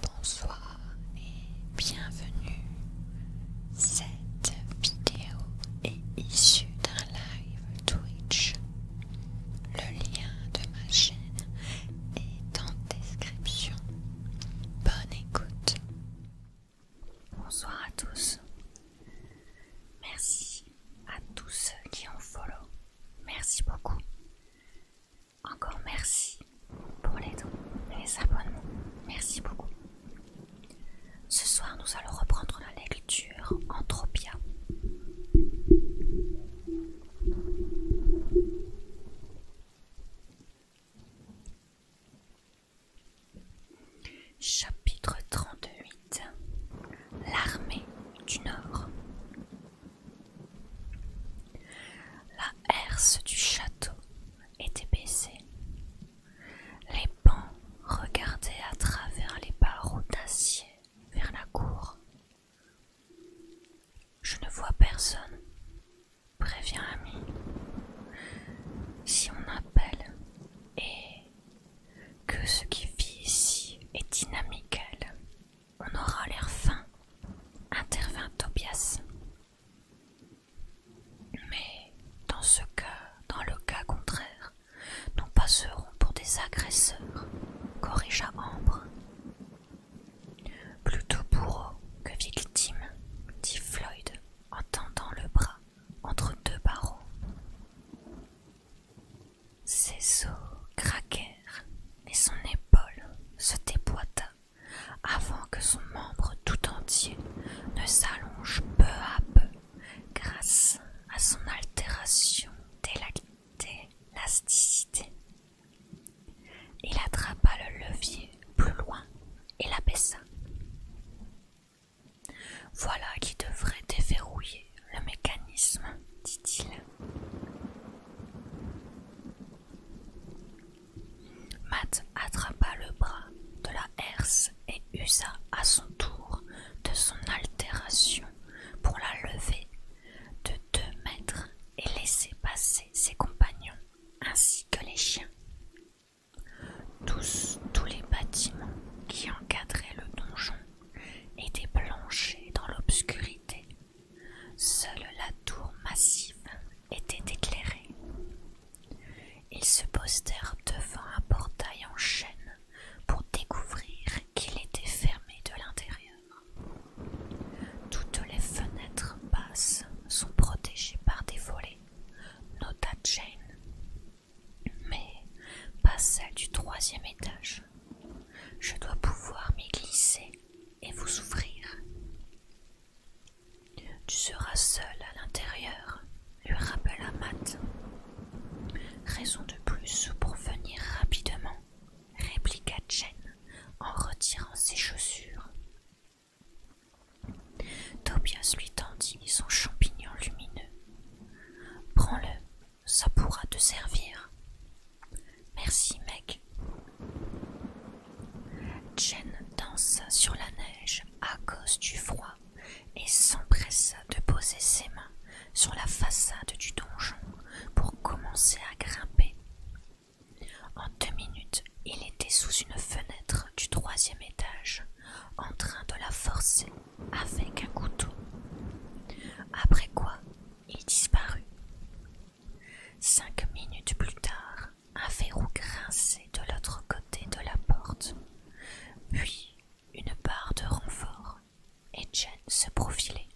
Bonsoir et bienvenue. Cette vidéo est issue d'un live Twitch. Le lien de ma chaîne est en description. Bonne écoute. Bonsoir à tous. Merci à tous ceux qui ont follow. Merci beaucoup. Encore merci pour les dons et les abonnements. Merci beaucoup. Ce soir, nous allons reprendre la lecture Anthropia. Chapitre 38 L'armée du Nord la herse du château était baissée. Les pans regardaient à travers les barreaux d'acier vers la cour. Je ne vois personne, prévient Ami. Si on appelle et que ce qui vit ici est dynamical, on aura l'air fin, intervint Tobias mais dans ce cas, dans le cas contraire, nous passerons pour des agresseurs, corrigea Ambre. Plutôt bourreau que victime, dit Floyd en tendant le bras entre deux barreaux. Ses os craquèrent et son épaule se déboîta avant que son membre tout entier ne s'allonge peu à peu grâce à son altération d'élasticité. Il attrapa le levier plus loin et l'abaissa. Voilà qui devrait déverrouiller le mécanisme, dit-il. Matt attrapa le bras de la herse et usa à son tour de son altération pour la lever de deux mètres et laisser passer ses compagnons ainsi que les chiens. Tous, tous les bâtiments qui encadraient le donjon étaient planchés dans l'obscurité Seule la tour massive était éclairée. Ils se postèrent devant un portail en chêne pour découvrir qu'il était fermé de l'intérieur. Toutes les fenêtres basses sont protégées par des volets, nota Jane, mais pas celle du troisième étage. Je dois pouvoir m'y glisser et vous souffrir. Tu seras seul à l'intérieur, lui rappela Matt. Raison de plus pour venir rapidement, répliqua Jen en retirant ses chaussures. Tobias lui tendit son champignon lumineux. Prends-le, ça pourra te servir. Merci, mec, Jen dansa sur la neige à cause du froid et s'empressa de poser ses mains sur la façade du donjon pour commencer à grimper. En deux minutes, il était sous une fenêtre du troisième étage, en train de la forcer avec un couteau. Après quoi, il disparut. Cinq minutes plus tard, un verrou grinçait de l'autre côté de la porte, puis une barre de renfort, et Jen se profilait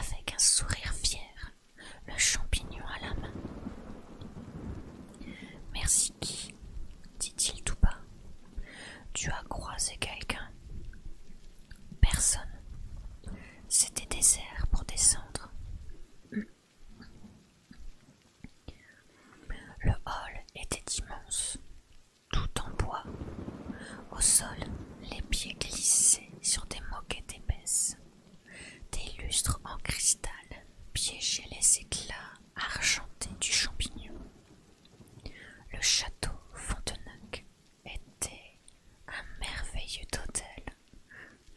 avec un sourire fier, le champignon à la main. Merci qui dit-il tout bas. Tu as croisé quelqu'un Personne. C'était désert pour descendre. Le hall était immense, tout en bois. Au sol, les pieds glissaient sur des moquettes épaisses. Des lustres en cristal piégeaient les éclats argentés du champignon. Le château Fontenac était un merveilleux hôtel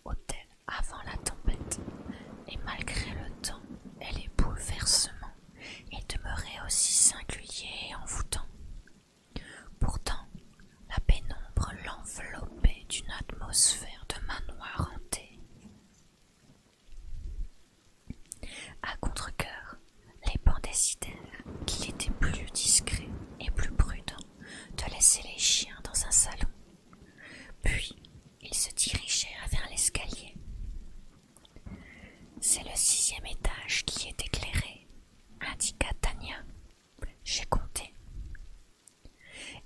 hôtel avant la tempête, et malgré le temps elle les bouleversements, et demeurait aussi singulier et envoûtant. Pourtant, la pénombre l'enveloppait d'une atmosphère de manoir hanté. À contre-coeur, les décidèrent qu'il était plus discret et plus prudent de laisser les chiens dans un salon puis ils se dirigèrent vers l'escalier. C'est le sixième étage qui est éclairé, indiqua Tania. J'ai compté.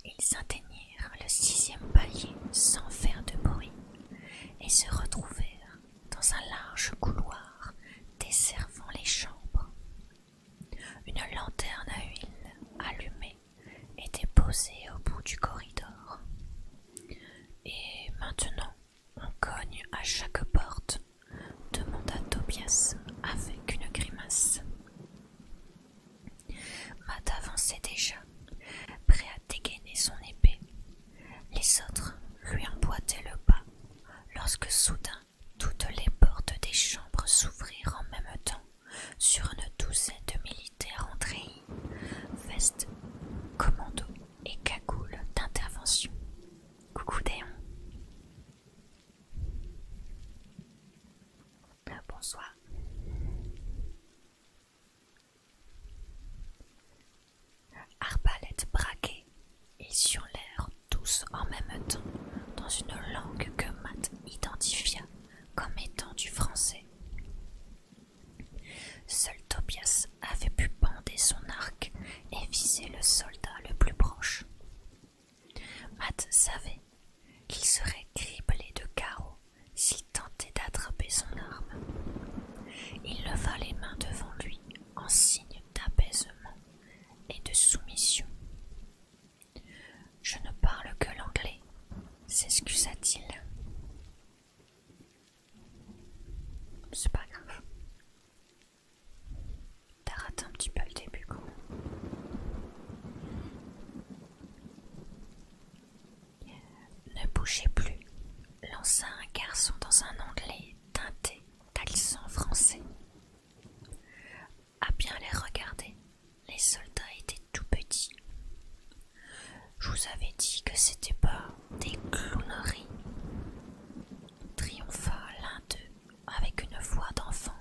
Ils atteignirent le sixième palier sans faire de bruit et se retrouvèrent dans un large couloir desservant les chambres. Une lanterne à huile allumée était posée au bout du corridor. Et maintenant, on cogne à chaque porte, demanda Tobias avec une grimace. Matt avançait déjà, prêt à dégainer son épée. Les autres lui emboîtaient le pas lorsque soudain toutes les portes des chambres s'ouvrirent en même temps sur une douzaine de militaires en vestes, commando et cagoule d'intervention. Coucou Déon. Euh, bonsoir. Arbalète braquée, et sur l'air tous en même temps, dans une langue que Matt identifia comme étant du français. Seul Tobias avait pu bander son arc et viser le soldat le plus proche. Matt savait qu'il serait criblé de carreaux s'il tentait d'attraper son arme. Il leva les mains devant lui en signe d'apaisement et de soumission. Je ne parle que l'anglais, s'excusa-t-il. C'est pas grave. T'as raté un petit peu le début, quoi. Ne bougez plus, lança un garçon dans un anglais teinté d'accent français. À bien les regarder, les soldats étaient tout petits. Je vous avais dit que c'était pas des clowneries. Triompha l'un d'eux avec une voix d'enfant.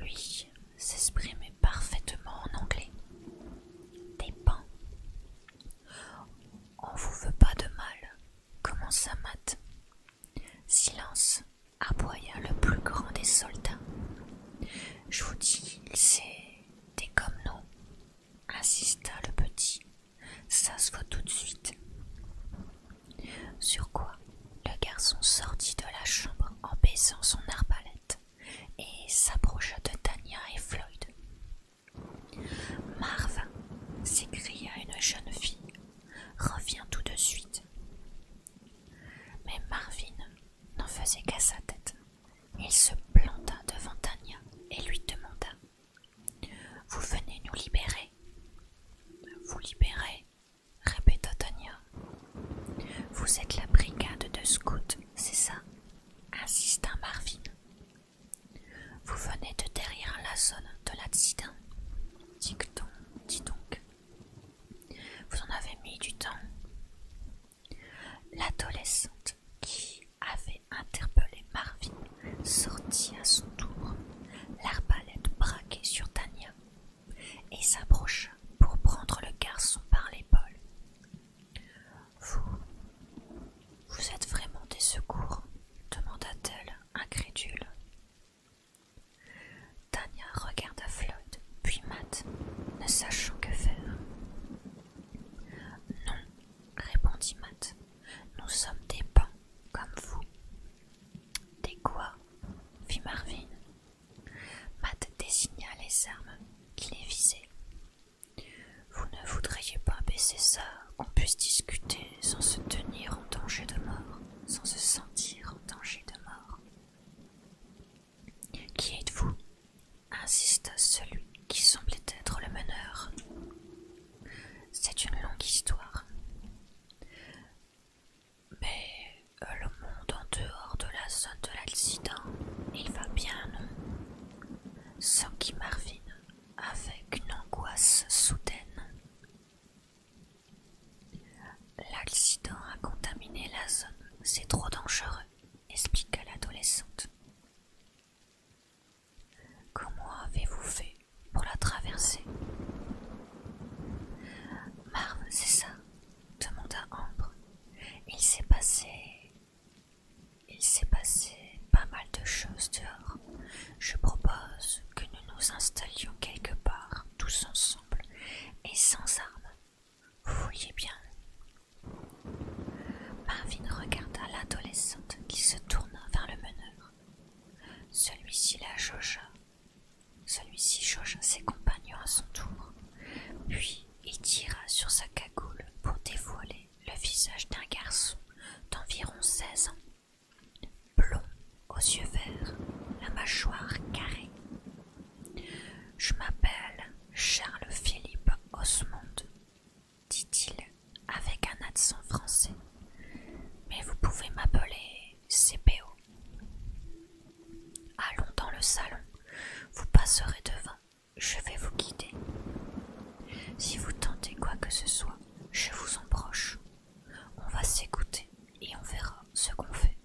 Lui s'exprimait parfaitement en anglais. Des On vous veut pas de mal, commença Matt. Silence, aboya le plus grand des soldats. Je vous dis, des comme nous, insista le petit. Ça se voit tout de suite. Sur quoi le garçon sortit de la chambre en baissant son arbalète et s'approcha de Tania et Floyd. Marvin !» s'écria une jeune fille, reviens tout de suite. Mais Marvin n'en faisait qu'à sa tête. Il se planta devant Tania et lui demanda Vous venez nous libérer Vous libérer répéta Tania. Vous êtes la brigade de scouts, c'est ça insista Marvin. Vous venez de derrière la zone de l'accident. Dicton, dis donc. Vous en avez mis du temps. L'adolescente qui avait interpellé Marvin sortit à son tour, l'arbalète braquée sur Tania, et s'approcha pour prendre le garçon par l'épaule. Vous. Vous êtes vraiment des secours demanda-t-elle, incrédule. Tania regarda Floyd, puis Matt, ne sachant que faire. Non, répondit Matt, nous sommes des pans, comme vous. Des quoi fit Marvin. Matt désigna les armes qui les visaient. Vous ne voudriez pas baisser ça, qu'on puisse discuter sans se tenir en danger de mort, sans se sentir en danger de mort. Qui êtes-vous insiste celui qui semblait être le meneur. C'est une longue histoire. Mais euh, le monde en dehors de la zone de l'incident, il va bien, non Sans qui Marvin avec une angoisse soudaine. L'accident a contaminé la zone, c'est trop dangereux, expliqua l'adolescente. Comment avez-vous fait pour la traverser Marve, c'est ça demanda Ambre. Il s'est passé. Il s'est passé pas mal de choses dehors. Je propose que nous nous installions quelque part, tous ensemble, et sans armes, Voyez bien. Marvin regarda l'adolescente qui se tourna vers le meneur. Celui-ci la jaugea. Celui-ci jaugea ses compagnons à son tour, puis il tira sur sa cagoule pour dévoiler le visage d'un garçon d'environ seize ans, blond, aux yeux verts, la mâchoire carrée, je m'appelle Charles-Philippe Osmond, dit-il avec un accent français, mais vous pouvez m'appeler CPO. Allons dans le salon, vous passerez devant, je vais vous guider. Si vous tentez quoi que ce soit, je vous proche On va s'écouter et on verra ce qu'on fait.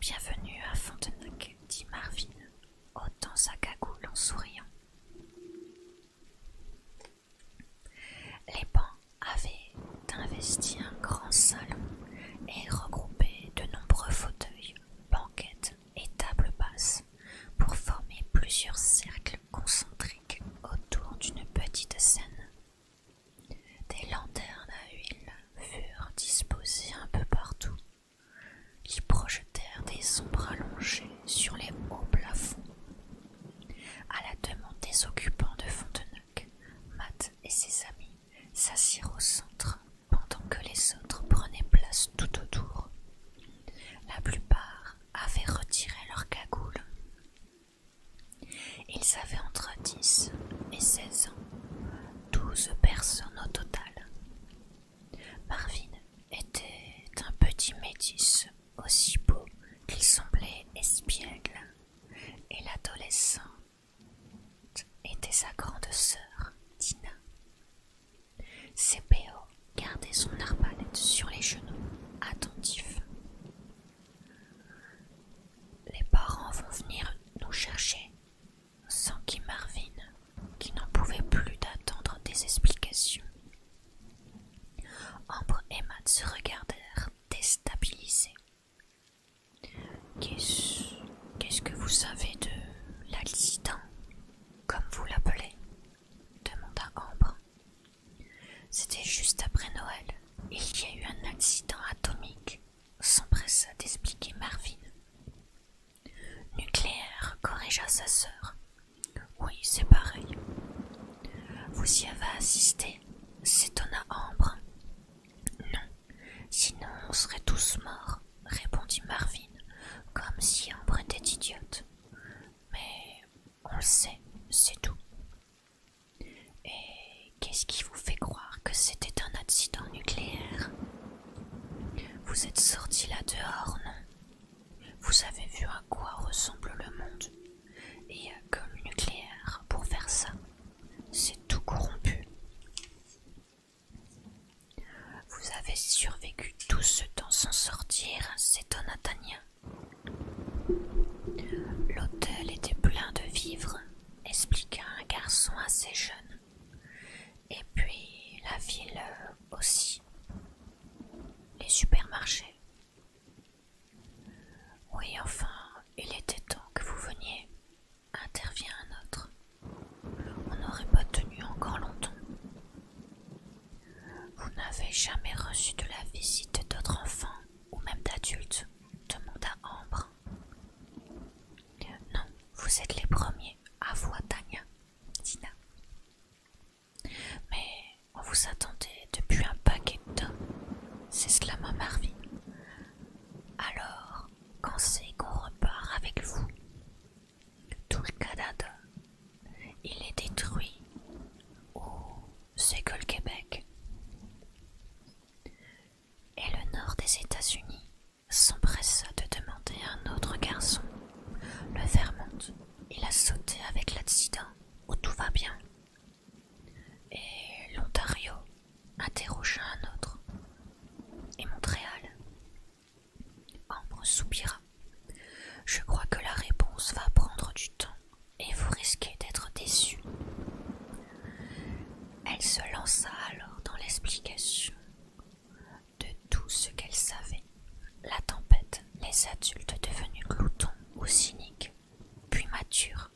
Bienvenue à Fontenac, dit Marvin, ôtant sa cagoule en souriant. Les bancs avaient investi un grand salon et regroupé de nombreux fauteuils, banquettes et tables basses pour former plusieurs cercles concentriques autour d'une petite scène des lanternes à huile furent disposées un peu partout, qui projetèrent des ombres allongées sur les hauts plafonds. À la demande des occupants de Fontenac, Matt et ses amis s'assirent au centre pendant que les autres prenaient place tout autour. La plupart avaient retiré leurs cagoules. Ils avaient entre 10 et 16 ans, 12 personnes au total. Marvin était un petit métis, aussi beau qu'il semblait espiègle, et l'adolescente était sa grande sœur, Tina. Cepéo gardait son arbalète sur les genoux, attentif. Les parents vont venir nous chercher, Sans qu'ils Marvin, qui n'en pouvait plus d'attendre des explications. Ambre et Matt se regardèrent déstabilisés. Qu'est-ce que vous savez de l'accident, comme vous l'appelez demanda Ambre. C'était juste après Noël. Il y a eu un accident atomique s'empressa d'expliquer Marvin. Nucléaire corrigea sa sœur. Oui, c'est pareil. Vous y avez assisté s'étonna Ambre. Non, sinon on serait tous morts, répondit Marvin, comme si Ambre était idiote. Mais on le sait, c'est tout. Et qu'est-ce qui vous fait croire que c'était un accident nucléaire Vous êtes sorti là dehors, non Vous avez vu à quoi ressemble le monde. Et euh, comme nucléaire pour faire ça. C'est tout corrompu. Vous avez survécu tout ce temps sans sortir, c'est un Atanien. L'hôtel était plein de vivres, expliqua un garçon assez jeune. Et puis la ville euh, aussi. Les supermarchés. Oui, enfin, il était temps que vous veniez, intervient un autre. On n'aurait pas tenu encore longtemps. Vous n'avez jamais reçu de la visite d'autres enfants ou même d'adultes demanda Ambre. Non, vous êtes les premiers, à Tania, Tina. Mais on vous attendait depuis un paquet de temps, s'exclama Marvin. Alors, quand c'est qu'on repart avec vous Tout le Canada, il est détruit. ou c'est que le Québec et le nord des États-Unis s'empressa de demander à un autre garçon, le Vermont. Il a sauté avec l'accident où tout va bien. Et l'Ontario interrogea un autre. Et Montréal Ambre soupira. Je crois que la réponse va prendre du temps et vous risquez d'être déçu. Elle se lança alors dans l'explication de tout ce qu'elle savait. La tempête, les adultes devenus gloutons ou cyniques, puis matures,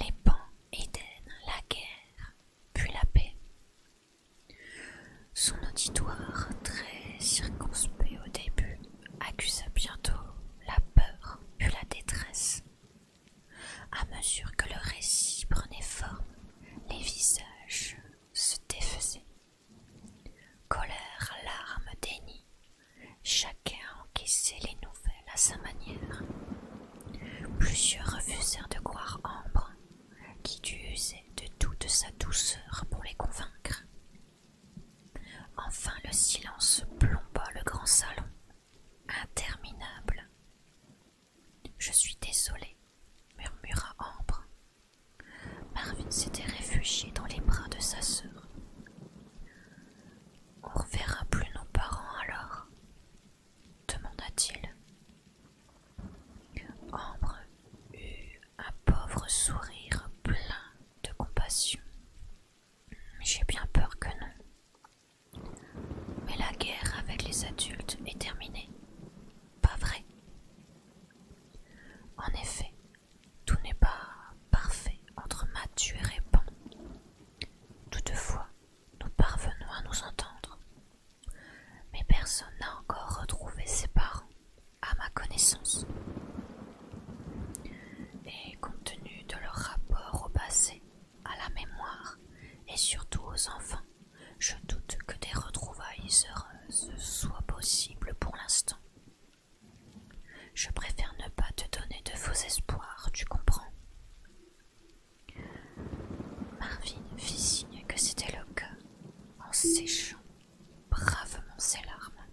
les pans, Éden, la guerre, puis la paix. Son auditoire, très circonspect au début, accusa bientôt la peur, puis la détresse, à mesure que le récit prenait forme, les visages se défaisaient. Colère, larmes, déni, chacun encaissait les nouvelles à sa manière. Plusieurs refusèrent de croire Ambre, qui dut user de toute sa douceur pour les convaincre. Enfin le silence plomba le grand salon, interminable. Je suis désolé, murmura Ambre. Marvin s'était réfugié dans les bras de sa sœur. On reverra plus nos parents alors demanda-t-il. Ambre eut un pauvre sourire plein de compassion. J'ai bien peur que non, mais la guerre avec les adultes est terminée. Pas vrai En effet, tout n'est pas parfait entre Mathieu et Répand. Toutefois, nous parvenons à nous entendre. Mais personne n'a encore retrouvé ses parents, à ma connaissance. Et compte tenu de leur rapport au passé, à la mémoire et surtout aux enfants. Je doute que des retrouvailles heureuses soient possibles pour l'instant. Je préfère ne pas te donner de faux espoirs, tu comprends. Marvin fit signe que c'était le cas en séchant bravement ses larmes.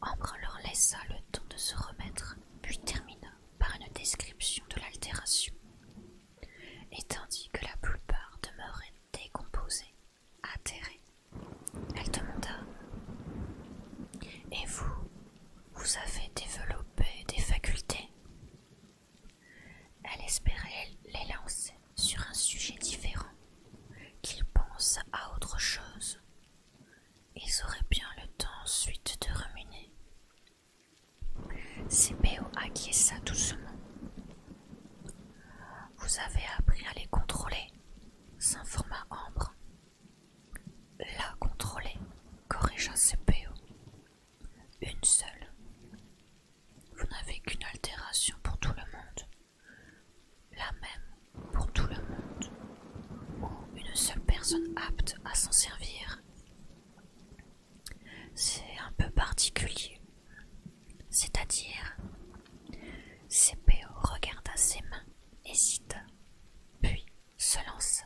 Ambre leur laissa le temps de se remettre, puis termina par une description de l'altération, et tandis que la plupart demeuraient décomposés, atterrés, elle demanda Et vous, vous avez développé des facultés Elle espérait les lancer sur un sujet différent, qu'ils pensent à autre chose. Ils auraient bien le temps ensuite de ruminer, CPO acquiesça doucement. Vous avez appris à les contrôler, s'informa Ambre. La contrôler, corrigea CPO. Une seule. Vous n'avez qu'une altération pour tout le monde. La même pour tout le monde. une seule personne apte à s'en servir. C'est un peu particulier. C'est-à-dire, CPO regarda ses mains, hésita, puis se lance.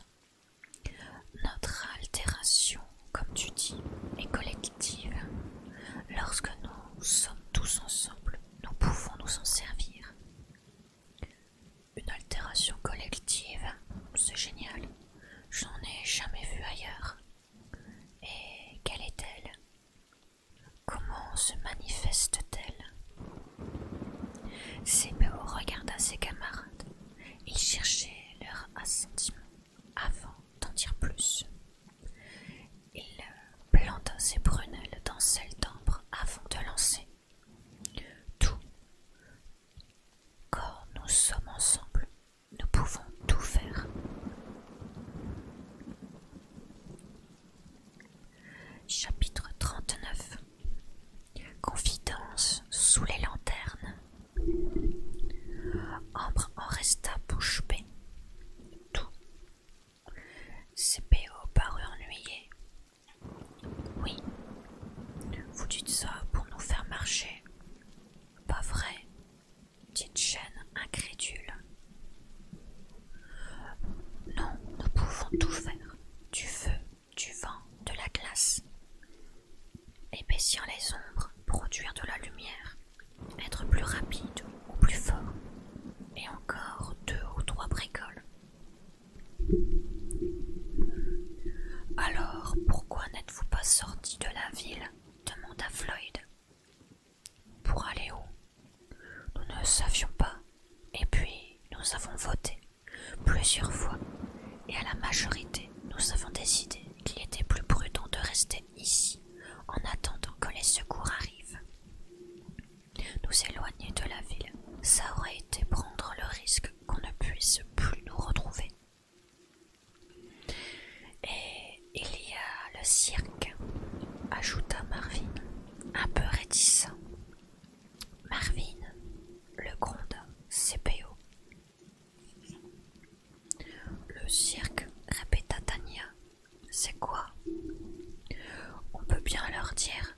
« Notre altération, comme tu dis, est collective. Lorsque nous sommes tous ensemble, nous pouvons nous en servir. Une altération collective, c'est génial. J'en ai jamais vu ailleurs. Et quelle est-elle Comment se manifeste-t-elle CPO regarda ses camarades. Il cherchait leur assentiment avant d'en dire plus. Il planta ses prunelles dans celle d'ambre avant de lancer. Tout. Quand nous sommes ensemble, nous pouvons tout faire. Chapitre 39 Confidence sous les lanternes. Ambre en resta bouche bée. Tout. CPO parut ennuyé, oui. Vous dites ça pour nous faire marcher Pas vrai dit chaîne incrédule. Non, nous pouvons tout faire. Du feu, du vent, de la glace. Épaissir les ombres, produire de la lumière, être plus rapide ou plus fort, et encore deux ou trois bricoles. Alors, pourquoi n'êtes-vous pas sortis de la ville demanda Floyd. Pour aller où Nous ne savions pas. Et puis, nous avons voté plusieurs fois. Et à la majorité, nous avons décidé qu'il était plus prudent de rester ici en attendant que les secours arrivent. Nous éloigner de la ville, ça aurait été prendre le risque qu'on ne puisse plus nous retrouver. Et il y a le cirque, ajouta Marvin, un peu réticent. Marvin, le gronda CPO. Le cirque, répéta Tania. C'est quoi On peut bien leur dire,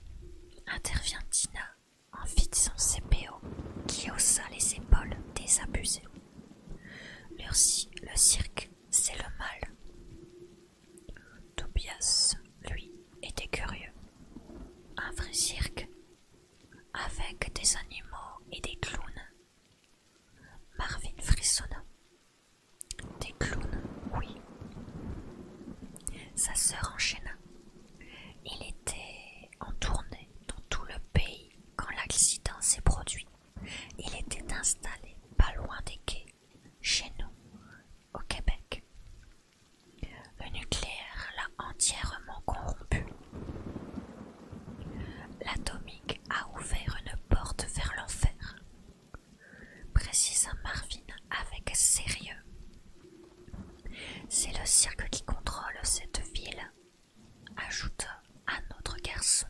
intervient Tina en fit son CPO qui haussa les épaules des Le, le cirque, c'est le mal. Tobias, lui, était curieux. Un vrai cirque, avec des animaux et des clowns. Marvin frissonna. Des clowns, oui. Sa sœur enchaîna. Il était en tournée dans tout le pays quand l'accident s'est produit. Il était installé pas loin des quais, chez nous, au Québec. Le nucléaire l'a entièrement corrompu. L'atomique a ouvert une porte vers l'enfer, précisa Marvin avec sérieux. C'est le cirque qui contrôle cette ville, ajouta un autre garçon.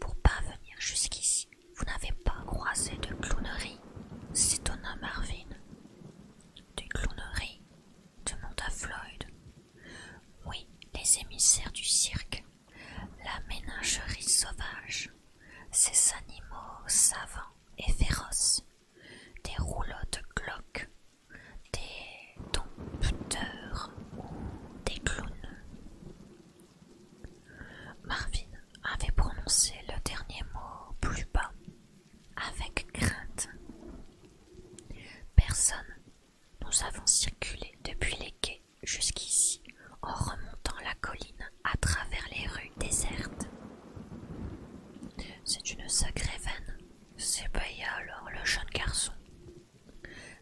Pour pas venir jusqu'ici, vous n'avez pas croisé de clownerie, s'étonna Marvin. De clownerie demanda Floyd. Oui, les émissaires du cirque, la ménagerie sauvage, ces animaux savants et féroces, des rouleaux de cloques des dompteurs ou des clowns. Marvin avait prononcé le dernier mot plus bas, avec crainte. Personne. Nous avons circulé depuis les quais jusqu'ici en remontant la colline à travers les rues désertes. C'est une sacrée veine S'épailla alors le jeune garçon.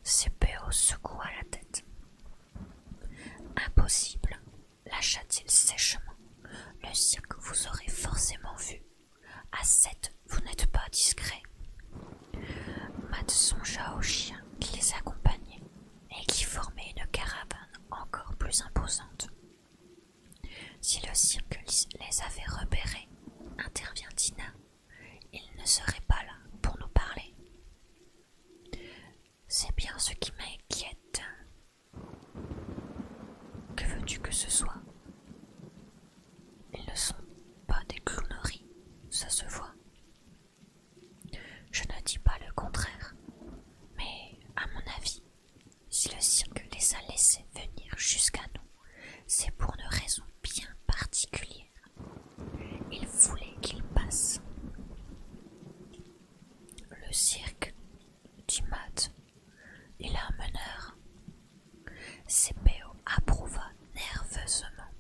Sépéo secoua la tête. Impossible, lâcha-t-il sèchement. Le cirque vous aurez forcément vu. À sept, vous n'êtes pas discret. Matt songea aux chiens qui les accompagnaient et qui formaient une caravane encore plus imposante. Si le cirque les avait repérés, intervient Tina, ils ne seraient pas là pour nous parler. C'est bien ce qui m'inquiète. Que veux-tu que ce soit Ils ne sont pas des clowneries, ça se voit. Je ne dis pas le contraire, mais à mon avis, si le cirque les a laissés venir jusqu'à nous, c'est pour une raison bien particulière. Il voulait qu'ils passent. Le cirque dit Mat, Il a un meneur. CPO approuva nerveusement.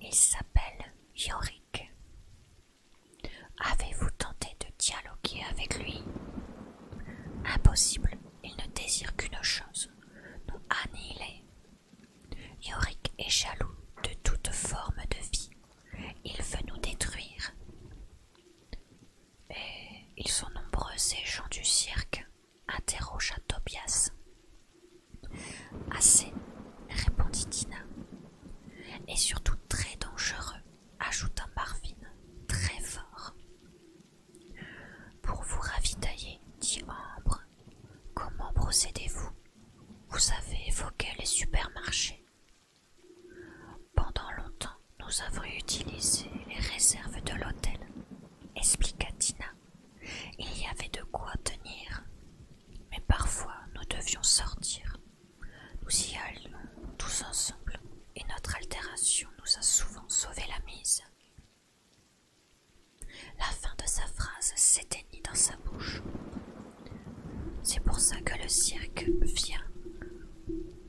Il s'appelle Yorick. Avez-vous tenté de dialoguer avec lui Impossible il ne désire qu'une chose, nous annihiler. Yorick est jaloux de toute forme de vie. Il veut nous détruire. Et ils sont nombreux ces gens du cirque interrogea Tobias. Assez, répondit Tina. Et surtout très dangereux, ajouta Marvin, très fort. Pour vous ravitailler, dit Ambre, comment procédez-vous Vous avez évoqué les supermarchés. Pendant longtemps, nous avons utilisé les réserves de l'hôtel, expliqua Tina. Il y avait de quoi tenir. Mais parfois, nous devions sortir. Nous y allions tous ensemble, et notre altération nous a souvent sauvé la mise. La fin de sa phrase s'éteignit dans sa bouche. C'est pour ça que le cirque vient,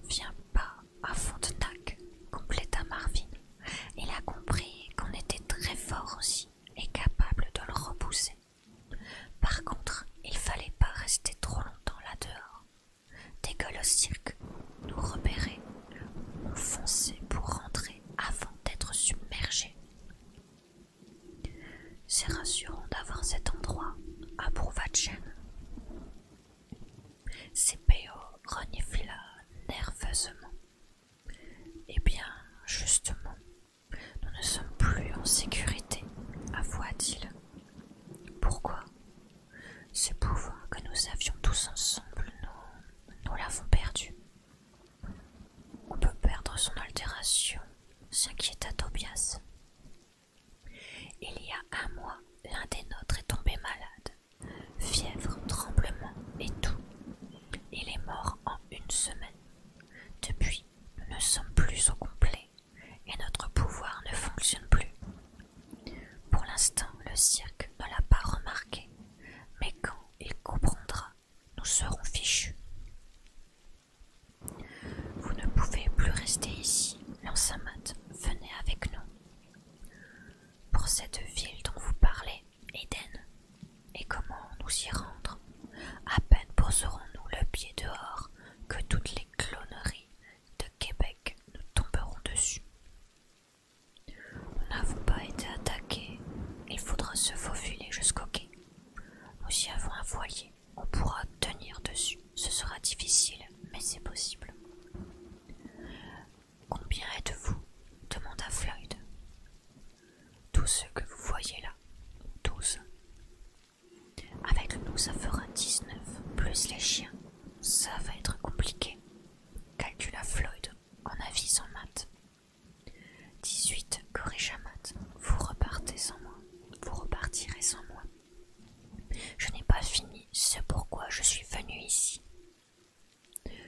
vient pas à Fontenac, compléta Marvin. Il a compris qu'on était très fort aussi et capable de le repousser. Par contre, il fallait pas rester trop longtemps là dehors. Dès que le cirque nous repérer, nous fonçait pour rentrer avant d'être submergé. C'est rassurant d'avoir cet endroit, approuva Chen. CPO renifla nerveusement. Eh bien, justement, nous ne sommes plus en sécurité, avoua-t-il. Pourquoi ce pouvoir que nous avions tous ensemble, nous, l'avons perdu. On peut perdre son altération, s'inquiéta Tobias. Il y a un mois, l'un des nôtres est tombé malade. Fièvre, tremblement et tout. Il est mort en une semaine. Depuis, nous ne sommes plus au complet et notre pouvoir ne fonctionne plus. Pour l'instant, le cirque ne l'a pas remarqué, mais quand il comprendra, nous serons fichus. Vous ne pouvez plus rester ici, l'ancien Venez avec nous. Pour cette ville dont vous parlez, Eden, et comment nous y rendre À peine poserons-nous le pied dehors que toutes les cloneries de Québec nous tomberont dessus. Nous n'avons pas été attaqués. Il faudra se faufiler jusqu'au quai. Nous y avons un voilier. On pourra tenir dessus. Ce sera difficile, mais c'est possible. Combien êtes-vous demanda Floyd. Tous ceux que vous voyez là. tous. Avec nous, ça fera 19, plus les chiens. Ça va être compliqué, calcula Floyd en avisant Matt. 18, corrigea Matt. Vous repartez sans moi. Vous repartirez sans moi. Je n'ai pas fini, c'est pourquoi je suis venu ici.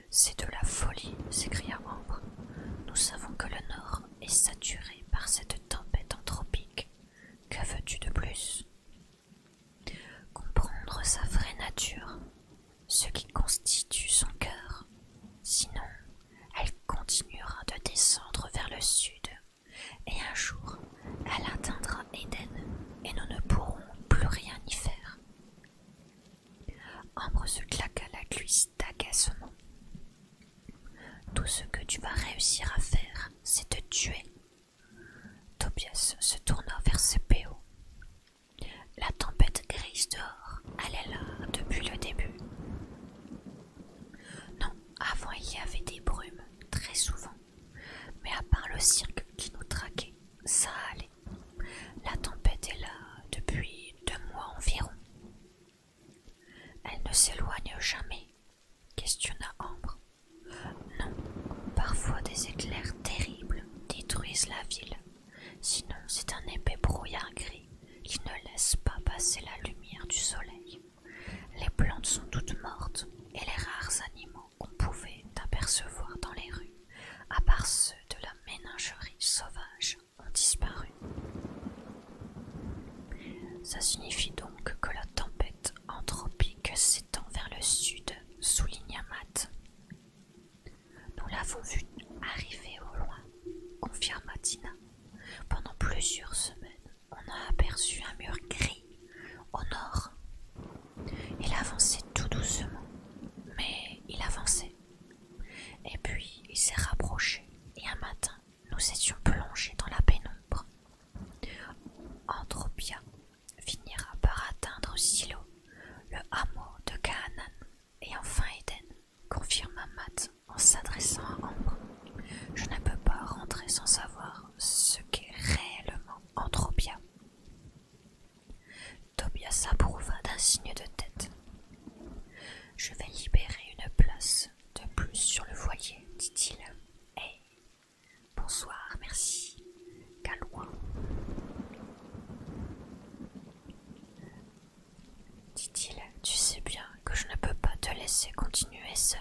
C'est de la folie, s'écria Ambre. Nous savons que le Nord est saturé par cette tempête anthropique. Que veux-tu de plus Comprendre sa vraie nature, ce qui constitue son cœur, sinon elle continuera de descendre vers le sud, et un jour elle atteindra Éden, et nous ne pourrons plus rien y faire. Ambre se à la cuisse d'agacement. Tout ce que tu vas réussir à faire, c'est te tuer, Tobias se tourna vers ses La tempête grise dehors est là depuis le début. Non, avant il y avait des brumes, très souvent. Mais à part le cirque qui nous traquait, ça allait. La tempête est là depuis deux mois environ. Elle ne s'éloigne jamais, questionna Ambre. Non, parfois des éclairs terribles détruisent la ville. Sinon, c'est un épais brouillard gris qui ne laisse pas passer la lumière du soleil. Les plantes sont toutes mortes et les rares animaux qu'on pouvait apercevoir dans les rues, à part ceux de la ménagerie sauvage, ont disparu. Ça signifie donc que la tempête anthropique s'étend vers le sud, sous Mat. Nous l'avons vu arriver au loin, confirma Tina. Pendant plusieurs semaines, on a aperçu un mur gris au nord. Il avançait tout doucement, mais il avançait. Et puis il s'est rapproché, et un matin, nous étions plongés dans la pénombre. bien, finira par atteindre Silo, le hameau de Canaan et enfin Eden, confirma Matt en s'adressant à Ambre. Je ne peux pas rentrer sans savoir ce qu'est réellement Anthropia. Tobias approuva d'un signe de tête. Je vais libérer une place de plus sur le voilier, dit-il. Bonsoir, merci. Calouin. Hein. Dit-il, tu sais bien que je ne peux pas te laisser continuer seul.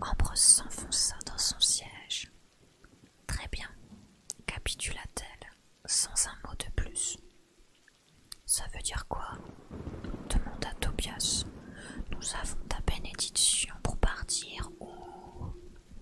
Ambrose s'enfonça dans son siège. Très bien, capitula-t-elle, sans un mot de plus. Ça veut dire quoi demanda Tobias. Nous avons ta bénédiction pour partir au... »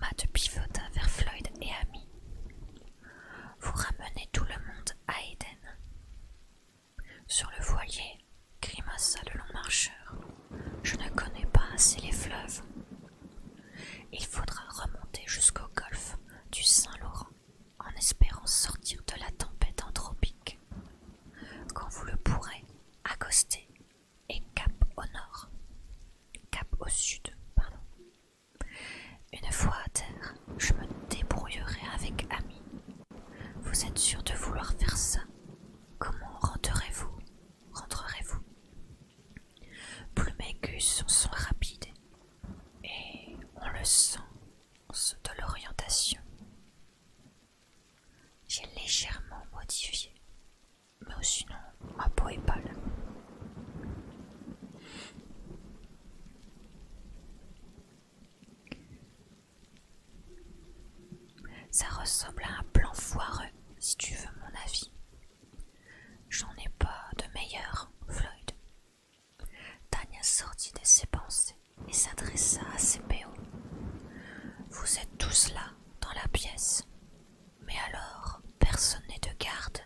Matt pivota vers Floyd et Ami. « Vous ramenez tout le monde à Éden. Sur le voilier, grimaça le long marcheur. Je ne connais pas assez les fleuves. Il faudra remonter jusqu'au golfe du Saint-Laurent en espérant sortir de la tempête anthropique. Quand vous le pourrez, accoster et cap au nord. Cap au sud, pardon. Une fois à terre, je me débrouillerai avec Ami. Vous êtes sûr de vouloir faire ça Comment rentrerez-vous Rentrerez-vous Plus mes sont, sont rapides et on le sent de l'orientation. J'ai légèrement modifié, mais sinon ma peau est Ça ressemble à un plan foireux, si tu veux mon avis. J'en ai pas de meilleur, Floyd. Tanya sortit de ses pensées et s'adressa à ses Vous êtes tous là, dans la pièce. Mais alors, personne n'est de garde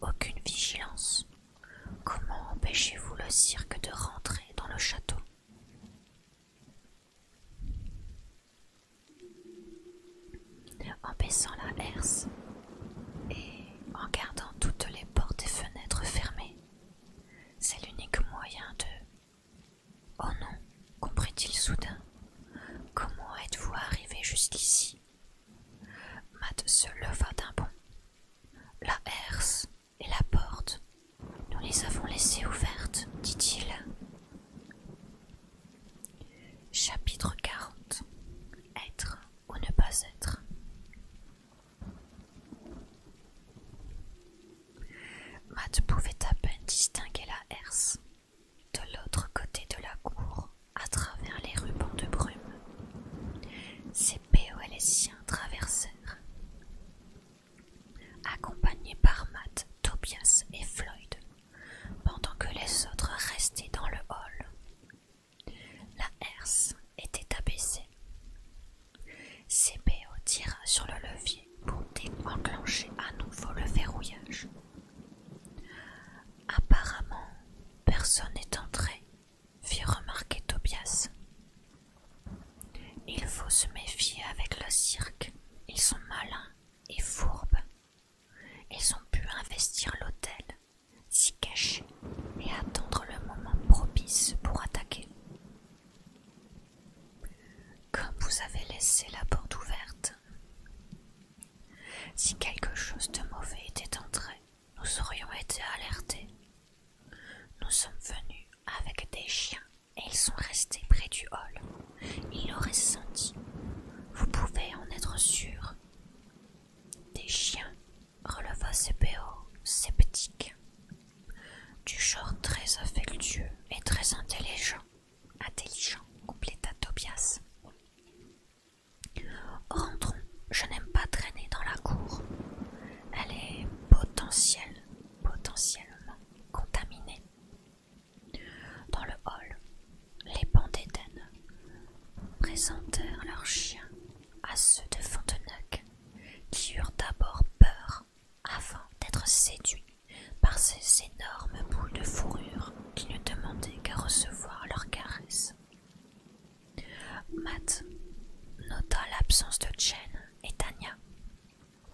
aucune vigilance. Comment empêchez-vous le cirque de rentrer dans le château En baissant la herse et en gardant toutes les portes et fenêtres fermées. C'est l'unique moyen de... Oh non, comprit-il soudain. Comment êtes-vous arrivé jusqu'ici Matt se leva d'un bond. La herse et la porte, nous les avons laissées ouvertes, dit-il. Chapitre 40 Être ou ne pas être. Matt pouvait à peine distinguer la herse de l'autre côté de la cour à travers les rubans de brume. et les siens traversèrent, accompagnés par Matt, Tobias et Floyd, pendant que les autres restaient dans le hall. La herse était abaissée. CPO tira sur le levier pour enclencher à nouveau le verrouillage. Apparemment, personne n'est entré, fit remarquer Tobias. Il faut se méfier avec le cirque. Ils sont malins et fourbes. Ils ont pu investir l'hôtel, s'y cacher et attendre le moment propice pour attaquer. Comme vous avez laissé la porte ouverte, si quelque chose de mauvais était entré, nous aurions été alertés. Nous sommes venus avec des chiens et ils sont restés près du hall. Ils l'auraient senti. Vous pouvez en être sûr. Des chiens, releva CPO, sceptique. Du genre très affectueux et très intelligent. Intelligent, compléta Tobias. Rentrons, je n'aime pas traîner dans la cour. Elle est potentielle, potentiellement contaminée. Dans le hall, les bancs présentèrent leurs chiens à ceux de Fontenac, qui eurent d'abord peur avant d'être séduits par ces énormes boules de fourrure qui ne demandaient qu'à recevoir leurs caresses. Matt nota l'absence de Jen et Tanya.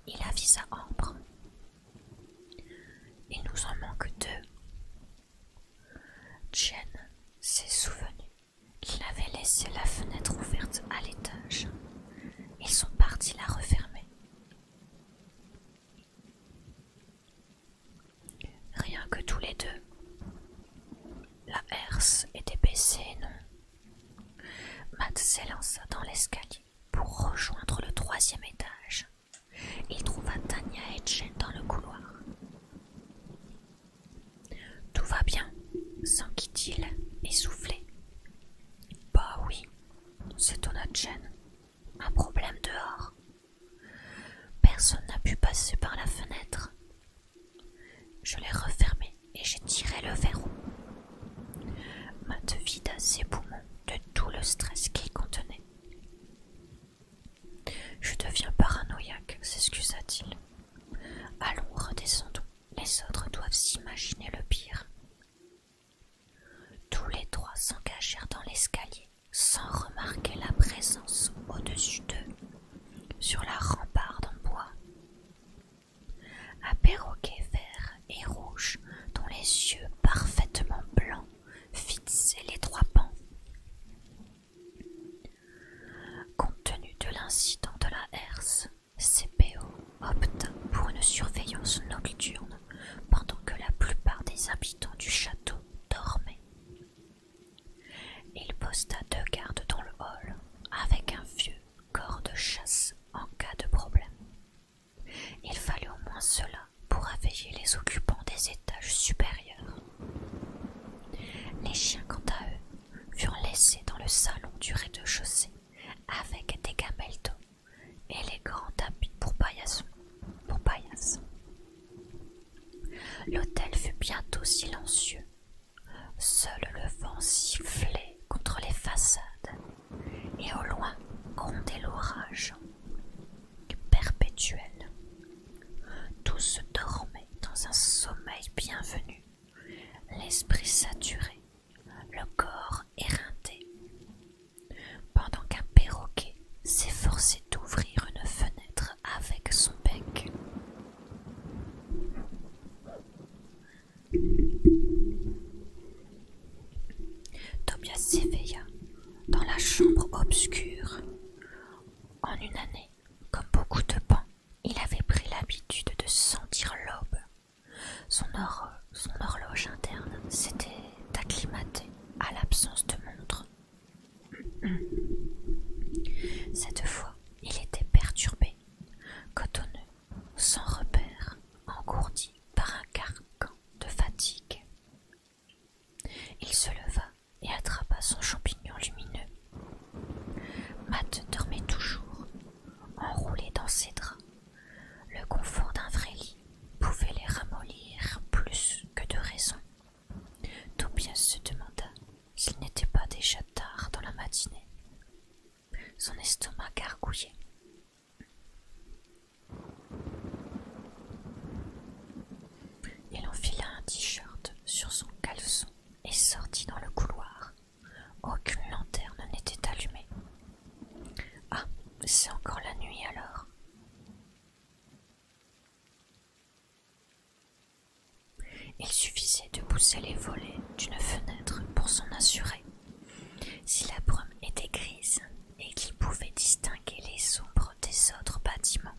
Il avisa Ambre. Il nous en manque deux. Jen s'est souvenu qu'il avait laissé la fenêtre ouverte à l'étage. Ils sont partis la refermer. Rien que tous les deux. La herse était baissée, non Matt s'élança dans l'escalier pour rejoindre le troisième étage. Il trouva Tania et Jen dans le couloir. Tout va bien s'enquit-il, essoufflé. Bah oui, s'étonna Jen. Un problème dehors Personne n'a pu passer par la fenêtre. Je l'ai refermée et j'ai tiré le verrou. Matt vida ses poumons de tout le stress qu'il contenait. Je deviens paranoïaque, s'excusa-t-il. Allons, redescendons. Les autres doivent s'imaginer le pire. Tous les trois s'engagèrent dans l'escalier sans remarquer la présence au-dessus d'eux, sur la rempart en bois, un perroquet vert et rouge dont les yeux parfaitement blancs fixaient les trois pans. Compte tenu de l'incident de la herse, CPO opta pour une surveillance nocturne pendant que la plupart des habitants du château dormaient. Il posta deux gardes dans le hall avec un vieux corps de chasse en cas de problème. Il fallut au moins cela pour réveiller les occupants des étages supérieurs. Les chiens, quant à eux, furent laissés dans le salon du rez-de-chaussée avec des gamelles et les grands tapis pour paillassons. Pour L'hôtel fut bientôt silencieux. Seul le vent sifflait contre les façades, et au loin grondait l'orage perpétuel. Tous dormaient dans un sommeil bienvenu, l'esprit saturé, le corps éreinté, pendant qu'un perroquet s'efforçait d'ouvrir une fenêtre avec son bec. Tobias s'éveilla dans la chambre obscure. En une année, comme beaucoup de pans, il avait pris l'habitude de sentir l'aube. Son, son horloge interne s'était acclimatée à l'absence de montre cette fois, il était perturbé, cotonneux, sans repère, engourdi par un carcan de fatigue. Il se leva et attrapa son champignon lumineux. Matt dormait toujours, enroulé dans ses draps. Le confort d'un vrai lit pouvait les ramollir plus que de raison Tobias se demanda s'il n'était pas déjà tard dans la matinée. Son estomac gargouillait. Il enfila un t-shirt sur son caleçon et sortit dans le couloir. Aucune lanterne n'était allumée. Ah, c'est encore la nuit alors. Il suffisait de pousser les volets d'une fenêtre pour s'en assurer. Si la brume était grise et qu'il pouvait distinguer les ombres des autres bâtiments,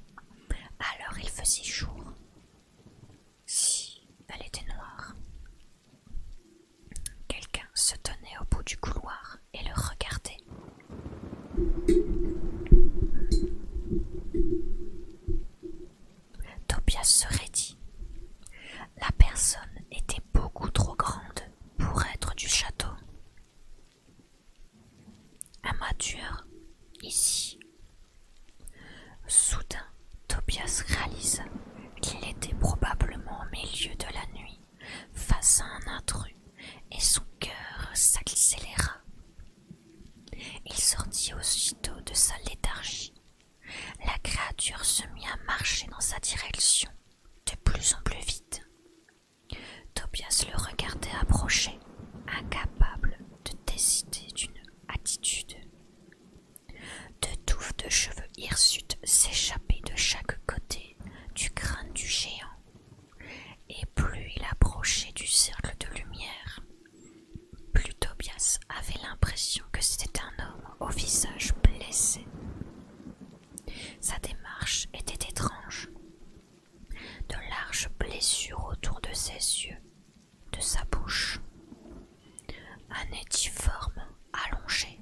alors il faisait jour. Si elle était noire. Quelqu'un se tenait au bout du couloir et le regardait. Tobias se raidit. La personne était beaucoup trop grande pour être du château. amateur ici. Soudain, Tobias réalisa qu'il était probablement au milieu de la nuit, face à un intrus, et son cœur s'accéléra. Il sortit aussitôt de sa léthargie. La créature se mit à marcher dans sa direction, de plus en plus vite. Tobias le regardait approcher, incapable de décider d'une attitude. Deux touffes de cheveux hirsutes s'échappaient de chaque côté du crâne du géant, et plus il approchait du cercle de lumière, plus Tobias avait l'impression que c'était un homme au visage blessé. Sa démarche était étrange. De larges blessures autour de ses yeux, de sa bouche. Un étiforme allongé.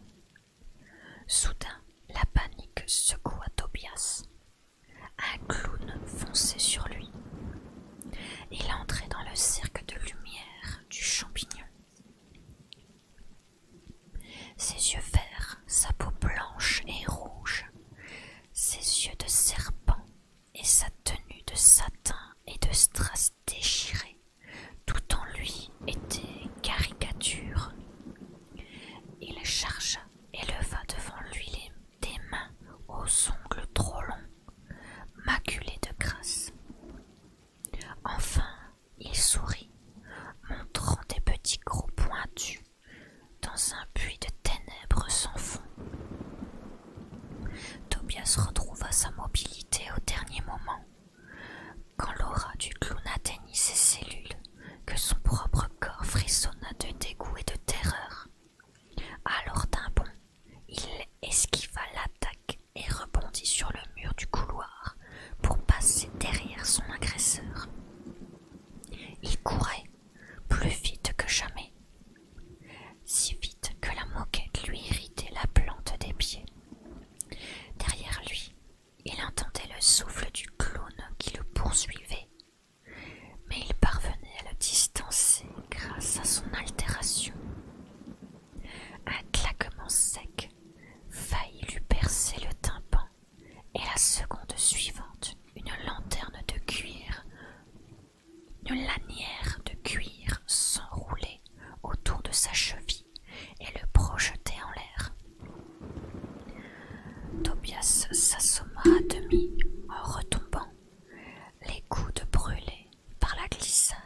Soudain, la panique secoua Tobias. Un clown fonçait sur lui. Il entrait dans le cercle de lumière du champignon. Ses yeux verts, sa peau blanche et rouge, ses yeux de serpent et sa tenue de satin et de strass déchirés, tout en lui était caricature. Il chargea et leva devant lui les des mains aux ongles trop longs, maculés de grâce. Enfin, il sourit, montrant des petits crocs pointus dans un puits de ténèbres sans fond. Tobias retrouva sa mobilité au dernier moment, quand l'aura du clown atteignit ses cellules, que son propre corps frissonna de dégoût et de terreur. Alors d'un bond, il esquiva l'attaque et rebondit sur le mur du couloir pour passer derrière son agresseur. Il courait plus vite que jamais, si vite que la moquette lui irritait la plante des pieds. Derrière lui, il entendait le souffle du clown qui le poursuivait mais il parvenait à le distancer grâce à son altération. Un claquement sec faillit lui percer le tympan, et la seconde suivante, une lanterne de cuir, une lanière de cuir s'enroulait autour de sa cheville et le projetait en l'air. Tobias s'assomma à demi en retombant les coudes brûlés par la glissade.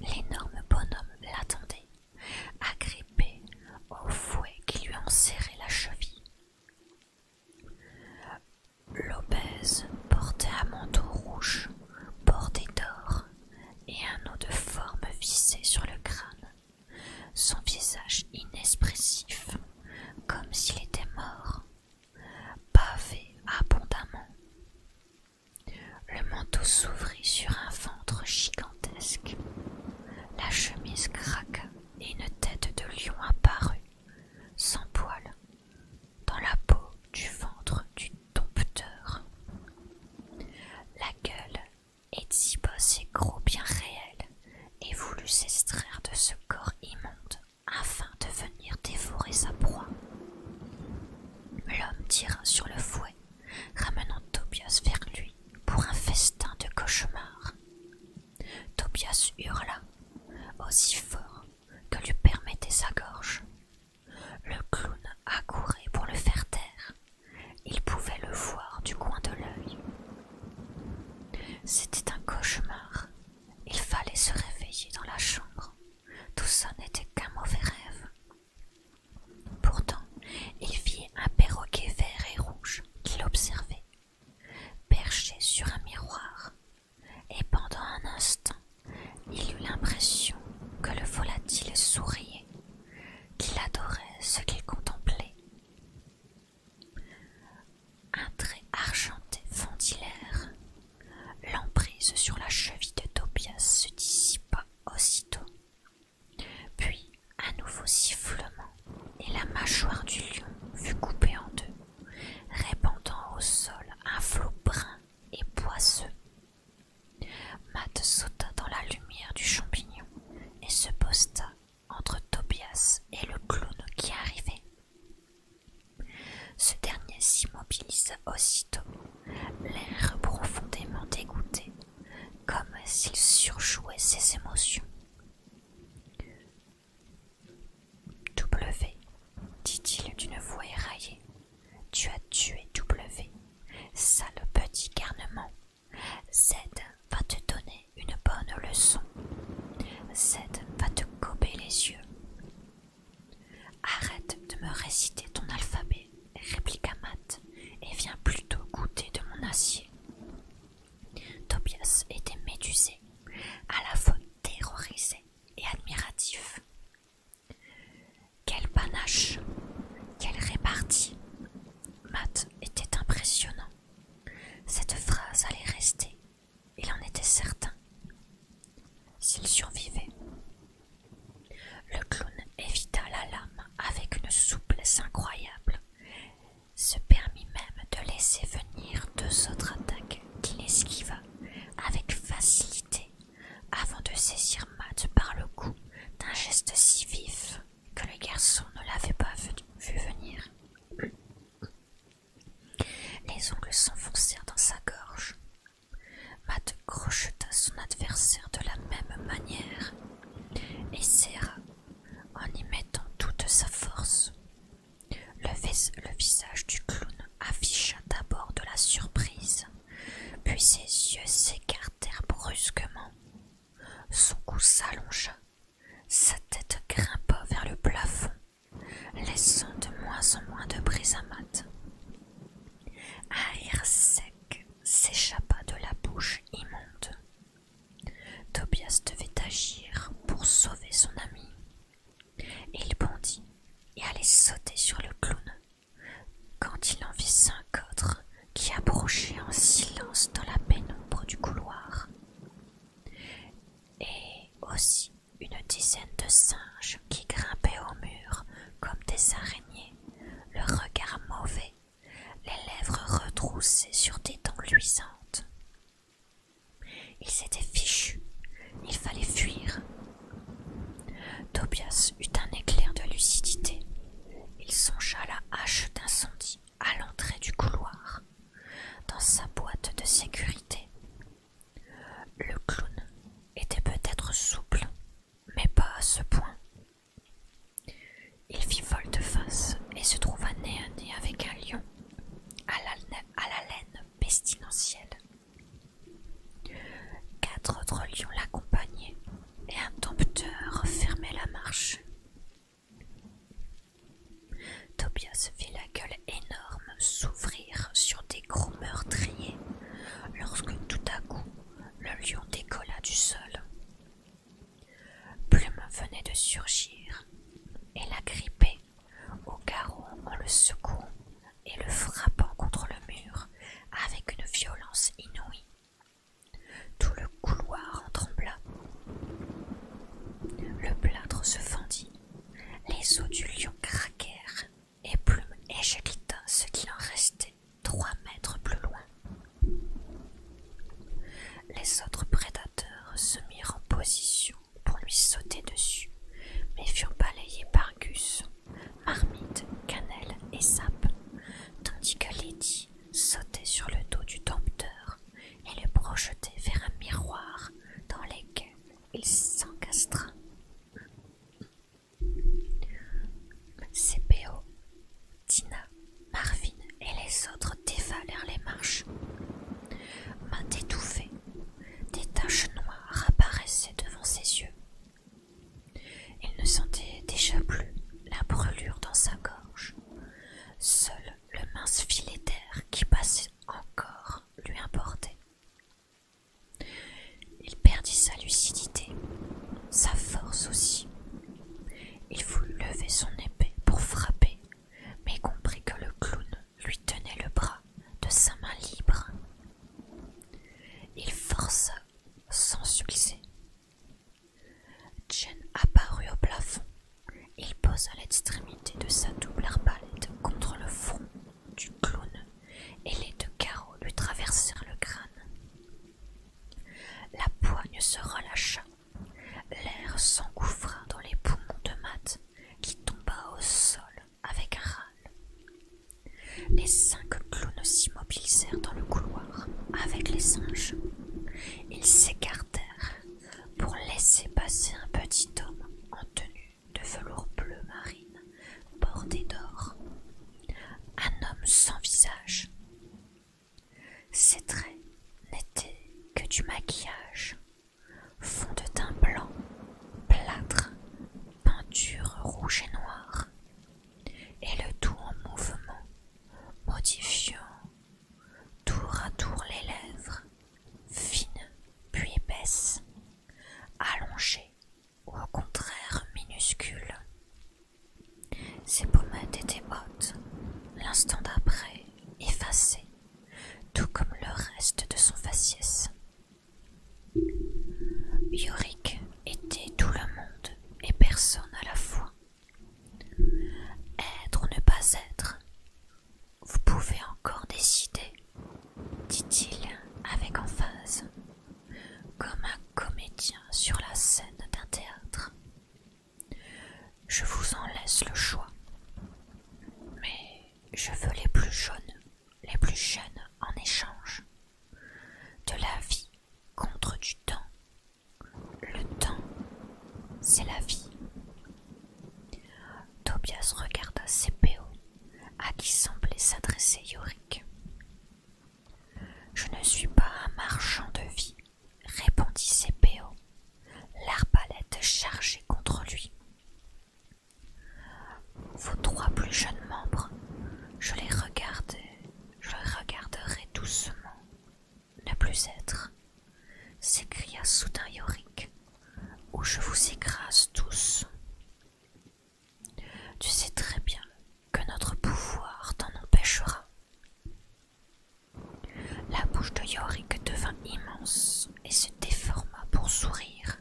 L'énorme bonhomme l'attendait, agrippé au fouet qui lui enserrait la cheville. L'obèse portait un manteau rouge bordé d'or et un os de forme vissé sur le crâne. Son visage inexpressif comme s'il était mort, pavé abondamment. Le manteau s'ouvrit sur un ventre gigantesque. La chemise craqua et une tête de lion apparut, sans poil, dans la peau du ventre du dompteur. La gueule, est si et gros bien réel, et voulut s'extraire de ce corps immonde afin de venir dévorer sa proie. L'homme tira sur le fouet, ramenant Tobias vers lui pour un festin de cauchemar. Tobias hurla, aussi fort que lui permettait sa gorge. Le clown accourait pour le faire taire. Il pouvait le voir du coin de l'œil, c'était un cauchemar. Il fallait se réveiller dans la chambre. Tout ça n'était qu'un mauvais rêve. Pourtant, il vit un perroquet vert et rouge qui l'observait, perché sur un miroir. Et pendant un instant, il eut l'impression que le volatile souriait, qu'il adorait ce qu'il contemplait. Un trait argenté l'air. L'emprise sur la cheville de Tobias se dissipa aussitôt. Puis un nouveau sifflement, et la mâchoire du lion fut coupée en deux, répandant au sol un flot brun et poisseux. Matt sauta dans la lumière du champignon et se posta entre Tobias et le clown qui arrivait. Ce dernier s'immobilisa aussitôt, l'air profondément dégoûté, comme s'il surjouait ses émotions. W, dit-il d'une voix éraillée, tu as tué W, sale petit garnement. Z va te donner une bonne leçon. Zed va te gober les yeux. Arrête de me réciter ton alphabet, répliqua Matt, et viens plutôt goûter de mon acier. Tobias était médusé, à la fois terrorisé et admiratif. Quel panache, quelle répartie. Matt était impressionnant. Cette phrase allait rester il en était certain. S'il survivait. Le clown évita la lame avec une souplesse incroyable, se permit même de laisser venir deux autres attaques qu'il esquiva avec facilité avant de saisir Matt par le cou d'un geste si vif que le garçon ne l'avait pas vu venir. Les ongles s'enfoncèrent dans sa gorge. Matt crocheta son adversaire de la même manière et serra en y mettant toute sa force. Le, visage du clown afficha d'abord de la surprise, puis ses yeux s'écartèrent brusquement. Son cou s'allongea sa tête grimpa vers le plafond, laissant de moins en moins de brise à mat. Un air sec s'échappa de la bouche immonde. Tobias devait agir pour sauver son ami. Il bondit et allait sauter sur le clown quand il en vit cinq autres qui approchaient en silence dans la pénombre du couloir et aussi une dizaine de singes qui grimpaient au mur comme des araignées, le regard mauvais, les lèvres retroussées sur des dents luisantes. Ils étaient fichus, il fallait fuir. Tobias eut un éclair de lucidité. Il songea à la hache d'incendie à l'entrée du couloir, dans sa boîte de sécurité. Le clown était peut-être souple, mais pas à ce point. Il fit de face et se trouva nez à nez avec un lion à la, laine pestilentielle. Quatre autres lions l'accompagnaient et un dompteur fermait la marche. Tobias vit la gueule énorme s'ouvrir sur des gros meurtriers lorsque tout à coup le lion décolla du sol. Plume venait de surgir et la grippait au garrot en le secouant et le frappant contre le mur avec une violence inouïe. Tout le couloir en trembla. Le plâtre se fendit les os du lion craquèrent, et Plume éjecta ce qui en restait trois mètres plus loin. Les autres prédateurs se mirent en position pour lui sauter dessus, mais furent balayés par Gus, Marmite, Cannelle et Sap, tandis que Lady sautait sur le dos du dompteur et le projeter vers un miroir dans lequel il s'encastra. CPO, Tina, Marvin et les autres dévalèrent les marches. Main étouffée, des taches noires apparaissaient devant ses yeux. Il ne sentait déjà plus la brûlure dans sa gorge. Seul le mince filet d'air qui passait encore lui importait. Il perdit sa lucidité, sa force aussi. Il voulut lever son épée pour frapper, mais comprit que le clown lui tenait le bras de sa main libre. Il força sans succès. Jen apparut au plafond il posa l'extrémité de sa double arbalète contre le front du clown et les deux carreaux lui traversèrent le crâne. La poigne se relâcha, l'air s'engouffra dans les poumons de Matt qui tomba au sol avec un râle. Les cinq clowns s'immobilisèrent dans le couloir avec les singes. Ils s'écartèrent pour laisser passer un petit homme en tenue de velours bleu marine bordé d'or. Un homme sans visage. Ses traits n'étaient que du maquillage, fond de teint blanc, plâtre, peinture rouge et noire, et le tout en mouvement, modifiant tour à tour les lèvres, fines puis épaisses, allongées ou au contraire minuscules. Ses pommettes étaient hautes, l'instant d'après effacées, tout comme le reste de son faciès. Yorick était tout le monde et personne à la fois. Être ou ne pas être, vous pouvez encore décider, dit-il avec emphase, comme un comédien sur la scène d'un théâtre. Je vous en laisse le choix. Mais je veux les plus jeunes, les plus jeunes en échange. De la vie contre du temps. Le temps, c'est la vie. Tobias regarda CPO, à qui semblait s'adresser Yorick. Je ne suis pas un marchand de vie, répondit CPO, l'arbalète chargée contre lui. Vos trois plus jeunes membres, je les je les regarderai doucement ne plus être s'écria soudain Yorick, ou je vous écrase tous. Tu sais très bien que notre pouvoir t'en empêchera. La bouche de Yorick devint immense et se déforma pour sourire.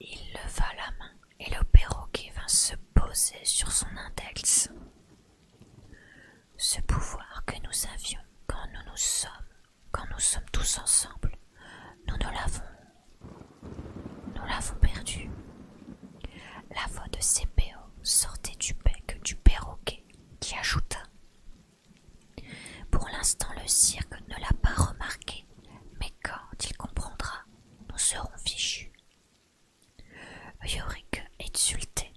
Il leva la main et le perroquet vint se poser sur son index. Ce pouvoir que nous avions quand nous nous sommes quand nous sommes tous ensemble, nous ne l'avons. Nous l'avons perdu. La voix de CPO sortait du bec du perroquet qui ajouta Pour l'instant, le cirque ne l'a pas remarqué, mais quand il comprendra, nous serons fichus. Yorick exultait,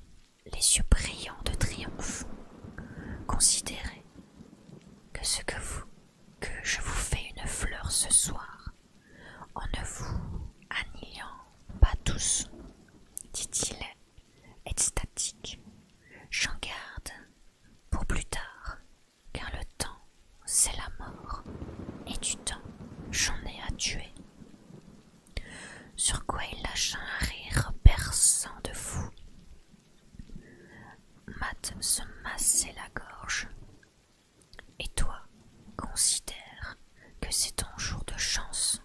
les yeux brillants de triomphe. Considéré que ce que vous que je vous fais une fleur ce soir, en ne vous annihilant pas tous, dit-il, extatique. J'en garde pour plus tard, car le temps, c'est la mort, et du temps, j'en ai à tuer. Sur quoi il lâcha un rire perçant de fou, Matt se massait la gorge. Et toi, considère que c'est ton jour de chance,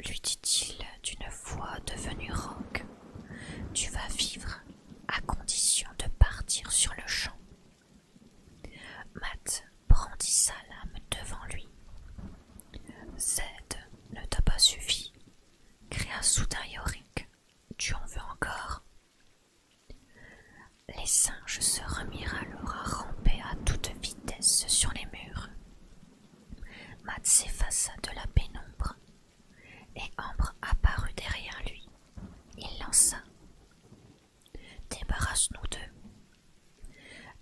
lui dit-il d'une voix devenue rauque. Tu vas vivre à condition de partir sur le champ. Matt brandit sa lame devant lui. Z ne t'a pas suffi, cria soudain Yorick. Tu en veux encore Les singes se remirent alors à ramper à toute vitesse sur les murs. Matt s'effaça de la pénombre et Ambre apparut derrière lui. Il lança Débarrasse-nous d'eux.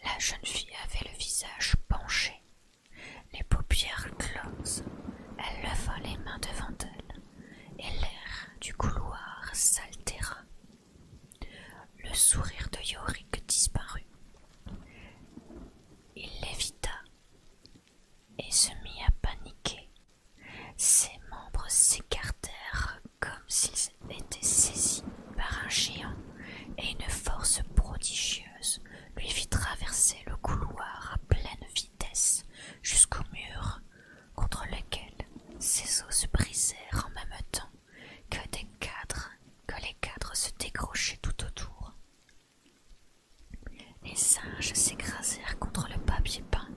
La jeune fille avait le visage penché les paupières closes, elle leva les mains devant elle, et l'air du couloir s'altéra. Le sourire de Yorick disparut. Il l'évita et se mit à paniquer. Ses membres s'écartèrent comme s'ils étaient saisis par un géant et une force prodigieuse lui fit traverser le couloir à pleine vitesse jusqu'au mur contre lequel ses os se brisèrent en même temps que des cadres, que les cadres se décrochaient tout autour. Les singes s'écrasèrent contre le papier peint,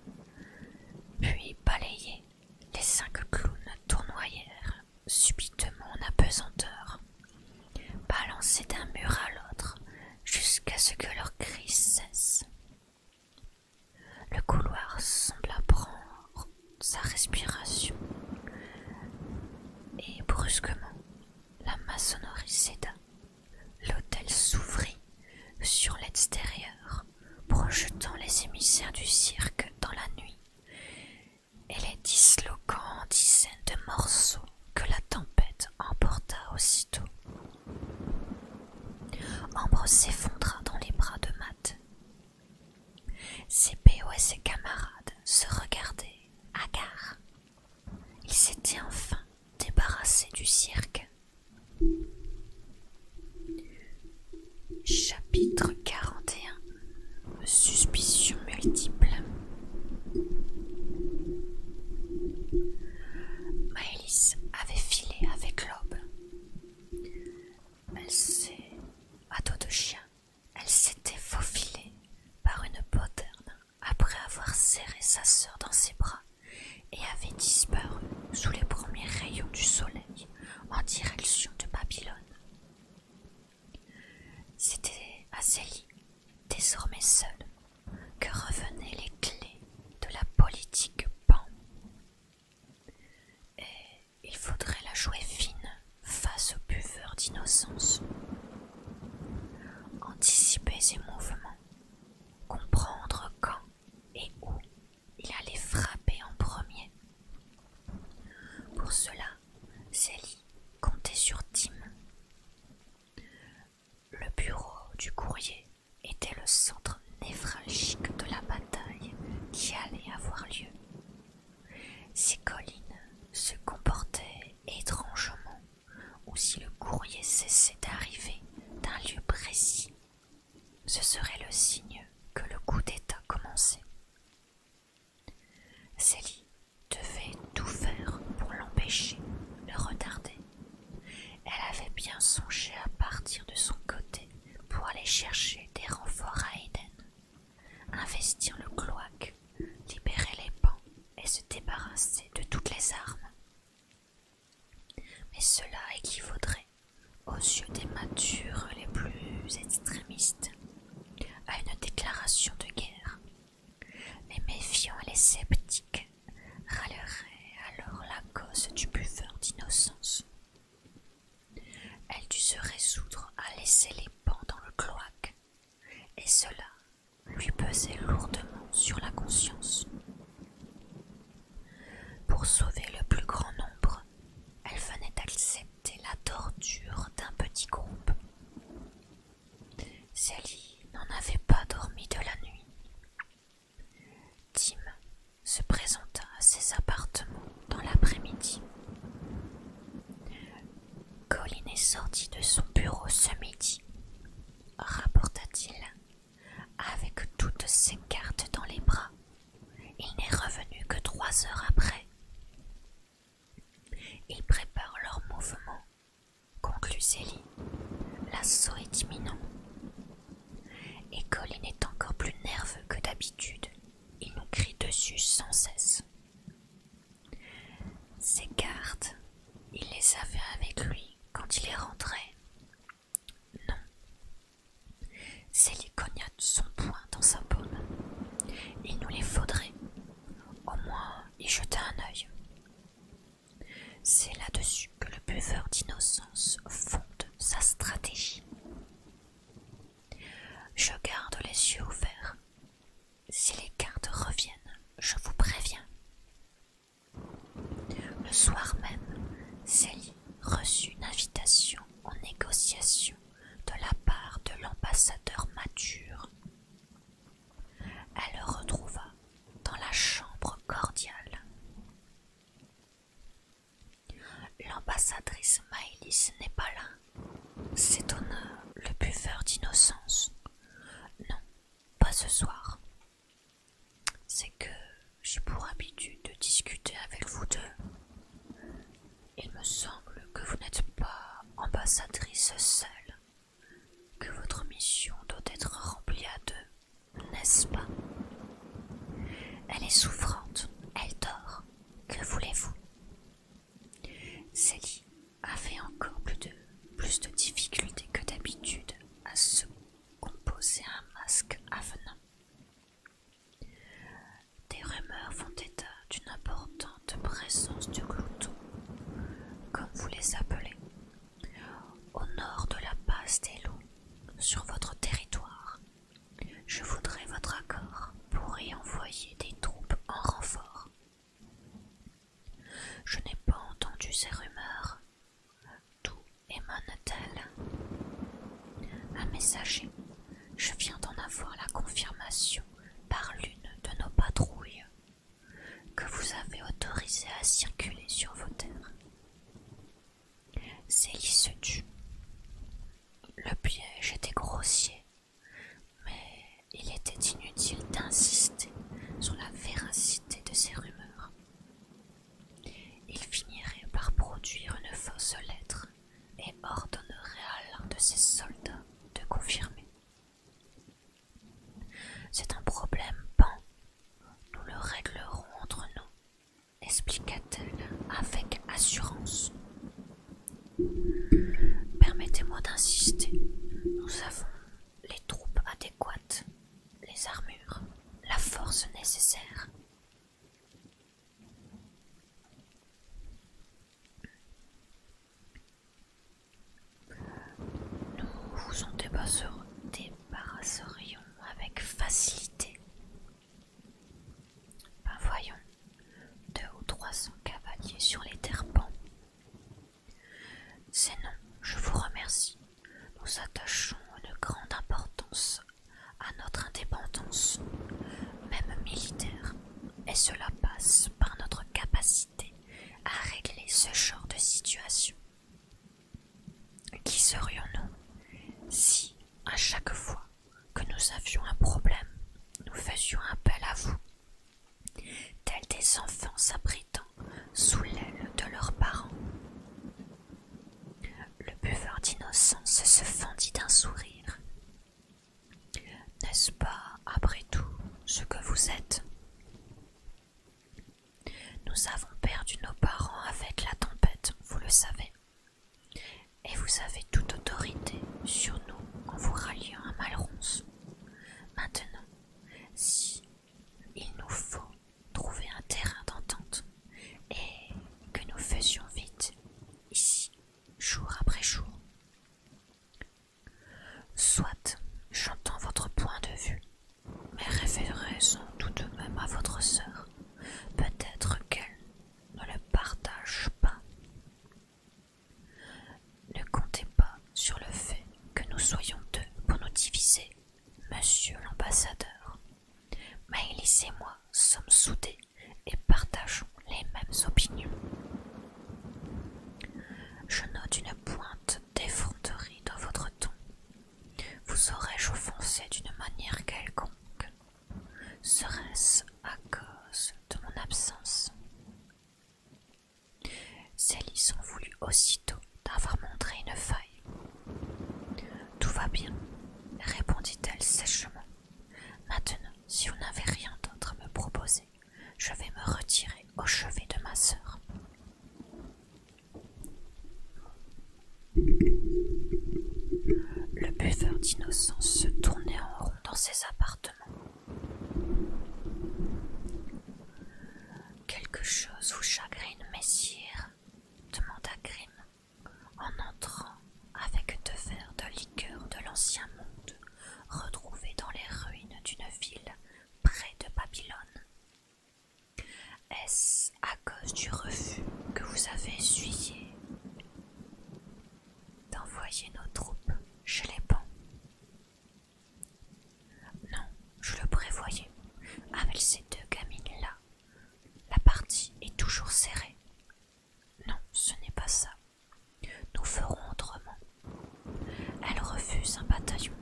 puis balayés, les cinq clowns tournoyèrent subitement en apesanteur balancés d'un mur à l'autre jusqu'à ce que leur cris cesse. Le couloir sembla prendre sa respiration, et brusquement la maçonnerie céda. L'hôtel s'ouvrit sur l'extérieur, projetant les émissaires du cirque dans la nuit et les disloquant en dizaines de morceaux que la tempête emporta aussitôt. Ambre s'effondra dans les bras de Matt. Cépéo et ses camarades se regardaient, hagards. Ils s'étaient enfin débarrassés du cirque. Chapitre 41 Suspicion multiple Maélis avait filé avec l'aube. Elle s'est, à dos de chien, elle s'était faufilée par une poterne après avoir serré sa sœur dans ses bras et avait disparu sous les premiers rayons du soleil en direction de Babylone. C'était Azélie, désormais seule, que revenaient les clés de la politique Pan. Et il faudrait la jouer fine face aux buveurs d'innocence. Anticiper ses mouvements, comprendre quand et où il allait frapper en premier. Pour cela, Célie comptait sur Tim. Le bureau du courrier était le centre névralgique de la bataille qui allait avoir lieu. Si Colline se comportait étrangement, ou si le courrier cessait d'arriver d'un lieu précis, ce serait le signe que le coup d'État commençait. Célie devait tout faire pour l'empêcher, le retarder. Elle avait bien songé à partir de son côté pour aller chercher des renforts à Eden, investir le cloaque, libérer les pans et se débarrasser de toutes les armes. Mais cela équivaudrait, aux yeux des matures les plus extrémistes, à une déclaration de guerre mais méfiants et les sceptiques râleraient alors la cause du buveur d'innocence. Elle dut se résoudre à laisser les pans dans le cloaque, et cela lui pesait lourdement sur la conscience. Pour sauver le plus grand nombre, elle venait d'accepter la torture d'un petit groupe. Sally n'en avait pas dormi de la nuit. Tim se présenta à ses appartements dans l'après-midi. Colin est sorti de son bureau ce midi, rapporta-t-il, avec toutes ses cartes dans les bras. Il n'est revenu que trois heures après. Ils préparent leurs mouvements conclut Céline, l'assaut est imminent. Et Colin est encore plus nerveux que d'habitude. Il nous crie dessus sans cesse. Ses cartes, il les avait avec lui quand il est rentré. Non. Céline cogna son poing dans sa paume. Il nous les faudrait. Au moins, il jeter un œil. C'est là-dessus que le buveur d'innocence fonde sa stratégie. Je garde les yeux ouverts. Si les cartes reviennent, je vous préviens. Le soir même, Célie reçut une invitation en négociation de la part de l'ambassadeur Mature elle le retrouva dans la chambre cordiale. L'ambassadrice Maëlys n'est pas là, s'étonna le buveur d'innocence. Non, pas ce soir. C'est que j'ai pour habitude de discuter avec vous deux. Il me semble que vous n'êtes pas ambassadrice seule, que votre mission doit être remplie à deux, n'est-ce pas Elle est souffrante, elle dort, que voulez-vous Célie avait encore plus de, difficultés que d'habitude à se composer un masque avenant. Des rumeurs font état d'une importante présence du glouton, comme vous les appelez, au nord de la passe des loups, sur votre territoire, je voudrais votre accord pour y envoyer des troupes en renfort. Je n'ai pas entendu ces rumeurs. D'où émane-t-elle Un messager, je viens d'en avoir la confirmation par l'une de nos patrouilles que vous avez autorisé à circuler sur vos terres. Célie se tut. Le piège était grossier, mais il était inutile d'insister sur la véracité de ces rumeurs. Il finirait par produire une fausse lettre et ordonnerait à l'un de ses soldats de confirmer. C'est un problème, Pan. Nous le réglerons entre nous, expliqua-t-elle avec assurance. Permettez-moi d'insister. Nous avons les troupes adéquates, les armures, la force nécessaire. Nous vous en débarrasserions avec facilité. Ben voyons, deux ou trois cents cavaliers sur les terpents. C'est non, je vous remercie. Nous attachons une grande importance à notre indépendance, même militaire, et cela passe par notre capacité à régler ce genre de situation. Qui serions-nous si, à chaque fois que nous avions un problème, nous faisions appel à vous, tels des enfants s'abritant sous l'aile de leurs parents Le buveur d'innocence se fendit d'un sourire. N'est-ce pas, après tout, ce que vous êtes nous avons perdu nos parents avec la tempête, vous le savez. Et vous avez toute autorité sur nous en vous ralliant à Malronce. Maintenant, si il nous faut trouver un terrain d'entente et que nous faisions vite, ici, jour après jour. Soit, j'entends votre point de vue, mais référez sont tout de même à votre sœur. Peut-être qu'elle ne le partage pas. Ne comptez pas sur le fait que nous soyons deux pour nous diviser, monsieur l'ambassadeur. Maëlys et moi sommes soudés et partageons les mêmes opinions. Je note une pointe d'effronterie dans votre vous aurais-je offensé d'une manière quelconque Serait-ce à cause de mon absence Célise s'en voulut aussitôt d'avoir montré une faille. Tout va bien, répondit-elle sèchement. Maintenant, si vous n'avez rien d'autre à me proposer, je vais me retirer au chevet de ma sœur. Le buveur d'innocence se tournait en rond dans ses appartements. Quelque chose vous chagrine, messire demanda Grimm en entrant avec deux verres de liqueur de l'ancien monde retrouvés dans les ruines d'une ville près de Babylone. Est-ce à cause du refus que vous avez essuyé d'envoyer nos troupes chez les pans Non, je le prévoyais. Avec ces deux gamines-là, la partie est toujours serrée. Non, ce n'est pas ça. Nous ferons autrement. Elle refuse un bataillon,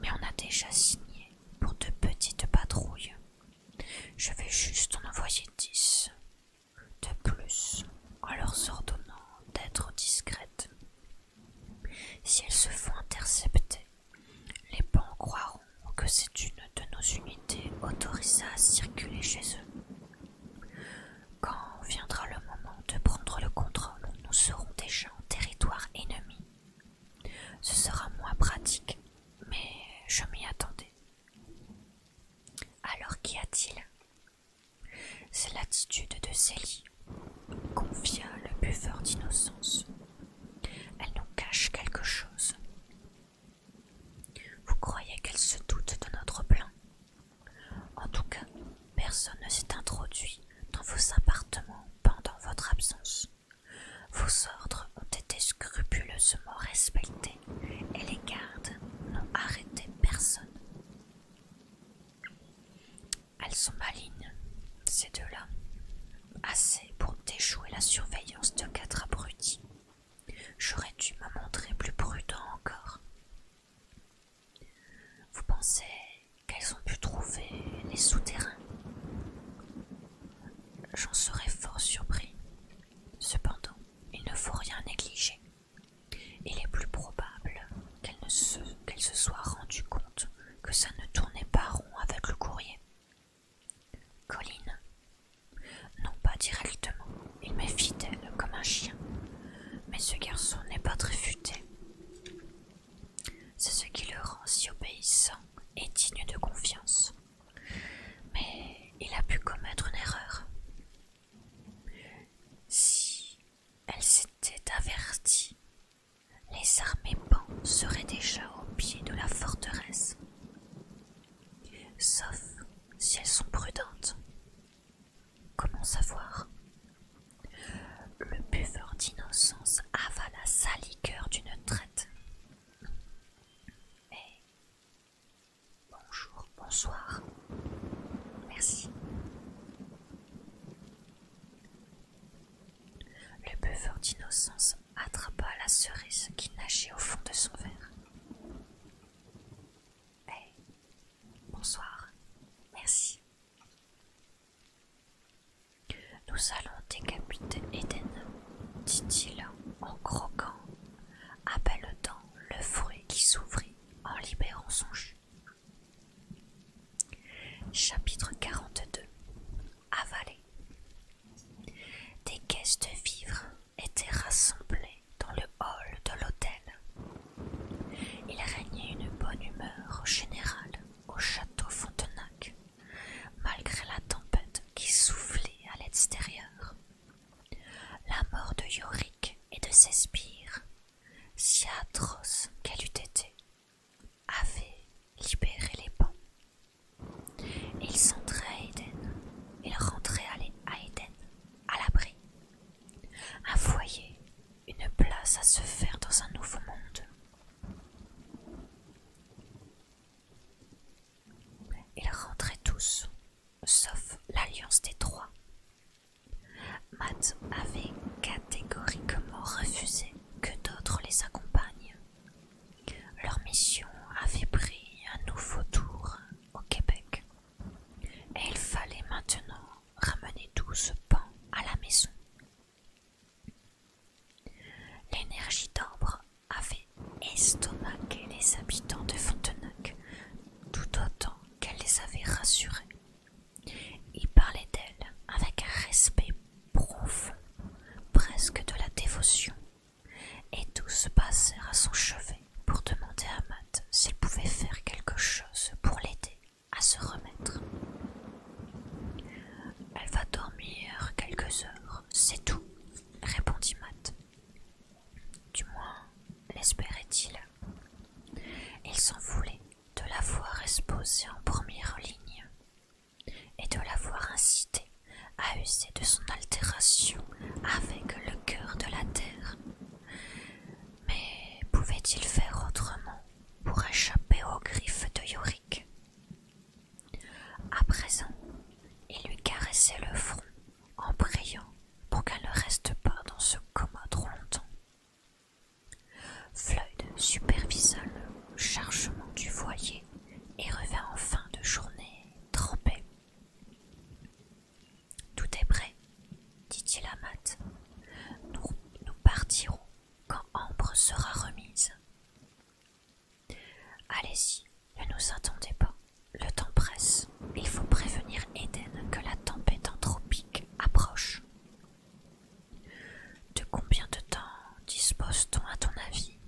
mais on a déjà signé pour de petites patrouilles. Je vais juste en envoyer dix de plus en leur ordonnant d'être discrètes. Si elles se font intercepter, les bancs croiront que c'est une de nos unités Autorisées à circuler chez eux. Quand viendra le moment de prendre le contrôle, nous serons déjà en territoire ennemi ce sera moins pratique, mais je m'y attendais. Alors qu'y a-t-il C'est l'attitude de Célie, confia le buveur d'innocence. Elle nous cache quelque chose. Vous croyez qu'elle se doute de notre plan En tout cas, personne ne s'est introduit dans vos appartements pendant votre absence. Vos ordres ont été scrupuleusement respectés et les gardes n'ont arrêté personne. Elles sont malignes, ces deux-là. Assez pour déjouer la surveillance de quatre abrutis. J'aurais dû me montrer plus prudent encore. Vous pensez qu'elles ont pu trouver les souterrains. J'en serais fort surpris. Cependant, il ne faut rien négliger. Il est plus probable qu'elle se, soient se soit compte que ça ne tournait pas rond avec le courrier. Colline Non pas directement, il m'est fidèle comme un chien. Mais ce garçon n'est pas très futé. C'est ce qui le rend si obéissant et digne de confiance. Mais il a pu commettre une erreur. Si elle s'était avertie, les armées pans seraient déjà au pied de la forteresse. Sauf si elles sont prudentes. Comment savoir le buveur d'innocence avala sa liqueur d'une traite. Eh, bonjour, bonsoir, merci. Le buveur d'innocence attrapa la cerise qui nageait au fond de son verre. Eh, bonsoir, merci, nous allons décapiter Éden, dit-il en croquant, dent le fruit qui s'ouvrit en libérant son jus. Chapitre 42 Avalé Des caisses de vivres étaient rassemblées dans le hall de l'hôtel. Il régnait une bonne humeur générale au château Fontenac malgré la tempête qui soufflait à l'extérieur. La mort de Yorick et de ses spires, si atroce qu'elle eût été, avait libéré les bancs. Ils entraient à Éden, ils rentraient à Eden, à l'abri. Un foyer, une place à se faire dans un nouveau monde. Ils rentraient tous, sauf l'alliance des trois. Matt avait catégoriquement refusé que d'autres les accompagnent. Leur mission avait pris un nouveau tour au Québec, et il fallait maintenant ramener tout ce pan à la maison. L'énergie d'ambre avait estomaqué les habitants de Fontenac tout autant qu'elle les avait rassurés. Ils parlaient d'elle avec un respect profond, presque de la dévotion, et tous passèrent à son chevet pour demander à Matt s'il pouvait faire quelque chose pour l'aider à se remettre. Elle va dormir quelques heures, c'est tout, répondit Matt. Du moins, l'espérait-il. Il, s'en voulait de l'avoir voir exposée en première ligne et de l'avoir incité incitée à user de son altération avec le cœur de la terre. Mais pouvait-il faire autrement pour échapper aux griffes de Yorick à présent, il lui caressait le front en priant pour qu'elle ne reste pas dans ce coma trop longtemps. Floyd supervisa le chargement du foyer et revint en fin de journée trempé. Tout est prêt, dit-il à Matt. Nous, nous partirons quand Ambre sera remise. Allez-y, ne nous attendez pas. Le temps presse. Il faut prévenir Eden que la tempête anthropique approche. De combien de temps dispose-t-on à ton avis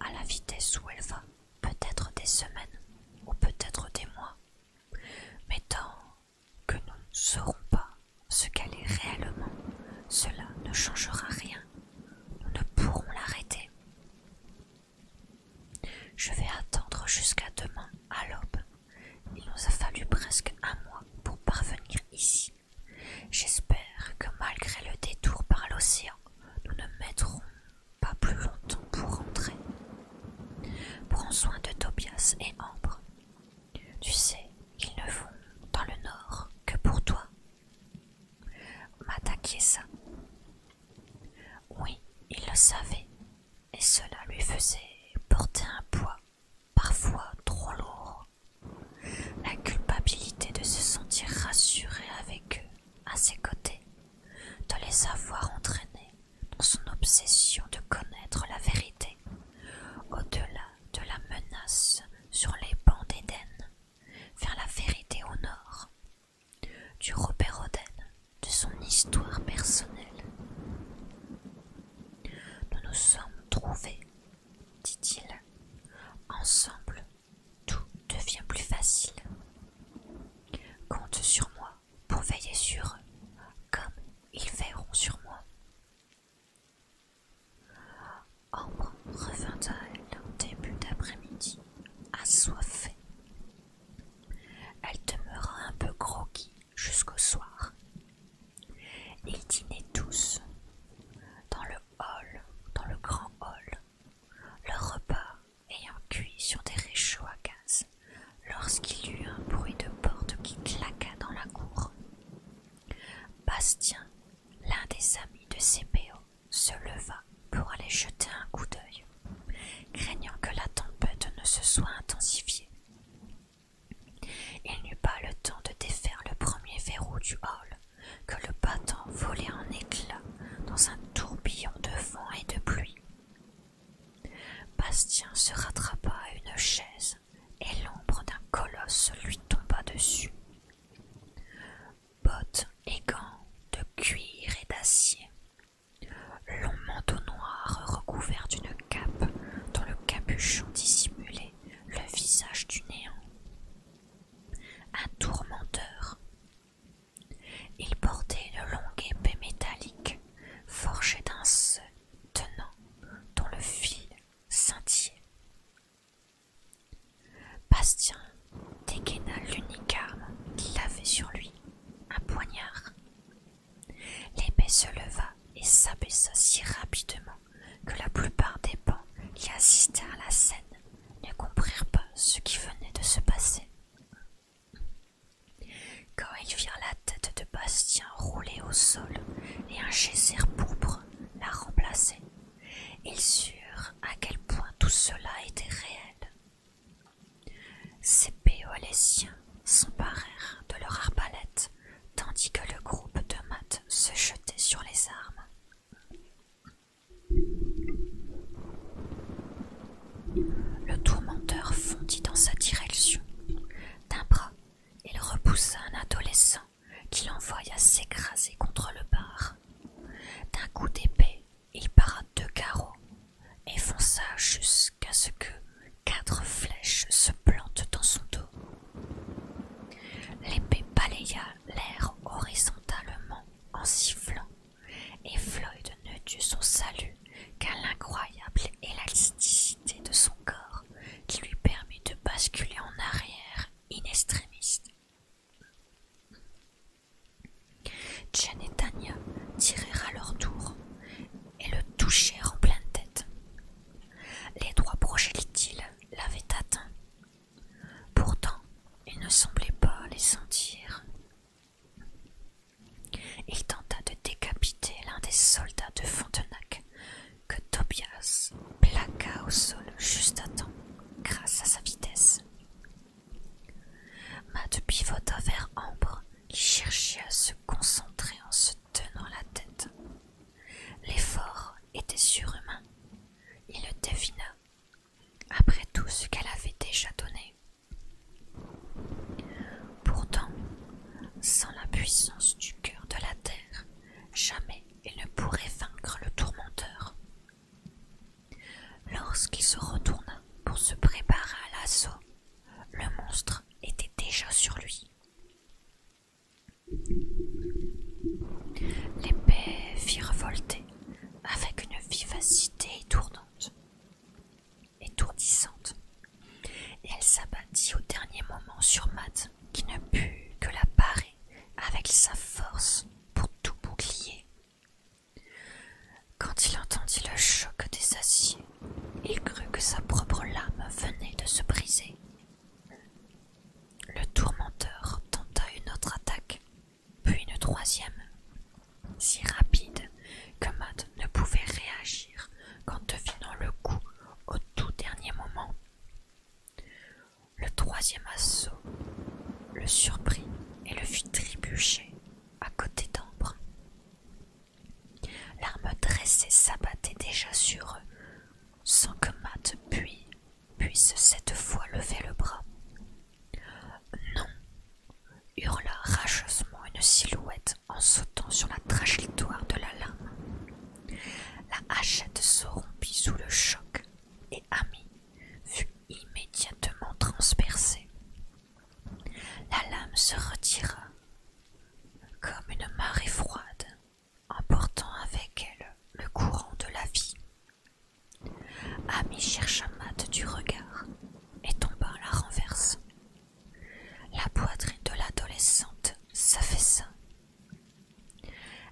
À la vitesse où elle va, peut-être des semaines ou peut-être des mois, mais tant que nous ne saurons pas ce qu'elle est réellement, cela ne changera rien. Nous ne pourrons l'arrêter. Je vais attendre jusqu'à demain à l'aube. Il nous a fallu presque un mois pour parvenir ici. J'espère que malgré le détour par l'océan, nous ne mettrons pas plus longtemps pour rentrer. Prends soin de Tobias et Ambre. Tu sais, ils ne vont dans le nord que pour toi. ça. Oui, il le savait, et cela lui faisait porter un poids parfois trop lourd. La culpabilité de se sentir rassuré avec eux, à ses côtés, de les avoir entraînés dans son obsession de connaître la vérité, au-delà de la menace sur les bancs d'Éden, vers la vérité au nord, du Robert Oden, de son histoire personnelle. Nous nous sommes trouvés, dit-il. Ensemble, tout devient plus facile. Compte sur moi pour veiller sur eux, comme ils veilleront sur moi. Ambre revint à elle au début d'après-midi, assoiffée. Elle demeura un peu croquis jusqu'au soir. Ils dînaient tous, dans le hall, dans le grand hall, leur repas ayant cuit sur des réchauds à gaz, lorsqu'il y eut un bruit de porte qui claqua dans la cour. Bastien L'un des amis de C.P.O. se leva pour aller jeter un coup d'œil, craignant que la tempête ne se soit intensifiée. Il n'eut pas le temps de défaire le premier verrou du hall que le battant volait en éclats dans un tourbillon de vent et de pluie. Bastien se rattrapa à une chaise et l'ombre d'un colosse lui tomba dessus. Bottes et gants de cuir et d'acier, long manteau noir recouvert d'une cape dont le capuchon dissimulait le visage du néant. Un tourmenteur. Il portait une longue épée métallique forgée d'un seul tenant dont le fil scintillait. Bastien dégaina l'unique arme qu'il avait sur lui, un poignard. L'épée se leva et s'abaissa si rapidement que la plupart des bancs qui assistèrent à la scène ne comprirent pas ce qui venait de se passer. Quand ils virent la tête de Bastien rouler au sol et un geyser pourpre la remplacer, ils surent à quel point tout cela était réel. Ces péolésiens s'emparèrent de leur arbalètes, tandis que le groupe de maths se jetait sur les armes. Le tourmenteur fondit dans sa direction. D'un bras, il repoussa un adolescent qui l'envoya s'écraser contre le bar. D'un coup d'épée, il para deux carreaux et fonça jusqu'à ce que quatre flèches se plantent dans son dos. L'épée balaya l'air horizontalement en sifflant, et Floyd ne dut son salut qu'à l'incroyable élasticité de son corps qui lui permet de basculer en arrière Inextrémiste. Jen et Tania tirèrent à leur tour et le touchèrent en pleine tête. Les trois projectiles l'avaient atteint. Pourtant, il ne semblait pas les sentir. Il tenta de décapiter l'un des soldats de Fontenac que Tobias plaqua au sol juste à temps grâce à sa vitesse. Matt pivota vers Ambre qui cherchait à se concentrer en se tenant la tête. L'effort était surhumain. Il le devina après tout ce qu'elle avait déjà donné. Pourtant, sans la puissance du cœur de la terre, jamais il ne pourrait vaincre le tourmenteur. Lorsqu'il se retourna pour se préparer à l'assaut, le monstre était déjà sur lui. L'épée fit revolter avec une vivacité étourdissante, et elle s'abattit au dernier moment sur Matt, qui ne put que la parer avec sa force pour tout bouclier. Quand il entendit le choc des aciers, il crut que sa propre lame venait de se briser. Le tourmenteur tenta une autre attaque, puis une troisième, si rapide que Matt ne pouvait réagir qu'en devinant le coup au tout dernier moment. Le troisième assaut le surprit et le fit trébucher à côté d'ambre. L'arme dressée s'abattait déjà sur eux, sans que Matt puisse cette fois lever le bras. Non hurla rageusement une silhouette en sautant sur la trajectoire de la lame. La hachette se rompit sous le choc et Amy fut immédiatement transpercée. La lame se retira comme une marée froide, emportant avec elle le courant de la vie. Amy chercha Matt du regard et tomba à la renverse. La poitrine de l'adolescente s'affaissa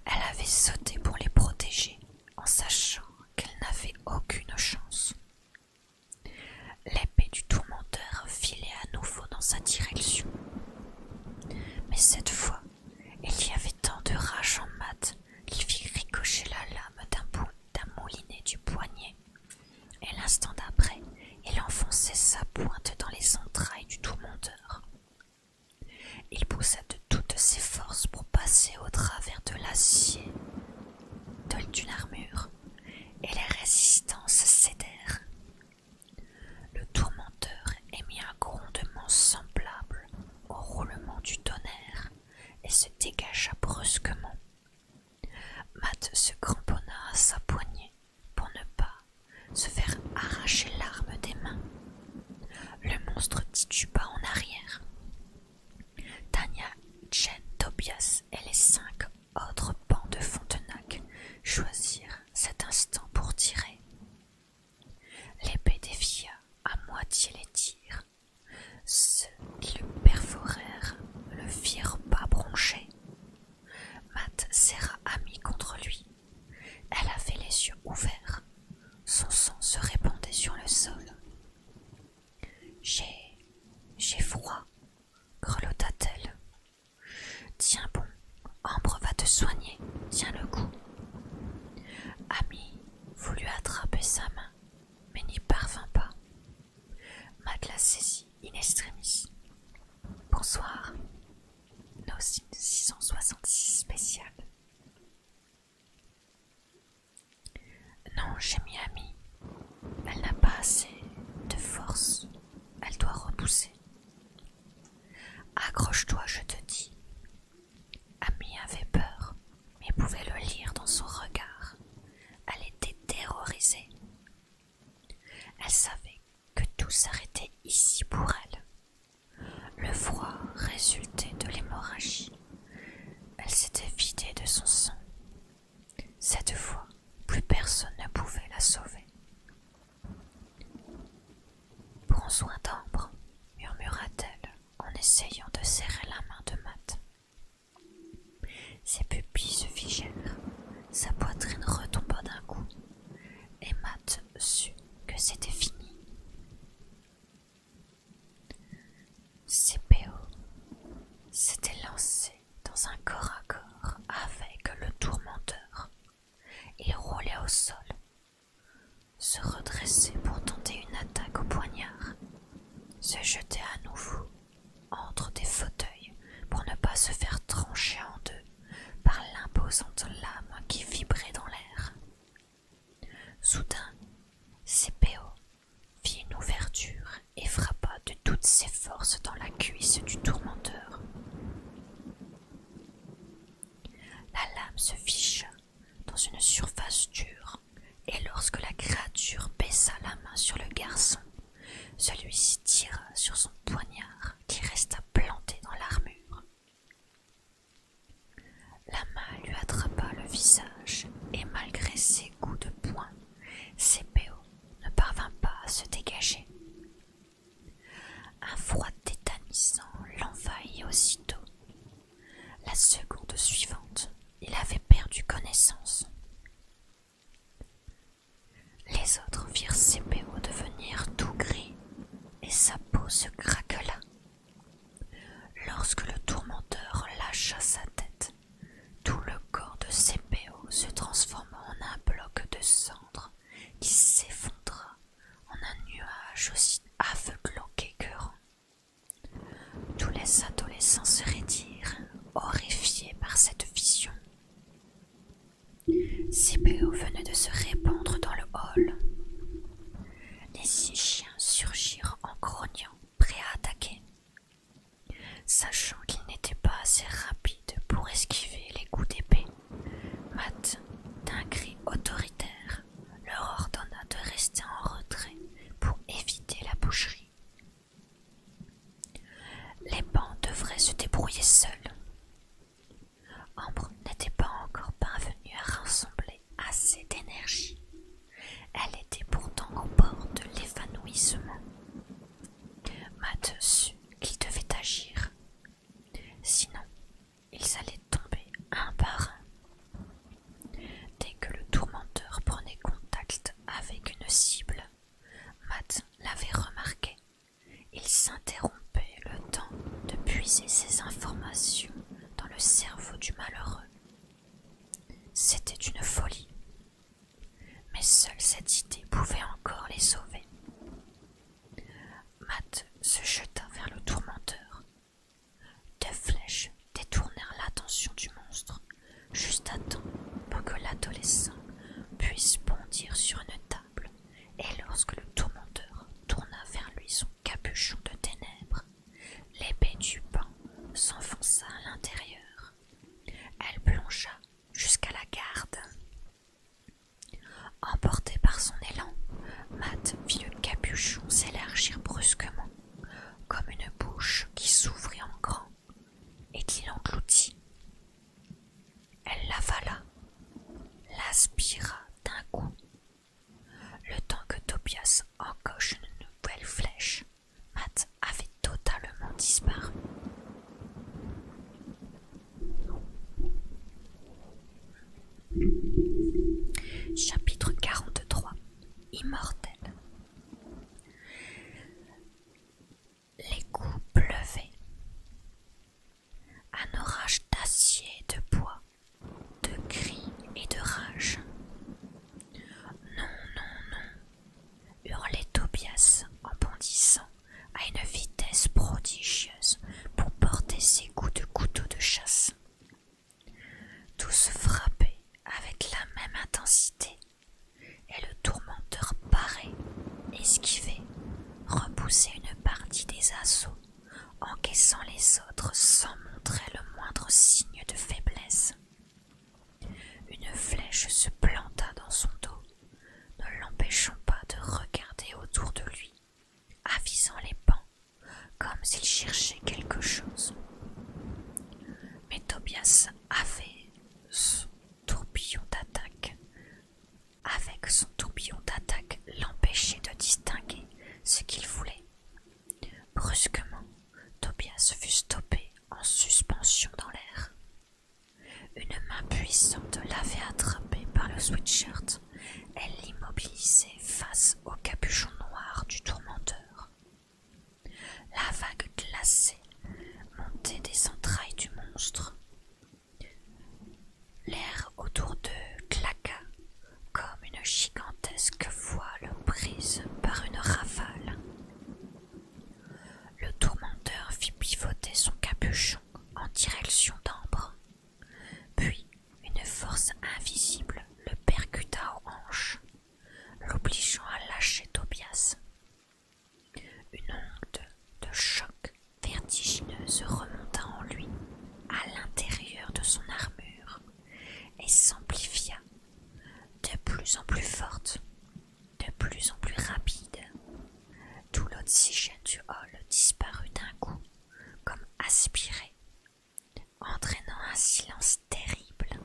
elle avait sauté pour les protéger en sachant qu'elle n'avait aucune chance. L'épée du tourmenteur filait à nouveau dans sa direction. Mais cette fois, il y avait tant de rage en mat qu'il fit ricocher la lame d'un moulinet du poignet, et l'instant d'après, il enfonçait sa pointe dans les entrailles du tourmenteur. Il poussa de toutes ses forces pour passer au travers de l'acier d'une armure, et les résistances cédèrent. Le tourmenteur émit un grondement semblable au roulement du tonnerre et se dégagea brusquement. Matt se cramponna à sa poignée pour ne pas se faire arracher l'arme des mains. Le monstre tituba en arrière. Tania, Jen, Tobias et les cinq autres pans de Fontenac choisirent cet instant pour tirer. L'épée défia à moitié les tirs. Ceux qui le perforèrent le firent pas broncher. Matt serra Ami contre lui elle avait les yeux ouverts, son sang se répandait sur le sol. J'ai. j'ai froid, grelotta-t-elle. Tiens bon, Ambre va te soigner, tiens le coup. Ami voulut attraper sa main, mais n'y parvint pas. Madela saisit in extremis. Bonsoir. Nos 666 spéciales. Non, j'ai mis ami. Elle n'a pas assez de force. Elle doit repousser. Accroche-toi, je te dis. Ami avait peur, mais pouvait le lire dans son regard. Elle était terrorisée. Elle savait que tout s'arrêtait ici pour elle. Le froid résultait de l'hémorragie. Elle s'était vidée de son sang. Cette fois, plus personne ne pouvait la sauver. Prends soin d'Ambre, murmura-t-elle en essayant de serrer la main de Matt. Ses pupilles se figèrent, sa poitrine retomba d'un coup, et Matt sut que c'était fini. CPO s'était lancé dans un corps à corps avec le tourmenteur. Il roulait au sol, se redressait pour tenter une attaque au poignard, se jetait à nouveau entre des fauteuils pour ne pas se faire trancher en deux par l'imposante lame qui vibrait dans l'air. Soudain, Sepeo fit une ouverture et frappa de toutes ses forces dans la cuisse du tourmenteur. La lame se fiche dans une surface dure, et lorsque la créature baissa la main sur le garçon, celui-ci tira sur son poignard qui resta planté dans l'armure. La main lui attrapa le visage et malgré ses coups de poing, C.P.O. ne parvint pas à se dégager. Un froid tétanisant l'envahit aussitôt. La seconde suivante, il avait perdu connaissance. Les autres virent C.P.O. devenir tout gris et sa peau se craquela Lorsque le tourmenteur lâcha sa tête, tout le corps de C.P.O. se transforma en un bloc de cendre qui s'effondra en un nuage aussi aveuglant qu'écœurant. Tous les adolescents se raidirent, horrifiés par cette vision. C.P.O. venait de se répandre dans le hall. Les six chiens surgirent en grognant, prêts à attaquer. Sachant qu'ils n'étaient pas assez rapides pour esquiver les coups d'épée, Matt, d'un cri autoritaire, leur ordonna de rester en retrait pour éviter la boucherie. Les bancs devraient se débrouiller seuls. Ambre n'était pas encore parvenue à rassembler assez d'énergie. Elle était pourtant au bord de l'évanouissement. Matt sut qu'il devait agir. Sinon, ils allaient tomber un par un. Dès que le tourmenteur prenait contact avec une cible, Matt l'avait remarqué. Il s'interrompait le temps de puiser ses informations dans le cerveau du malheureux. C'était une folie, mais seule cette idée pouvait encore les sauver. Matt se jeta vers le tourmenteur. Deux flèches détournèrent l'attention du monstre, juste à temps pour que l'adolescent puisse bondir sur une table, et lorsque le tourmenteur tourna vers lui son capuchon de ténèbres, l'épée du pan s'enfonça à l'intérieur. Elle plongea jusqu'à la garde. Emportée par son élan, Matt vit le capuchon s'élargir brusquement, comme une bouche qui s'ouvrit en grand et qui l'engloutit. Elle l'avala, l'aspira d'un coup le temps que Tobias encoche une nouvelle flèche, Matt avait totalement disparu. Chapitre 43 Immortel Les coups pleuvaient. Un orage d'acier et de bois de cris et de rage. Non, non, non, hurlait Tobias en bondissant à une vitesse prodigieuse pour porter ses coups de couteau de chasse. Tous frappaient avec la même intensité, et le tourmenteur parait, esquivait, repoussait une partie des assauts encaissant les autres sans montrer le moindre signe de faiblesse. Une flèche se planta dans son dos, ne l'empêchant pas de regarder autour de lui, avisant les pans comme s'il cherchait quelque chose. Mais Tobias avait son tourbillon d'attaque. Avec son tourbillon d'attaque l'empêchait de distinguer ce qu'il voulait. Brusquement, Tobias fut stoppé en suspension dans l'air. Une main puissante l'avait attrapé par le sweatshirt. Elle l'immobilisait face au capuchon noir du tourmenteur. La vague glacée montait des entrailles du monstre. L'air autour d'eux claqua, comme une gigantesque voile prise par une rafale. Le tourmenteur fit pivoter son capuchon en direction d'Ambre, puis une force invisible le percuta aux hanches, l'obligeant à lâcher Tobias. Une onde de choc vertigineuse remonta en lui, à l'intérieur de son armure, et s'amplifia, de plus en plus forte, de plus en plus rapide. Tout l'oxygène du hall disparut d'un coup, comme aspiré, entraînant un silence terrible,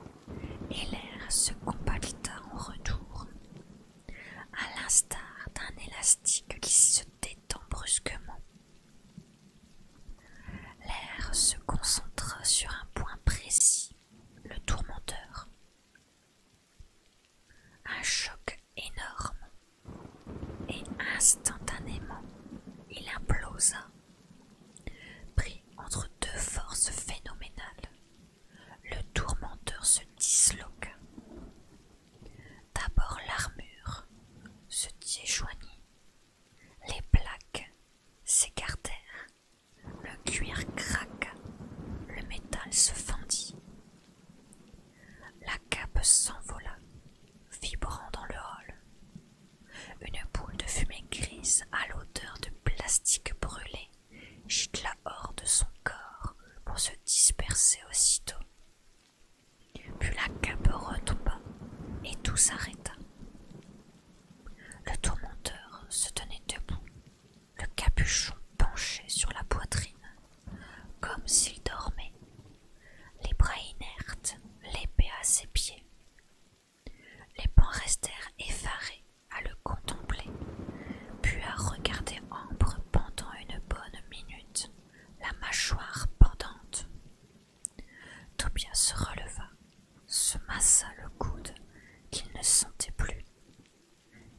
et l'air se compacta en retour, à l'instar d'un élastique qui se détend brusquement L'air se concentre sur un point précis, le tourmenteur. Un choc énorme. Et instantanément, il implosa, pris entre deux forces phénoménales. Le tourmenteur se disloqua. D'abord l'armure se déjoignit les plaques s'écartèrent, le cuir craqua, le métal se fendit. La cape s'envola, vibrant dans le hall. Une boule de fumée grise à l'odeur de plastique brûlé gicla hors de son corps pour se disperser aussitôt. Puis la cape retomba et tout s'arrêta. Le tourmenteur se tenait debout, le capuchon penché sur la poitrine, comme s'il dormait, les bras inertes, l'épée à ses pieds. Les pans restèrent effarés à le contempler, puis à regarder Ambre pendant une bonne minute, la mâchoire pendante, Tobias se releva, se massa le coude qu'il ne sentait plus,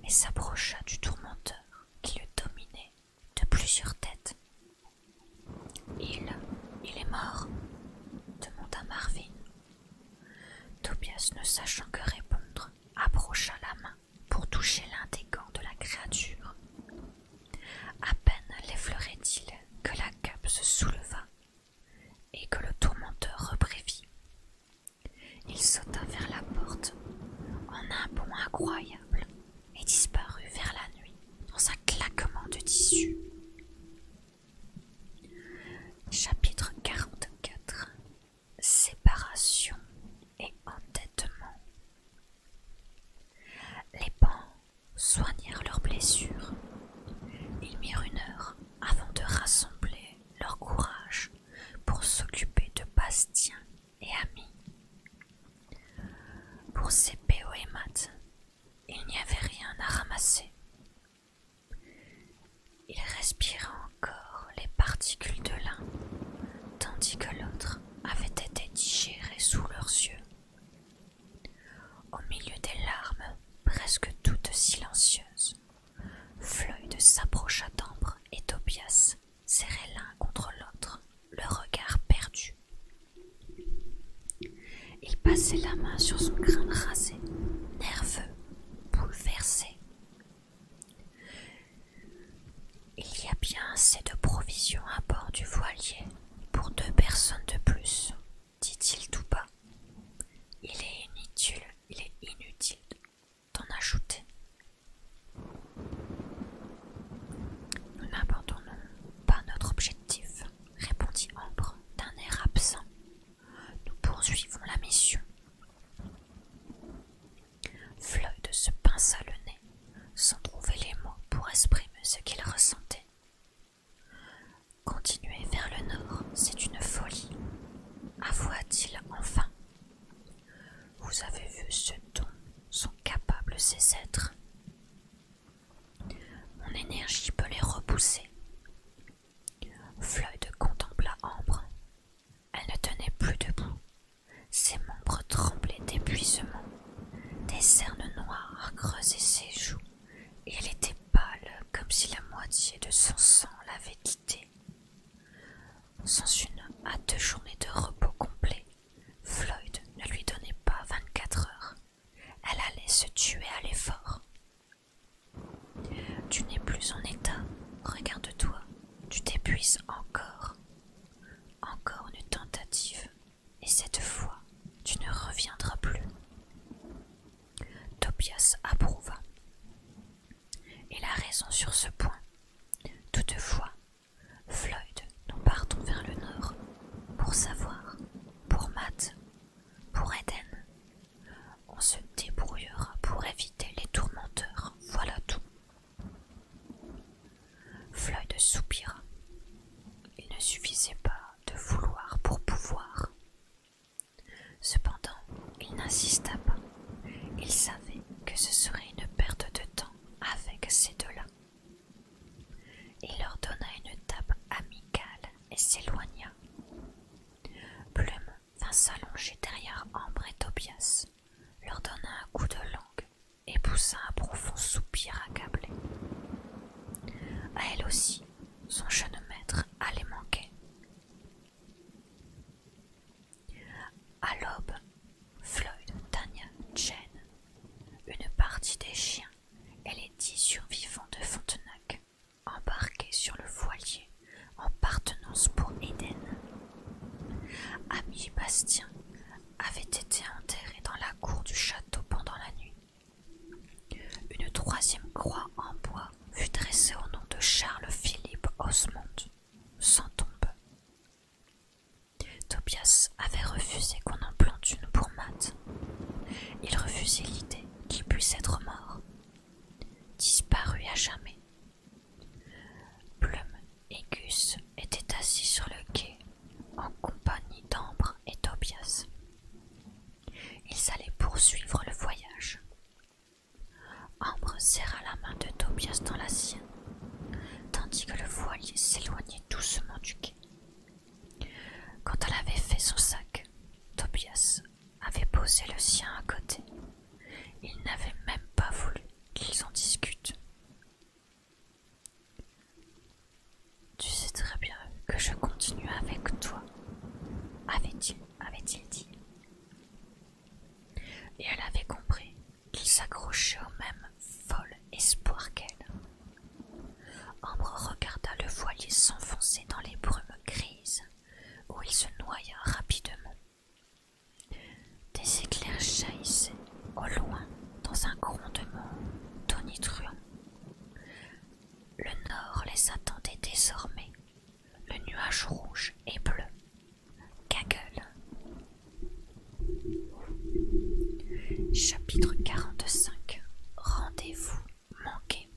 et s'approcha du tourmenteur qui le dominait de plusieurs têtes. Il, il est mort demanda Marvin. Tobias, ne sachant que répondre, approcha la main pour toucher l'un des gants de la créature à peine l'effleurait-il que la cape se souleva et que le tourmenteur reprévit, Il sauta vers la porte en un bond incroyable et disparut vers la nuit dans un claquement de tissu. Chapitre 44 Séparation et entêtement Les soignèrent leurs blessures. Ils mirent une heure avant de rassembler leur courage pour s'occuper de Bastien et Amis. Pour ces béoémates, il n'y avait rien à ramasser. Ils respiraient encore les particules de l'un, tandis que l'autre avait été digéré sous leurs yeux au milieu des larmes, presque toutes silencieuses, Floyd s'approcha d'Ambre et Tobias, serrés l'un contre l'autre, le regard perdu. Il passait la main sur son crâne rasé, nerveux, bouleversé. Il y a bien assez de provisions à bord du voilier pour deux personnes de plus, dit-il tout bas. Il est inutile, il est inutile d'en ajouter. Nous n'abandonnons pas notre objectif, répondit Ambre d'un air absent. Nous poursuivons la mission. Floyd se pinça le nez, sans trouver les mots pour exprimer ce qu'il ressentait. Continuer vers le nord, c'est une folie, avoua-t-il enfin. Vous avez vu ce dont sont capables ces êtres. Mon énergie peut les repousser. Floyd contempla Ambre. Elle ne tenait plus debout. Ses membres tremblaient d'épuisement. Des cernes noires creusaient ses joues et elle était pâle comme si la moitié de son sang l'avait quittée. Sans une à deux journées de repos complet, Floyd ne lui donnait pas 24 heures. Elle allait se tuer à l'effort. Tu n'es plus en état, regarde-toi, tu t'épuises encore. Encore une tentative et cette fois tu ne reviendras plus. Tobias approuva. Il a raison sur ce point. Toutefois, Floyd, nous partons vers le nord pour savoir, pour Matt, pour Eden. On se débrouillera pour éviter les tourmenteurs, voilà tout. Floyd soupira. Il ne suffisait pas de vouloir pour pouvoir. Cependant, il n'insista pas. Il savait que ce serait une perte de temps avec ces deux-là. Il leur donna une tape amicale et s'éloigna. Plume vint s'allonger derrière Ambre et Tobias, leur donna un coup de langue et poussa un profond soupir accablé. À elle aussi, son jeune maître allait manquer. À l'aube, Floyd, Tania, Jen, une partie des chiens et les dix survivants de Fontenac embarqués sur le voilier en partenance pour Eden. Ami Bastien avait été enterré dans la cour du château pendant la nuit. Une troisième croix en bois fut dressée au nom de Charles-Philippe Osmond, sans tombe. Tobias avait refusé qu'on en plante une pour Matt. Il refusait l'idée qu'il puisse être mort, disparu à jamais. Plume et Gus étaient assis sur le quai en compagnie d'Ambre et Tobias. Ils allaient poursuivre le voyage. Ambre serra la main de Tobias dans la sienne, tandis que le voilier s'éloignait doucement du quai. Quand elle avait fait son sac, Tobias avait posé le sien à côté. Il n'avait même pas voulu qu'ils en discutent. Tu sais très bien que je continue avec toi, avait-il dit. Et elle avait compris qu'il s'accrochait au même fol espoir qu'elle. Ambre regarda le voilier s'enfoncer dans les brumes grises, où il se noya rapidement. Des éclairs jaillissaient au loin dans un grondement tonitruant. Le nord les attendait désormais, le nuage rouge et bleu. Gaggle. Chapitre 45 Rendez-vous manqué.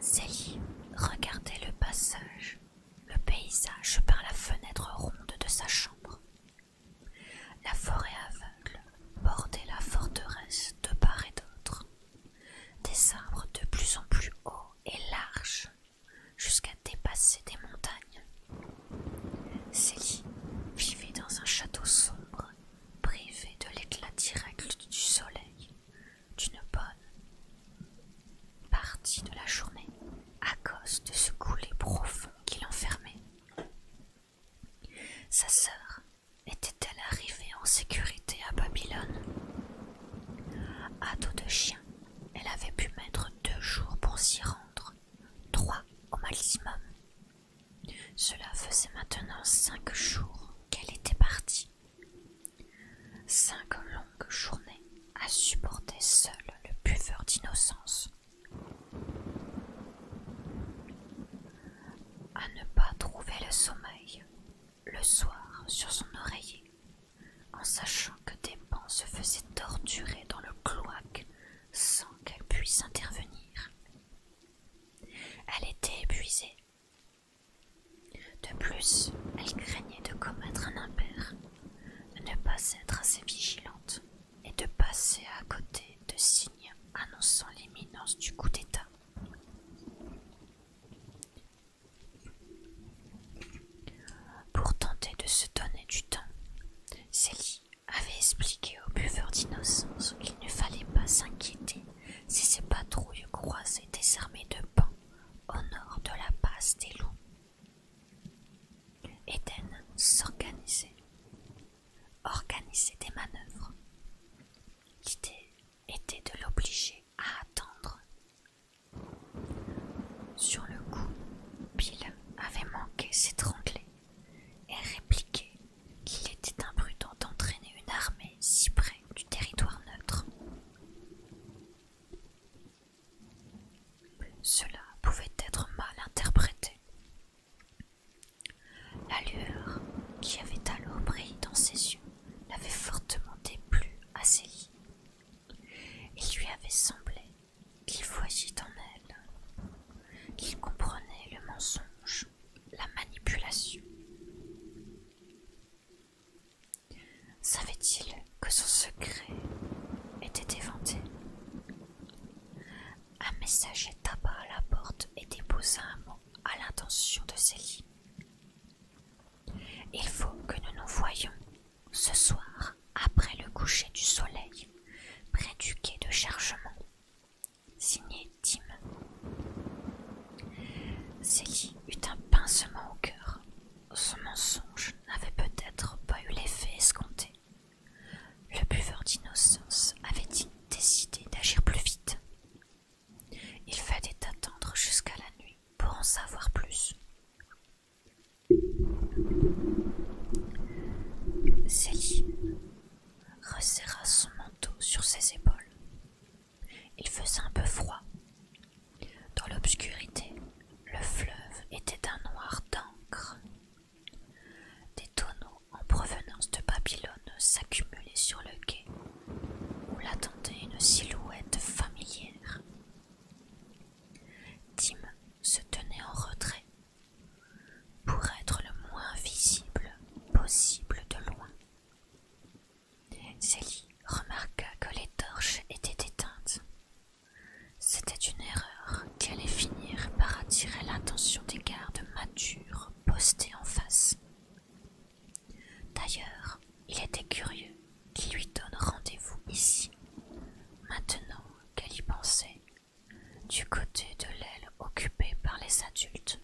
Zélie regardait le passage, le paysage par la fenêtre ronde de sa chambre. La forêt aveugle bordait la forteresse de part et d'autre. Des arbres de plus en plus hauts et larges, jusqu'à dépasser des montagnes. Célie vivait dans un château sombre, privé de l'éclat direct du soleil, d'une bonne partie de la journée, à cause de ce coulé profond qui l'enfermait. Sa sœur était-elle arrivée en sécurité à Babylone À dos de chien, elle avait pu mettre deux jours pour s'y rendre, trois au maximum. Cela faisait maintenant cinq jours qu'elle était partie. Cinq longues journées à supporter seule le buveur d'innocence à ne pas trouver le sommeil le soir sur son oreiller, en sachant que des pans se faisaient torturer dans le cloaque sans qu'elle puisse intervenir. Elle était épuisée. De plus, elle craignait de commettre un impair, ne pas être assez vigilante et de passer à côté de signes annonçant l'imminence du coup d'État. Pour tenter de se donner du temps, Célie avait expliqué au buveur d'innocence qu'il ne fallait pas s'inquiéter si ses patrouilles croisaient des armées de bancs au nord de la passe des loups. Eden s'organisait organiser des manœuvres. L'idée était de l'obliger à attendre. Sur le coup, Bill avait manqué s'étrangler et répliqué qu'il était imprudent d'entraîner une armée si près du territoire neutre. Cela pouvait être mal interprété la lueur qui avait alors brillé dans ses yeux l'avait fortement déplu à ses lits. Il lui avait semblé qu'il voyait en elle, qu'il comprenait le mensonge, la manipulation. Savait-il que son secret était éventé un messager tapa à la porte et déposa un mot à l'intention de Célie. Il faut que nous nous voyions ce soir après le coucher du soleil près du quai de chargement. Signé Tim. Célie eut un pincement au cœur. Ce mensonge n'avait peut-être pas eu l'effet escompté. Le buveur d'innocence avait décidé d'agir plus vite. Il fallait attendre jusqu'à la nuit pour en savoir plus. Céline resserra son manteau sur ses épaules. Il faisait un peu froid. Dans l'obscurité, le fleuve était un noir d'encre des tonneaux en provenance de Babylone s'accumulaient sur le quai, où l'attendait une silhouette familière. Tim se tenait en retrait, pour être le moins visible possible de loin. Célie remarqua que les torches étaient éteintes. C'était une erreur qui allait finir par attirer l'attention des gardes matures posté en face. D'ailleurs, il était curieux qu'il lui donne rendez-vous ici, maintenant qu'elle y pensait, du côté de l'aile occupée par les adultes,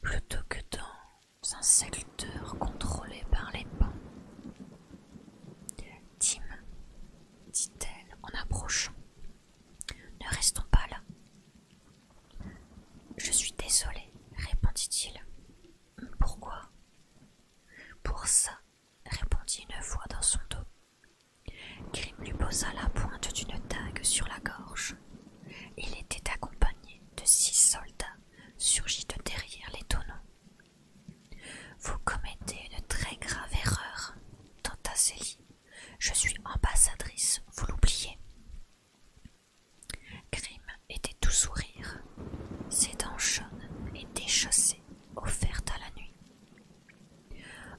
plutôt que dans un secteur contrôlé par les pans. Tim, dit-elle en approchant, ne restons pas là. Je suis désolé, répondit-il. Pourquoi Pour ça, répondit une voix dans son dos. Grim lui posa la pointe d'une dague sur la gorge. Il était accompagné de six soldats surgis de derrière les tonneaux. Vous commettez une très grave erreur, tenta je suis ambassadrice, vous l'oubliez. Grim était tout sourire, ses dents jaunes et déchaussées offertes à la nuit.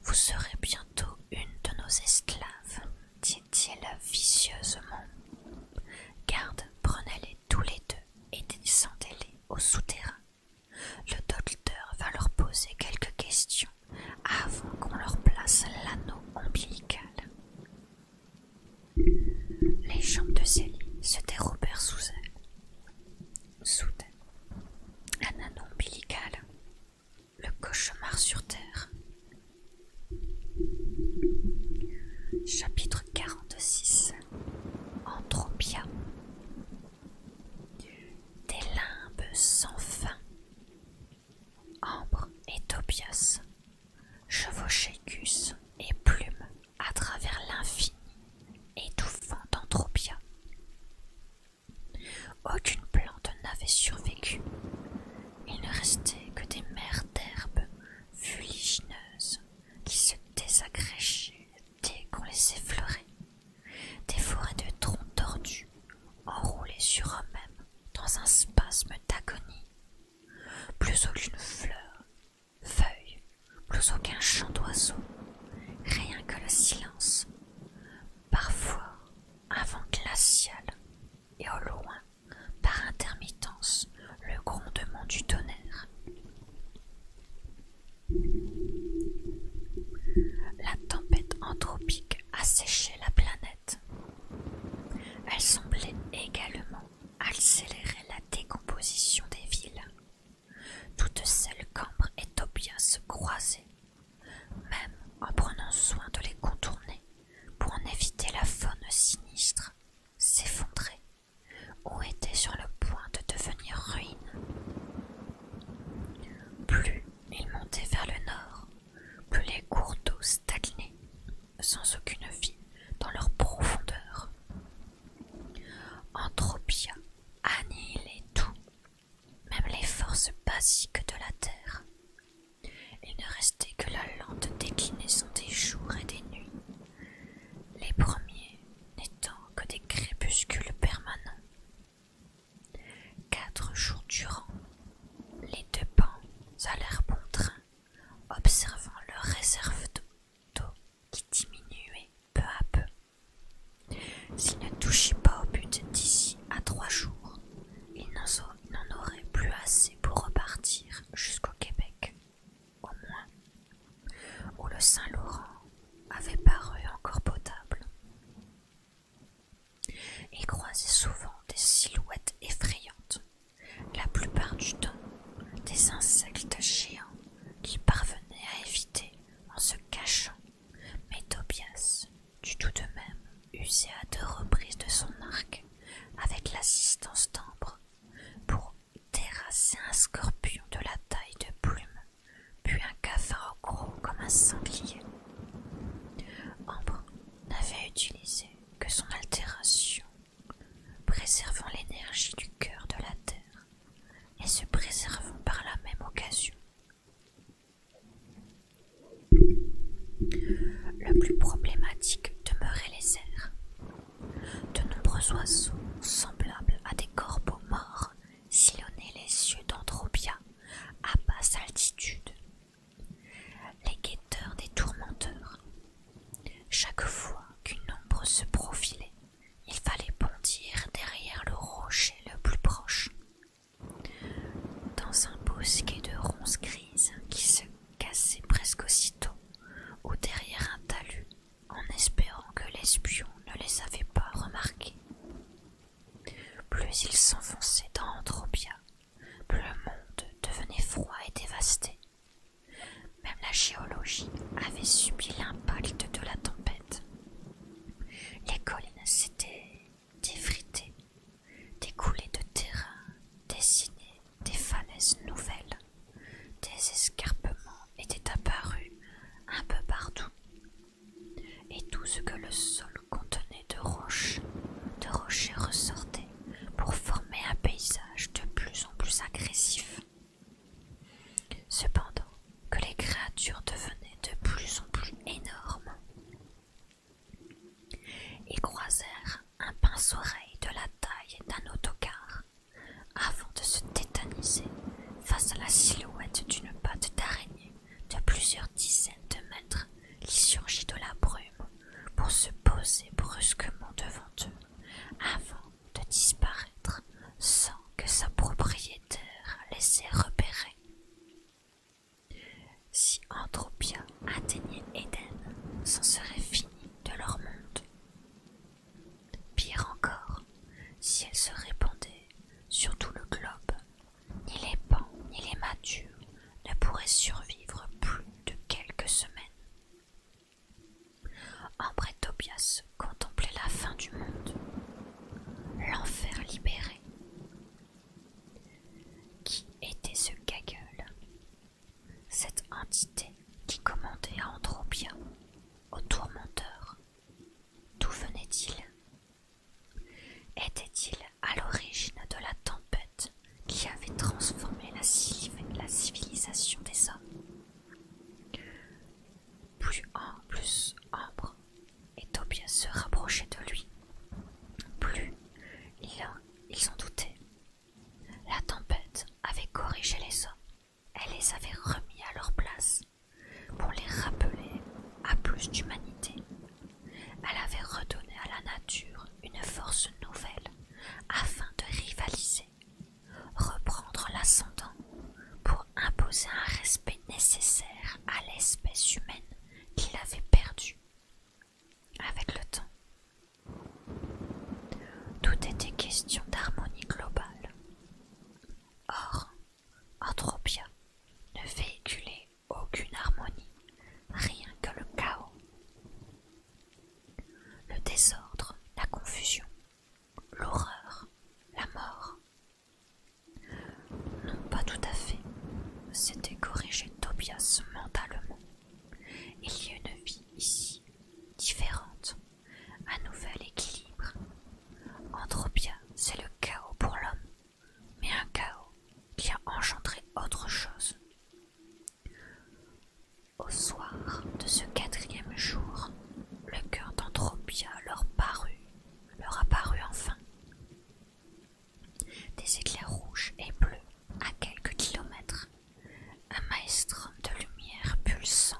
Vous serez bientôt une de nos esclaves, dit-il vicieusement. Garde, prenez-les tous les deux et descendez-les au souterrain. Le docteur va leur poser quelques questions avant qu'on leur place l'anneau ombilical. Les jambes de Célie se dérobèrent sous elle. Soudain, un anneau ombilical, le cauchemar sur terre. Chapitre 46 Anthropia Des limbes sans fin Ambre et Tobias chevauchaient Gus et plumes à travers l'infini, étouffant d'Anthropia. Aucune plante n'avait survécu. Il ne restait que des mers d'herbes fuligineuses qui se désagréchaient dès qu'on les effleurait, des forêts de troncs tordus enroulés sur eux-mêmes dans un spasme d'agonie. Plus aucune fleur, feuille, plus aucun chant d'oiseau, rien que le silence, parfois un vent glacial, et au loin, par intermittence, le grondement du tonnerre. La tempête anthropique a séché la planète elle semblait également accélérer la décomposition des villes. Toutes celles qu'Ambre et Tobias se croisaient, même en prenant soin de les contourner pour en éviter la faune sinistre, s'effondrer ou était sur le point de devenir ruine. Plus ils montaient vers le nord, que les cours d'eau stagnaient sans aucune vie dans leur profondeur. Entropia annihilait tout, même les forces basiques de la Terre. Il ne restait que la lente déclinaison des jours et des nuits, les premiers n'étant que des crépuscules permanents Quatre jours durant, les deux pans allèrent bon train, observant leur réserve d'eau qui diminuait peu à peu. S'ils ne touchaient pas au but d'ici à trois jours, ils n'en auraient plus assez pour repartir jusqu'au Québec, au moins, où le Saint-Laurent avait paru encore potable. Il croisait souvent des silhouettes effrayantes, la plupart du temps des insectes géants qui parvenaient à éviter en se cachant, mais Tobias dut tout de même user à deux reprises de son arc avec l'assistance d'Ambre pour terrasser un scorpion de la taille de plume, puis un cafard gros comme un sanglier n'avait utilisé que son altération, préservant l'énergie du cœur de la terre et se préservant par la même occasion. Le plus problématique demeurait les airs. De nombreux oiseaux, semblables à des corbeaux morts, sillonnaient les cieux d'Andropia à basse altitude les guetteurs des tourmenteurs. Chaque fois qu'une ombre se profilait, il fallait bondir derrière le rocher le plus proche. Dans un bosquet de ronces grises qui se cassait presque aussitôt, ou derrière un talus, en espérant que l'espion ne les avait pas remarqués. Plus ils s'enfonçaient dans le monde devenait froid et dévasté. Même la géologie avait subi l'impact de la tempête. Les collines s'étaient défritées, des coulées de terrain dessinaient des falaises nouvelles, des escarpements étaient apparus un peu partout, et tout ce que le sol contenait de roches, de rochers ressortaient pour former un paysage de plus en plus agressif. Cependant, que les créatures devenaient de plus en plus énormes. Ils croisèrent un pince-oreille de la taille d'un autocar avant de se tétaniser face à la silhouette d'une patte d'araignée de plusieurs dizaines de mètres, qui surgit de la brume pour se poser brusquement devant eux, avant de disparaître sans que sa propriétaire les ait Si Andropia atteignait Éden, s'en serait fini de leur monde. Pire encore, si elle se répandait sur tout le globe ni les pans, ni les matures ne pourraient survivre plus de quelques semaines. Ambre Tobias contemplait la fin du monde, l'enfer libéré. Qui était ce Gaggle Cette entité qui commandait à Andropia, au tourmenteur. D'où venait-il était-il à l'origine de la tempête qui avait transformé la, civilisation des hommes Plus plus Ambre et Tobias se rapprochaient de lui. Plus ils en doutaient. La tempête avait corrigé les hommes. Elle les avait remis à leur place pour les rappeler à plus d'humanité elle avait redonné à la nature une force nouvelle afin de rivaliser, reprendre l'ascendant pour imposer un respect nécessaire à l'espèce humaine qu'il avait perdue avec le temps. Tout était question d'harmonie globale. Or, bien, ne véhiculait aucune harmonie, rien que le chaos. Le désordre, la confusion, l'horreur, la mort. Non, pas tout à fait. C'était corriger Tobias mentalement. Il y a une vie ici, différente, un nouvel équilibre. Entre bien c'est le chaos pour l'homme, mais un chaos qui a engendré autre chose. Au soir de ce quatrième jour, le cœur d'Anthropia leur parut, leur apparut enfin. Des éclairs rouges et bleus à quelques kilomètres, un maître de lumière pulsant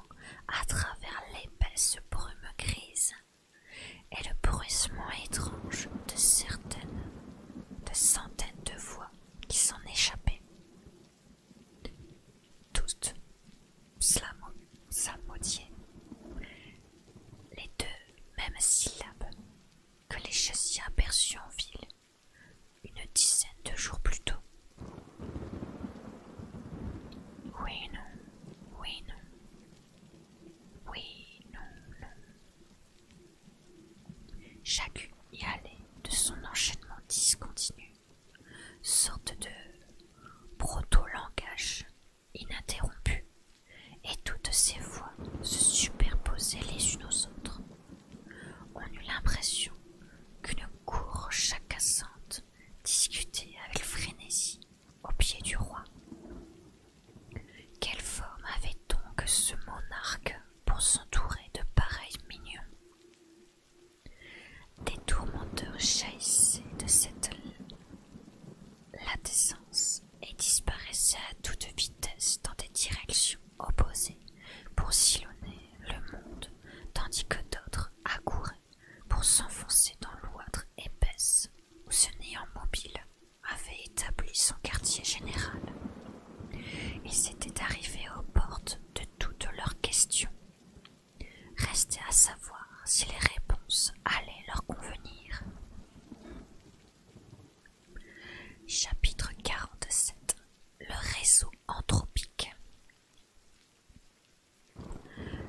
à travers l'épaisse brume grise et le bruissement étrange de certaines de centaines de voix qui s'en échappaient. Toutes maudit. les deux mêmes syllabes que les chassiers aperçus en ville une dizaine de jours plus tôt. Oui, non, oui, non, oui, non, non. Chacune y allait de son enchaînement discontinu, sorte de proto-langage ininterrompu, et toutes ces voix se superposaient les unes aux autres. On eut l'impression qu'une cour chacassante discutait avec frénésie au pied du roi, quelle forme avait donc ce monarque pour s'entourer de pareils mignons Des tourmenteurs jaillissaient de cette latessence et disparaissaient à toute vitesse dans des directions opposées pour sillonner le monde, tandis que d'autres accouraient pour s'enfoncer dans l'oître épaisse ou se néant mobile avait établi son quartier général. Ils étaient arrivés aux portes de toutes leurs questions. Restait à savoir si les réponses allaient leur convenir. Chapitre 47 Le réseau anthropique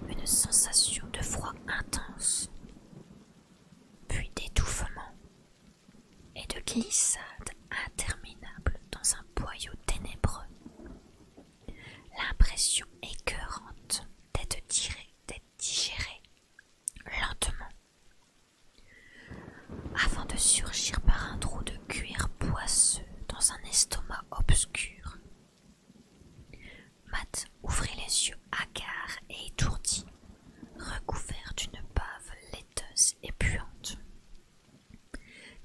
Une sensation de froid intense, puis d'étouffement, et de glissades interminables dans un boyau ténébreux. L'impression écœurante d'être tiré, d'être digéré lentement, avant de surgir par un trou de cuir poisseux dans un estomac obscur. Matt ouvrit les yeux hagards et étourdis, recouvert d'une bave et puante.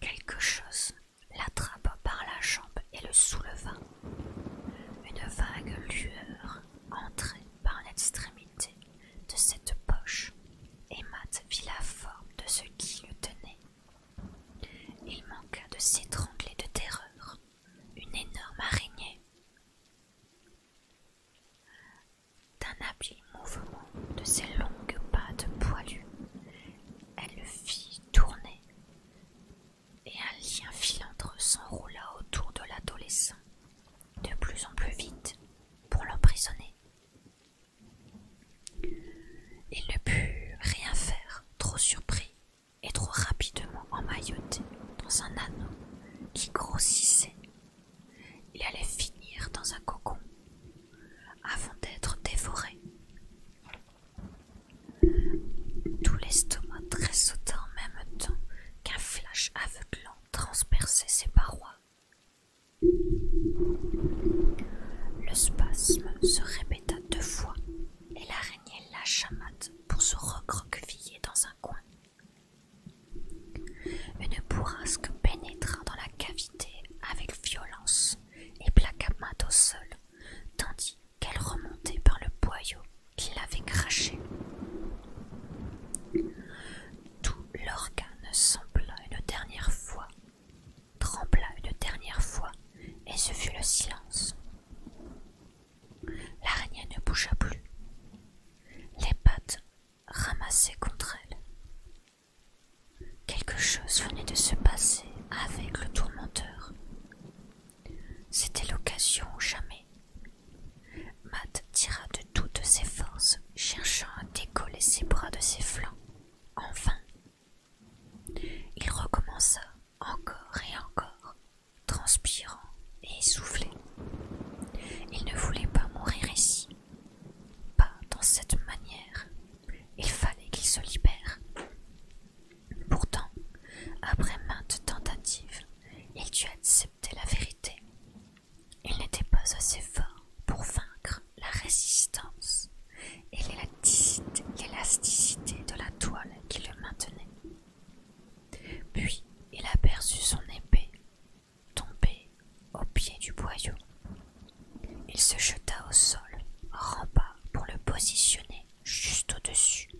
Quelque chose l'attrapa par la jambe et le souleva. Une vague lueur entrait par l'extrémité de cette poche, et Matt vit la forme de ce qui le tenait. Il manqua de s'étrangler de terreur. Une énorme araignée. D'un habile mouvement de ses longues pattes poilues, elle le fit tourner, et un lien filandre s'enroula autour de l'adolescent de plus en plus vite pour l'emprisonner. Il ne put rien faire, trop surpris et trop rapidement emmailloté dans un anneau qui grossissait il allait finir dans un cocon avant d'être dévoré. Tout l'estomac tressauta en même temps qu'un flash aveuglant transperçait ses parois. Le spasme se répéta deux fois et l'araignée lâcha mat pour se recroqueviller dans un coin. Une bourrasque pénétra dans la cavité avec violence et plaqua au sol, tandis qu'elle remontait par le boyau qui l'avait craché. Tout l'organe sembla une dernière fois, trembla une dernière fois, et ce fut le silence. L'araignée ne bougea plus. Les pattes ramassé contre elle. Quelque chose venait de se passer avec le tourmenteur. C'était l'occasion ou jamais. Matt tira de toutes ses forces, cherchant à décoller ses bras de ses flancs. Enfin, Il recommença encore et encore, transpirant et essoufflé. Il ne voulait pas mourir ici, pas dans cette manière. Il fallait qu'il se libère. Pourtant, après maintes tentatives, il dut accepter la vérité. Il n'était pas assez fort pour vaincre la résistance et l'élasticité de la toile qui le maintenait. Puis il aperçut son épée tombé au pied du boyau. Il se jeta au sol, rampa pour le positionner juste au-dessus,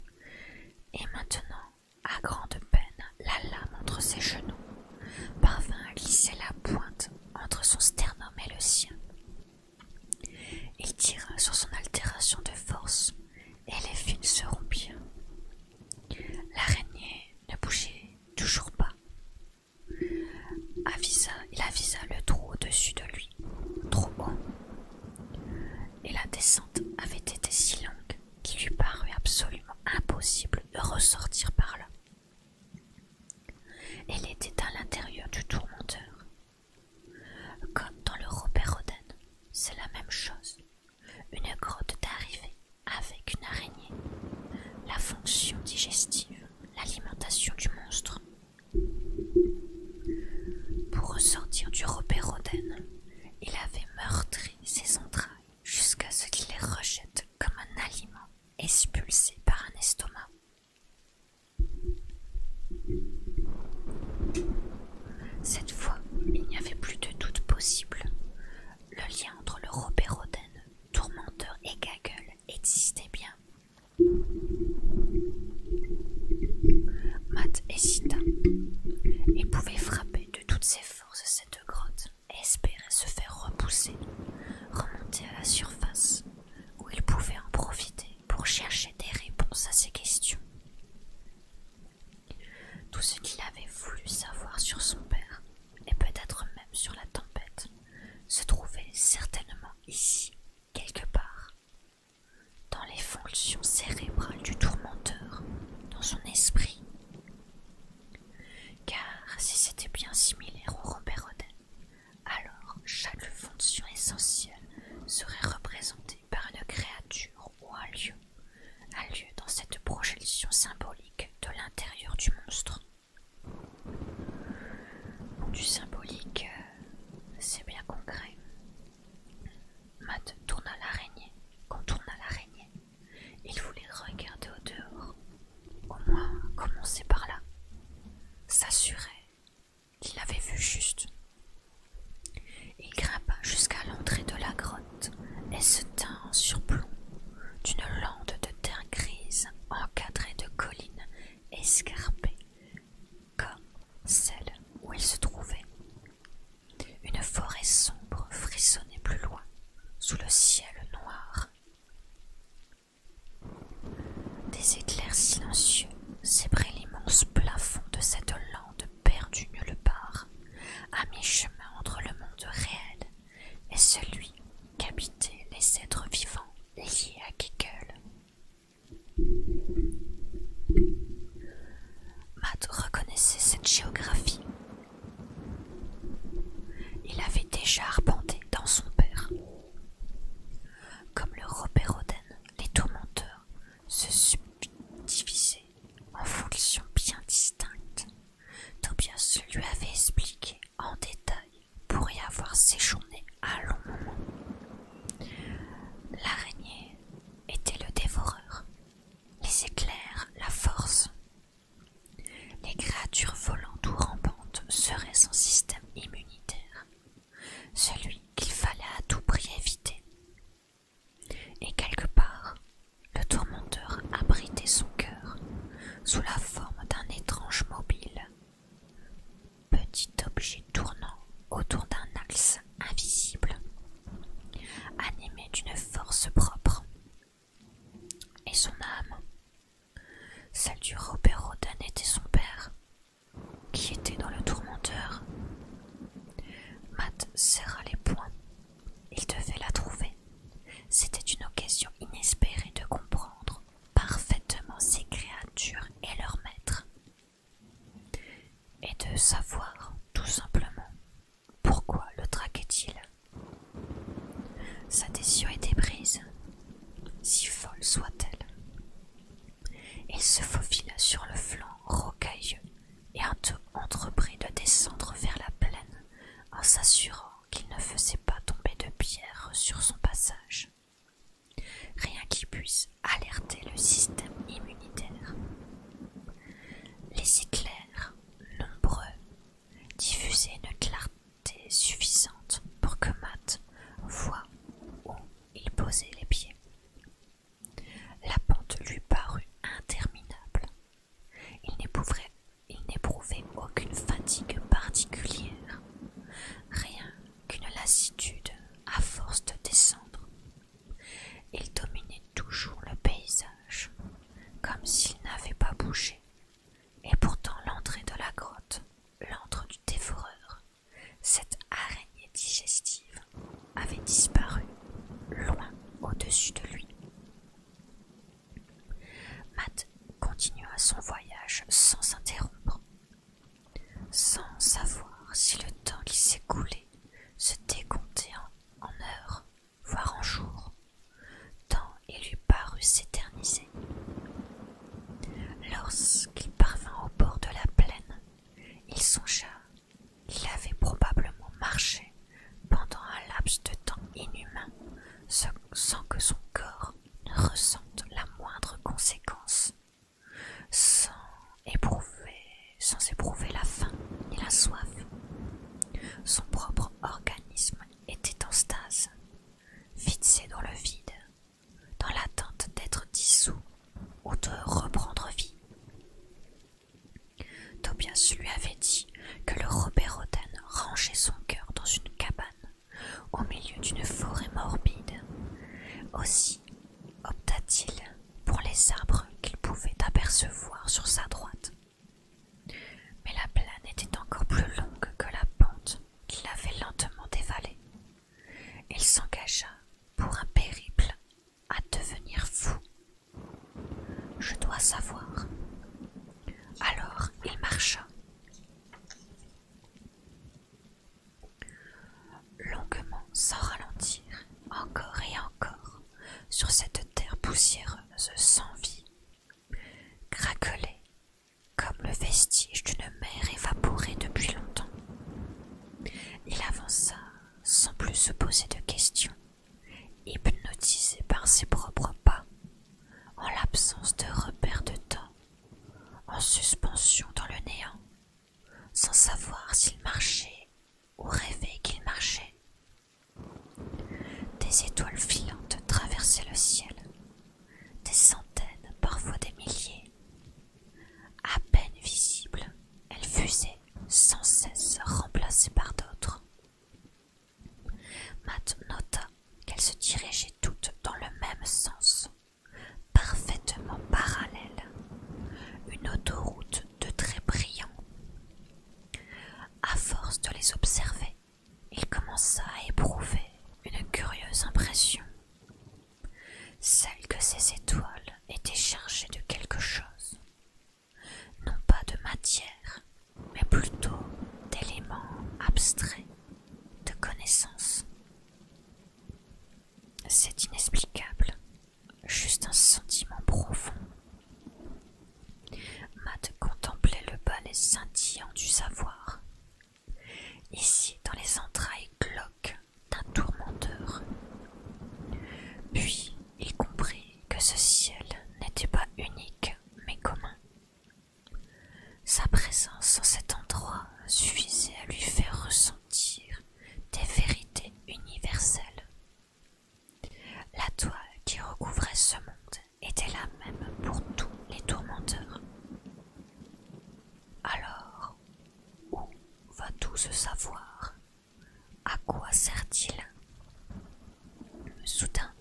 et maintenant, à grande peine, la lame entre ses genoux parvint à glisser la pointe entre son sternum et le sien. Il tira sur son altération de force, et les fils se rompirent. L'araignée ne bougeait toujours pas. il avisa le trou au-dessus de lui, trop haut. Et la descente avait été si longue qu'il lui parut absolument impossible de ressortir par là. Elle était à l'intérieur du tourmenteur. Comme dans le Robert Roden, c'est la même chose. Une grotte d'arrivée avec une araignée, la fonction digestive, l'alimentation du monstre. Pour ressortir du robéroden, il avait meurtri ses entrailles jusqu'à ce qu'il les rejette comme un aliment expulsé par un estomac. Cette fois, il n'y avait plus de doute possible. Le lien entre le robéroden Tourmenteur et gagueule existaient bien. Matt hésita. et pouvait frapper de toutes ses forces cette grotte espérer se faire repousser, remonter à la surface, où il pouvait en profiter pour chercher des réponses à ses questions. Tout ce qu'il avait voulu savoir sur son père et peut-être même sur la tempête, se trouvait certainement ici, quelque part, dans les fonctions cérébrales du tourmenteur, dans son esprit. Car si c'était bien similaire au Robert alors chaque fonction essentielle serait représentée par une créature ou un lieu, un lieu dans cette projection symbolique de l'intérieur du monstre. Du symbolique, euh, c'est bien concret. Matt tourna l'araignée, contourna l'araignée. Il voulait regarder au dehors, au moins commencer par là, s'assurer qu'il avait vu juste. Il grimpa jusqu'à l'entrée de la grotte elle se tint en surplomb d'une lande de terre grise encadrée de collines escarpées comme celle où elle se trouvait. Une forêt sombre frissonnait plus loin sous le ciel noir. Des éclairs silencieux sébraient l'immense plafond de cette lande perdue nulle part, à mi-chemin entre le monde réel et celui qu'habitaient les êtres vivants liés à Kegel. Matt reconnaissait cette géographie. Il avait déjà arpenté dans son père. Comme le Robert Oden, les tourmenteurs se subdivisaient en fonctions bien distinctes. Tobias lui avait expliqué en détail pour y avoir séjourné à long moment. L'araignée était le dévoreur, les éclairs la force. Les créatures volantes ou rampantes seraient son système immunitaire, celui qu'il fallait à tout prix éviter. Et quelque part, le tourmenteur abritait son cœur sous la forme d'un étrange mobile, petit objet tournant autour d'un axe invisible, animé d'une force propre. Et son âme, celle du Robert Rodin était son père, qui était dans le tourmenteur. Matt serra les poings il devait la trouver. C'était une occasion inespérée de comprendre parfaitement ces créatures et leur maître. Et de savoir, tout simplement, pourquoi le traquait-il. Sa décision était prise, si folle soit-elle. Il se faufila sur le flanc rocailleux et entreprit de descendre vers la plaine en s'assurant qu'il ne faisait pas tomber de pierre sur son passage. Rien qui puisse alerter le système immunitaire. Les éclairs, nombreux, diffusaient une clarté suffisante pour que Matt voit où il posait les pieds. La pente lui parut interminable, il n'éprouvait aucune fatigue particulière, rien qu'une lassitude à force de descendre. Il dominait toujours le paysage, comme s'il n'avait pas bougé, et pourtant l'entrée de la grotte, l'antre du dévoreur, cette araignée digestive, avait disparu loin au-dessus de lui. Matt continua son voyage sans s'interrompre, sans savoir si le temps qui s'écoulait se décomptait en, heures, voire en jours, tant il lui parut s'éterniser. Lorsqu'il parvint au bord de la plaine, il songea qu'il avait probablement marché pendant un laps de temps inhumain sans que son corps ne ressente la moindre conséquence, sans éprouver, la faim ni la soif. Son propre organisme était en stase, fixé dans le vide, dans l'attente d'être dissous ou de reprendre vie. Tobias lui avait dit que le Robert Roden rangeait son cœur dans une cabane au milieu d'une forêt morbide. Aussi opta-t-il pour les arbres qu'il pouvait apercevoir sur sa droite. Mais la plaine était encore plus longue que la pente qu'il avait lentement dévalée. Il s'engagea pour un périple à devenir fou. Je dois savoir. Alors il marcha Longuement, sans ralentir, encore et encore, sur cette terre poussiéreuse sans vie, craquelait comme le vestige d'une mer évaporée depuis longtemps. Il avança sans plus se poser de questions, hypnotisé par ses propres pas en l'absence de repères de temps, en suspension dans le néant, sans savoir s'il marchait ou rêvait qu'il marchait. Des étoiles filantes traversaient le ciel, des centaines, parfois des milliers. À peine visibles, elles fusaient sans cesse remplacées par d'autres. Matt nota qu'elles se dirigeaient toutes dans le même sens, parfaitement parallèles, une autoroute de très brillants. À force de les observer, il commença à éprouver une curieuse impression, celle que ces étoiles étaient chargées de quelque chose, non pas de matière, mais plutôt d'éléments abstraits de connaissances. C'est inexplicable, juste un sentiment profond. Matt contemplait le balai scintillant du savoir. Ici, dans les entrailles cloques d'un tourmenteur. Puis il comprit que ce ciel n'était pas unique mais commun, sa présence en cet endroit suffisait à lui faire ressentir des vérités universelles. La toile qui recouvrait ce monde était la même pour tous les tourmenteurs. Alors, où va tout se savoir À quoi sert-il Soudain,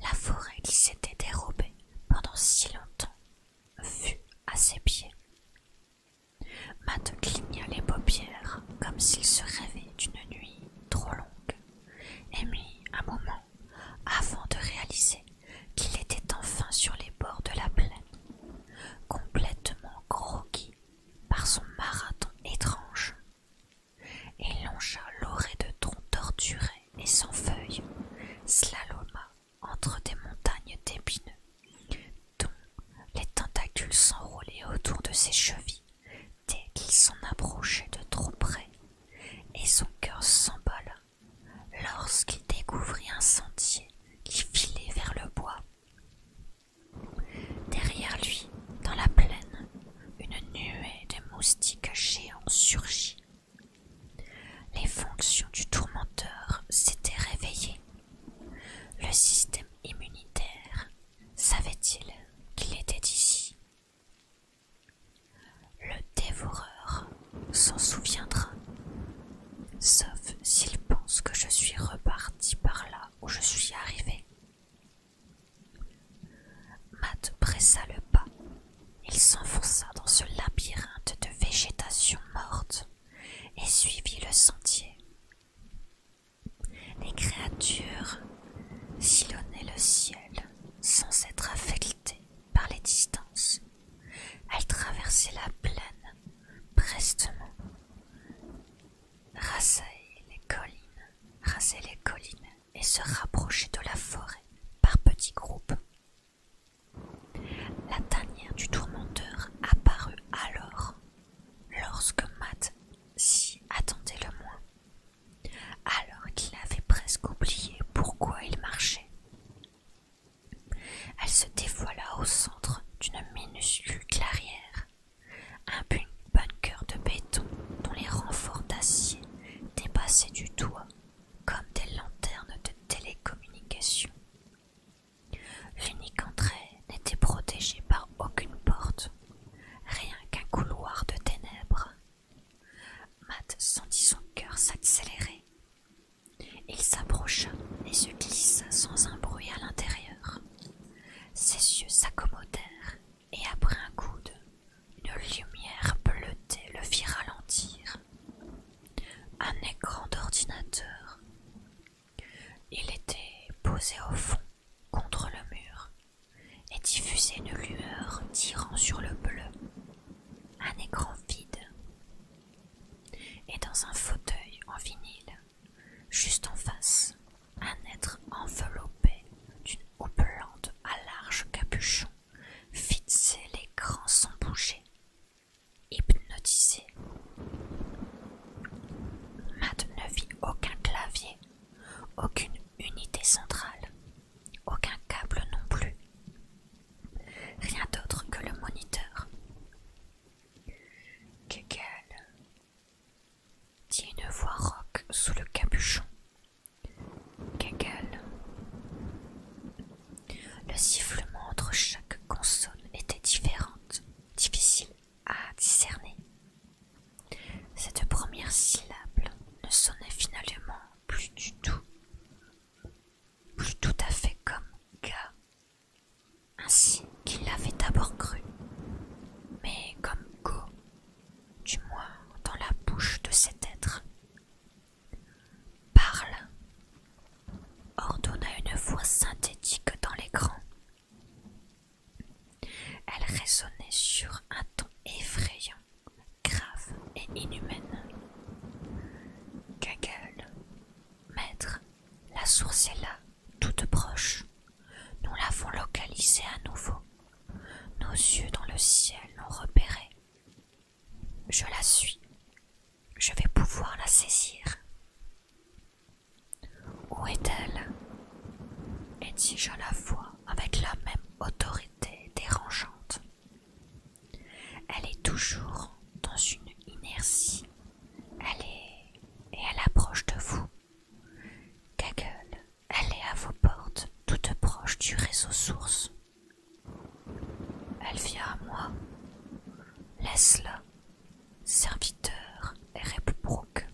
la forêt qui s'était dérobée pendant si longtemps fut à ses pieds. Matt cligna les paupières comme s'il se rêvait d'une nuit trop longue et mit un moment avant de réaliser qu'il était enfin sur les bords de la plaine, complètement croquis par son marathon étrange et longea l'orée de troncs torturés et sans feuilles, slaloma entre des montagnes d'épineux, dont les tentacules s'enroulaient autour de ses chevilles dès qu'il s'en approchait de trop près, et son cœur s'emballa lorsqu'il découvrit un sentier qui filait vers le bois. Derrière lui, dans la plaine, une nuée de moustiques géants surgit les fonctions du tourmenteur s'étaient réveillées. Le système immunitaire savait-il qu'il était ici Le dévoreur s'en souviendra, sauf s'il pense que je suis reparti par là où je suis arrivé. Matt pressa le pas. Il s'enfonça dans ce labyrinthe de végétation morte et suivit le sentier. Les créatures sillonnaient le ciel sans être affectées par les distances. Elles traversaient la plaine prestement, rasaient les collines, rasaient les collines et se rapprochait de la forêt par petits groupes. La tanière du tourmenteur apparut alors, lorsque Matt s'y attendait le moins, alors qu'il avait presque oublié pourquoi il marchait. Elle se dévoila au centre d'une minuscule clairière, un bunker de béton dont les renforts d'acier dépassaient du toit comme des lanternes de télécommunication. L'unique entrée n'était protégée par aucune porte, rien qu'un couloir de ténèbres. Matt sentit son cœur s'accélérer. Il s'approcha et se glissa sans un bruit à l'intérieur. Ses yeux s'accommodèrent et après un coup de... Une lumière bleutée le fit ralentir. Un écran d'ordinateur. Il était posé au fond, contre le mur, et diffusait une lueur tirant sur le bleu. Un écran vide. Et dans un fauteuil en vinyle, juste en face, un être enveloppé d'une houppelande à large capuchon Fixer l'écran sans bouger, hypnotisé. Matt ne vit aucun clavier, aucune unité centrale, aucun câble non plus, rien d'autre que le moniteur. Kegel, dit une voix rauque sous le capuchon le sifflement entre chaque consonne était différent difficile à discerner. Cette première syllabe ne sonnait finalement plus du tout, plus tout à fait comme ga, ainsi qu'il l'avait d'abord cru, mais comme go, du moins dans la bouche de cet être. Parle, ordonna une voix synthétique dans l'écran. Elle résonnait sur un ton effrayant, grave et inhumaine. Gaggle, maître, la source est là, toute proche. Nous l'avons localisée à nouveau. Nos yeux dans le ciel l'ont repérée. Je la suis. Je vais pouvoir la saisir. Où est-elle Et si je la vois avec la même autorité dérangeante Elle est toujours dans une inertie. Elle est... et elle approche de vous. Gaggle, elle est à vos portes, toute proche du réseau source. Elle vient à moi. Laisse-la, serviteur et Rebrook.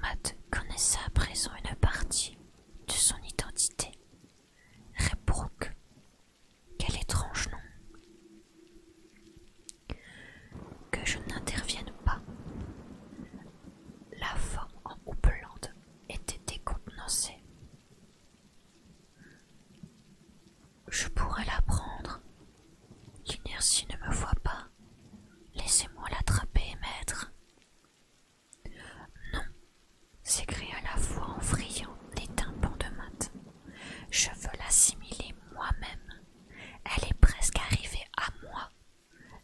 Matt connaissait à présent une partie de son identité. Rebrook. Quel étrange nom. Que je n'intervienne pas. La femme en houppelande était décontenancée. Je pourrais la prendre. L'inertie ne me voit pas. Laissez-moi l'attraper et maître. Non, s'écria la voix en friant des de mat. Je veux l'assimiler moi-même. Elle est presque arrivée à moi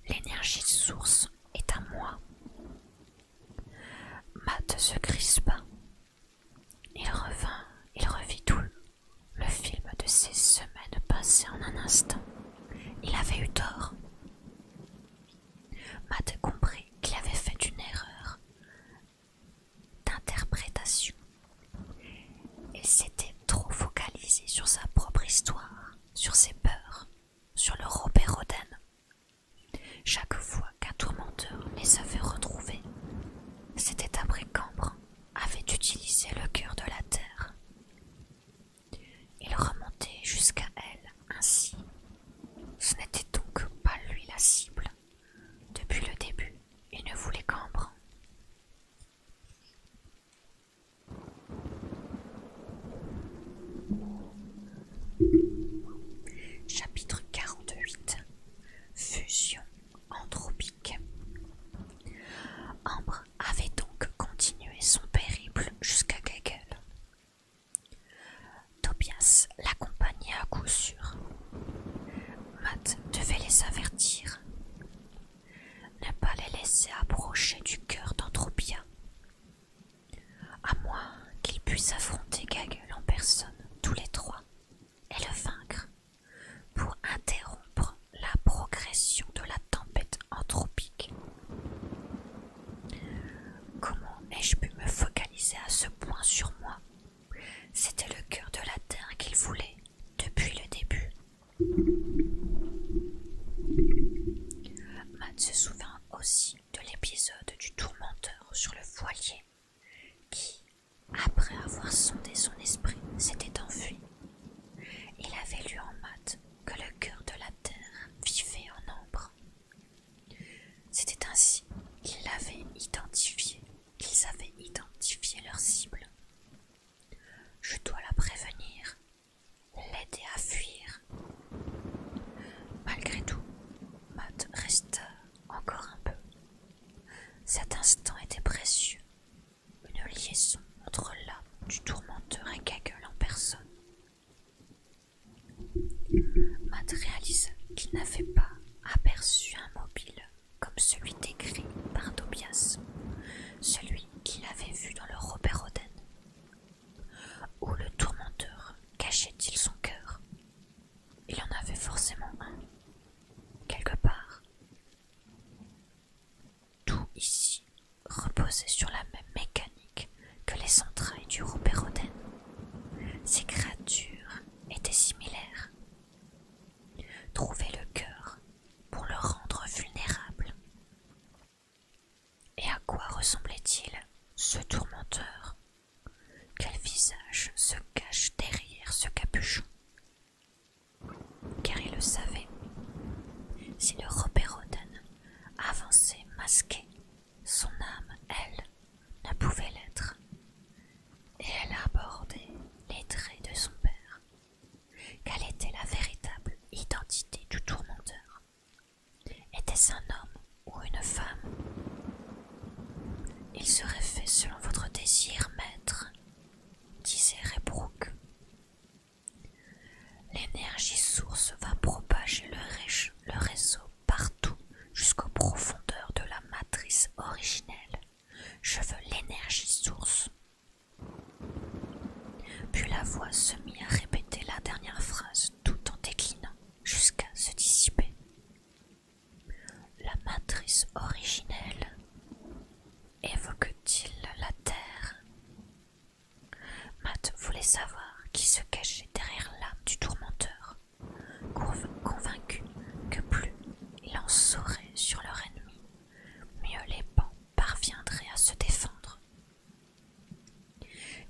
L'énergie source est à moi. Matt se crispa. Il revint, il revit tout le film de ces semaines passées en un instant. Il avait eu tort. Matt comprit qu'il avait fait une erreur d'interprétation. Il s'était trop focalisé sur sa propre histoire, sur ses peurs, sur le Robert Roden. Chaque fois qu'un tourmenteur les avait retrouvés, c'était après qu'Ambre avait utilisé le cœur de la terre. Il remontait jusqu'à elle ainsi. Ce n'était donc pas lui la cible. Depuis le début, il ne voulait qu'Ambre. Chapitre 48 Fusion anthropique Ambre avait donc continué son périple jusqu'à Gagel. Tobias l'accompagnait à coup sûr. Matt devait les avertir. Ne pas les laisser approcher du cœur d'Anthropia à moins qu'il puisse affronter Gaggle en personne, tous les trois, et le vaincre, pour interrompre la progression de la tempête anthropique. Comment ai-je pu me focaliser à ce point sur moi C'était le cœur de la Terre qu'il voulait depuis le début. Matt se souvint aussi de l'épisode du tourmenteur sur le voilier qui, après avoir sondé son esprit, s'était enfui. Il avait lu en maths que le cœur de la terre vivait en ombre. C'était ainsi qu'il l'avait identifié, qu'ils avaient identifié leur cible. Je dois la prévenir, l'aider à fuir. Malgré tout, Matt resta encore un peu. Cet instant était précieux, une liaison entre l'âme du tourmenteur et Gaggle en personne. Matt réalisa qu'il n'avait pas aperçu un mobile comme celui décrit par Tobias, celui qu'il avait vu dans le Robert Oden. Où le tourmenteur cachait-il son cœur Il en avait forcément un, quelque part. Tout ici reposait sur la même mécanique que les entrailles du roupérodène. Ces créatures étaient similaires. Trouver le cœur pour le rendre vulnérable, et à quoi ressemblait-il, ce tourmenteur Quel visage se cache derrière ce capuchon Car il le savait, si le Robert Oden avançait masqué, son âme, elle, ne pouvait l'être. Et elle abordait les traits de son père. Quelle était la véritable identité du tourmenteur était-ce un homme ou une femme Il serait fait selon votre désir, maître, disait Reybrook. L'énergie source va propager le réseau partout jusqu'aux profondeurs de la matrice originelle. Je veux l'énergie source. Puis la voix se mit à répéter la dernière phrase tout en déclinant jusqu'à se dissiper. La matrice originelle évoque-t-il la Terre Matt voulait savoir qui se cachait derrière l'âme du tourmenteur, convaincu que plus il en saurait sur leur ennemi, mieux les pans parviendraient à se défendre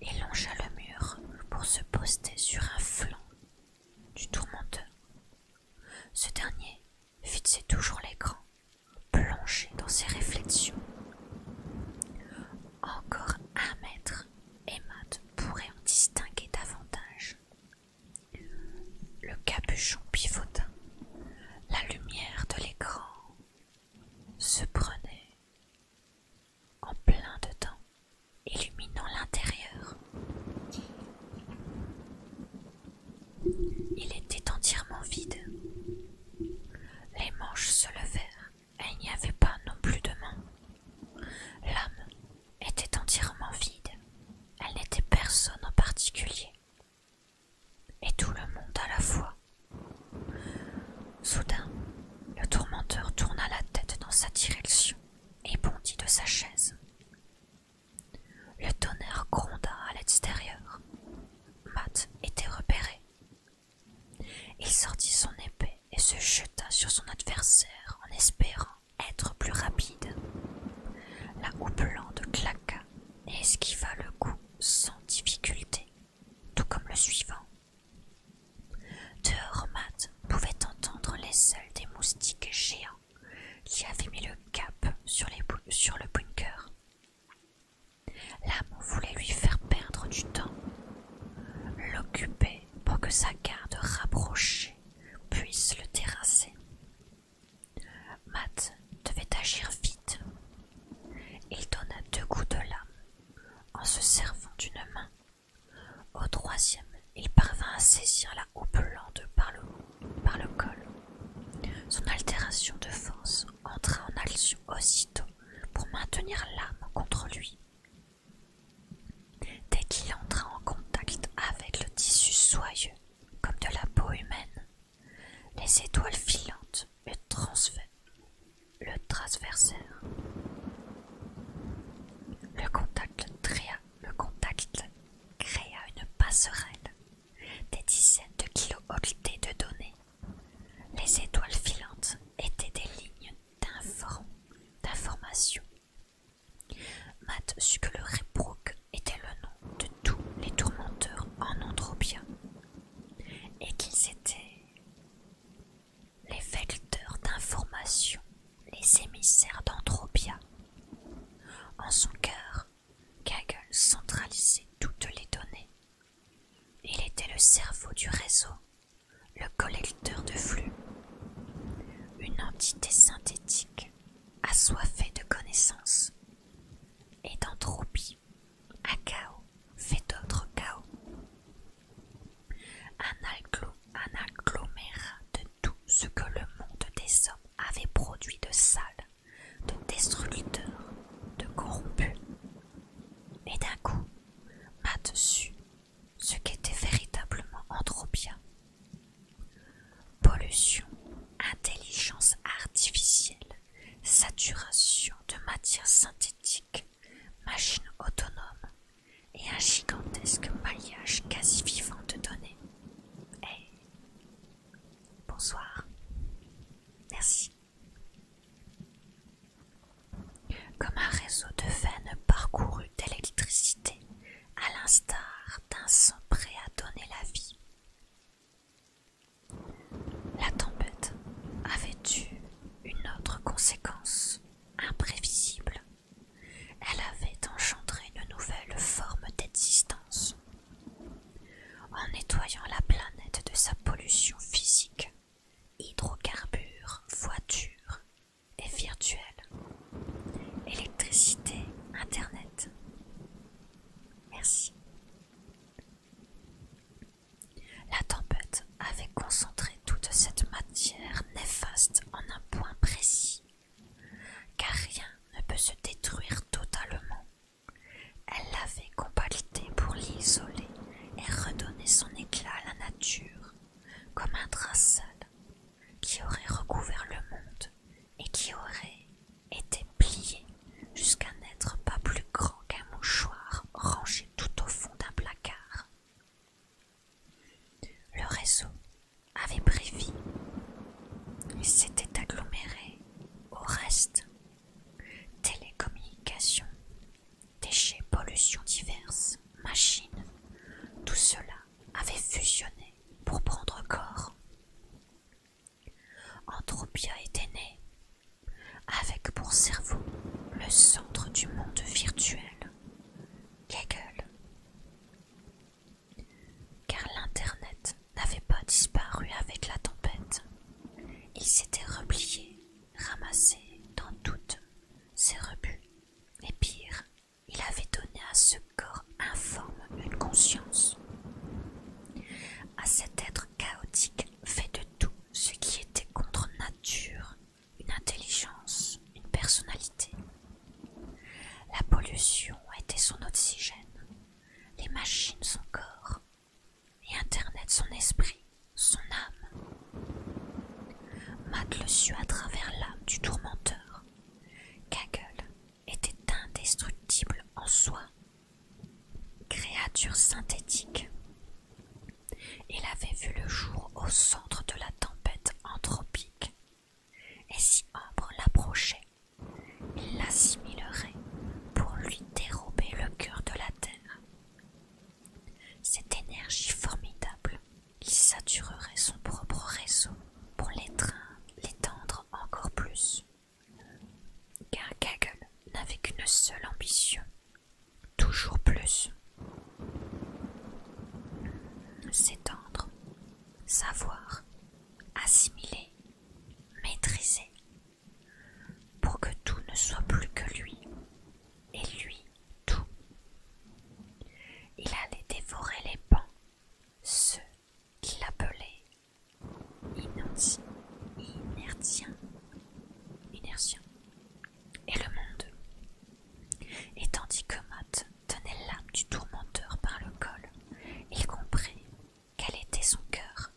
et longea le mur pour se poster sur un flanc du tourmenteur. Ce dernier fixait toujours l'écran, plongé dans ses réflexions. Encore un mètre et Matt pourrait en distinguer davantage. Le capuchon pivota. La lumière de l'écran se prenait en plein dedans, illuminant l'intérieur. Il était entièrement vide. Les manches se levèrent et il n'y avait pas non plus de main. L'âme était entièrement vide. Elle n'était personne en particulier. Et tout le monde à la fois Soudain, le tourmenteur tourna la tête dans sa direction et bondit de sa chaise. Le tonnerre gronda à l'extérieur. Matt était repéré. Il sortit son épée et se jeta sur son adversaire en espérant être plus rapide. La houppelande claqua et esquiva le coup sans difficulté tout comme le suivant. Dehors, Matt pouvait entendre les seuls des moustiques géants qui avaient mis le cap sur, sur le bunker. L'âme voulait lui faire perdre du temps, l'occuper pour que sa garde rapprochée puisse le terrasser. Matt devait agir vite. Il donna deux coups de lame en se servant d'une main au troisième, il parvint à saisir la houppe par le, par le col. Son altération de force entra en action aussitôt pour maintenir l'âme contre lui. Dès qu'il entra en contact avec le tissu soyeux, comme de la peau humaine, les étoiles filantes le le transverseur. Le contact, créa, le contact créa une passerelle, des dizaines de kilo de données. Les étoiles filantes étaient des lignes d'information. Matt sut que le rebrook était le nom de tous les tourmenteurs en Andropia et qu'ils étaient les vecteurs d'informations, les émissaires d'anthropia. En son cœur, Kaggle centralisait toutes les données. Il était le cerveau du réseau, le collecteur de flux, une entité synthétique, assoiffée de connaissances et d'entropie. Un chaos fait d'autres chaos un agglomérat de tout ce que le monde des hommes avait produit de sale, de destructeur, de corrompu. Et d'un coup, m'a dessus ce était véritablement Anthropia. Pollution, intelligence artificielle, saturation de matières synthétiques, machine autonome et un gigantesque maillage quasi vivant de données. Hey. Bonsoir. Merci. Comme un réseau de veines parcouru d'électricité, à l'instar d'un sang prêt à donner la vie. La tempête avait eu une autre conséquence imprévisible, elle avait engendré une nouvelle forme d'existence. En nettoyant la planète de sa pollution physique, hydrocarbures, voitures et virtuelles, électricité, internet. Merci. La tempête avait concentré toute cette matière néfaste en un point précis, car rien ne peut se détruire totalement. Elle l'avait compactée pour l'isoler et redonner son éclat à la nature, comme un drap qui aurait recouvert le monde et qui aurait été plié jusqu'à n'être pas plus grand qu'un mouchoir rangé tout au fond d'un placard. Le réseau avait pris vie s'était aggloméré au reste. Télécommunications, déchets, pollutions diverses, machines, tout cela avait fusionné pour prendre corps. Anthropia était née, avec pour cerveau le centre du monde virtuel Hegel. Car l'Internet n'avait pas disparu avec la tempête. Il s'était replié, ramassé dans toutes ses rebuts. Et pire, il avait donné à ce corps informe une conscience. À cet être chaotique fait de tout ce qui était contre nature une intelligence, une personnalité. La pollution était son oxygène, les machines son corps, et Internet son esprit, son âme. Matt le sut à travers l'âme du tourmenteur. Kaggle était indestructible en soi. Créature synthétique, il avait vu le jour au centre de la tempête anthropique, et si Ambre l'approchait, il l'assimilerait pour lui dérober le cœur de la terre. Cette énergie formidable il saturerait son propre réseau pour l'étendre encore plus. Car Gaggle n'avait qu'une seule ambition, toujours plus. S'étendre, savoir, assimiler, maîtriser, pour que tout ne soit plus que lui, et lui tout. Il allait dévorer les pans, ceux qu'il appelait inertiens, inertiens, et le monde. Et tandis que Matt tenait l'âme du tourmenteur par le col, il comprit quel était son cœur.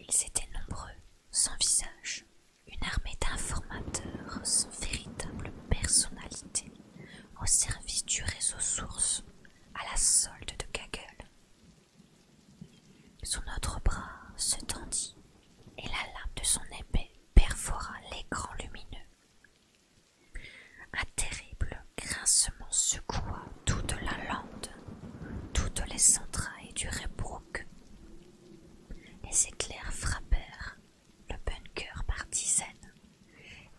Ils étaient nombreux, sans visage, une armée d'informateurs sans véritable personnalité, au service du réseau source, à la solde de Gaggle. Son autre bras se tendit et la lame de son épée perfora l'écran lumineux. Un terrible grincement secoua toute la lande, toutes les entrailles du rebrouque Les éclairs frappèrent le bunker par dizaines,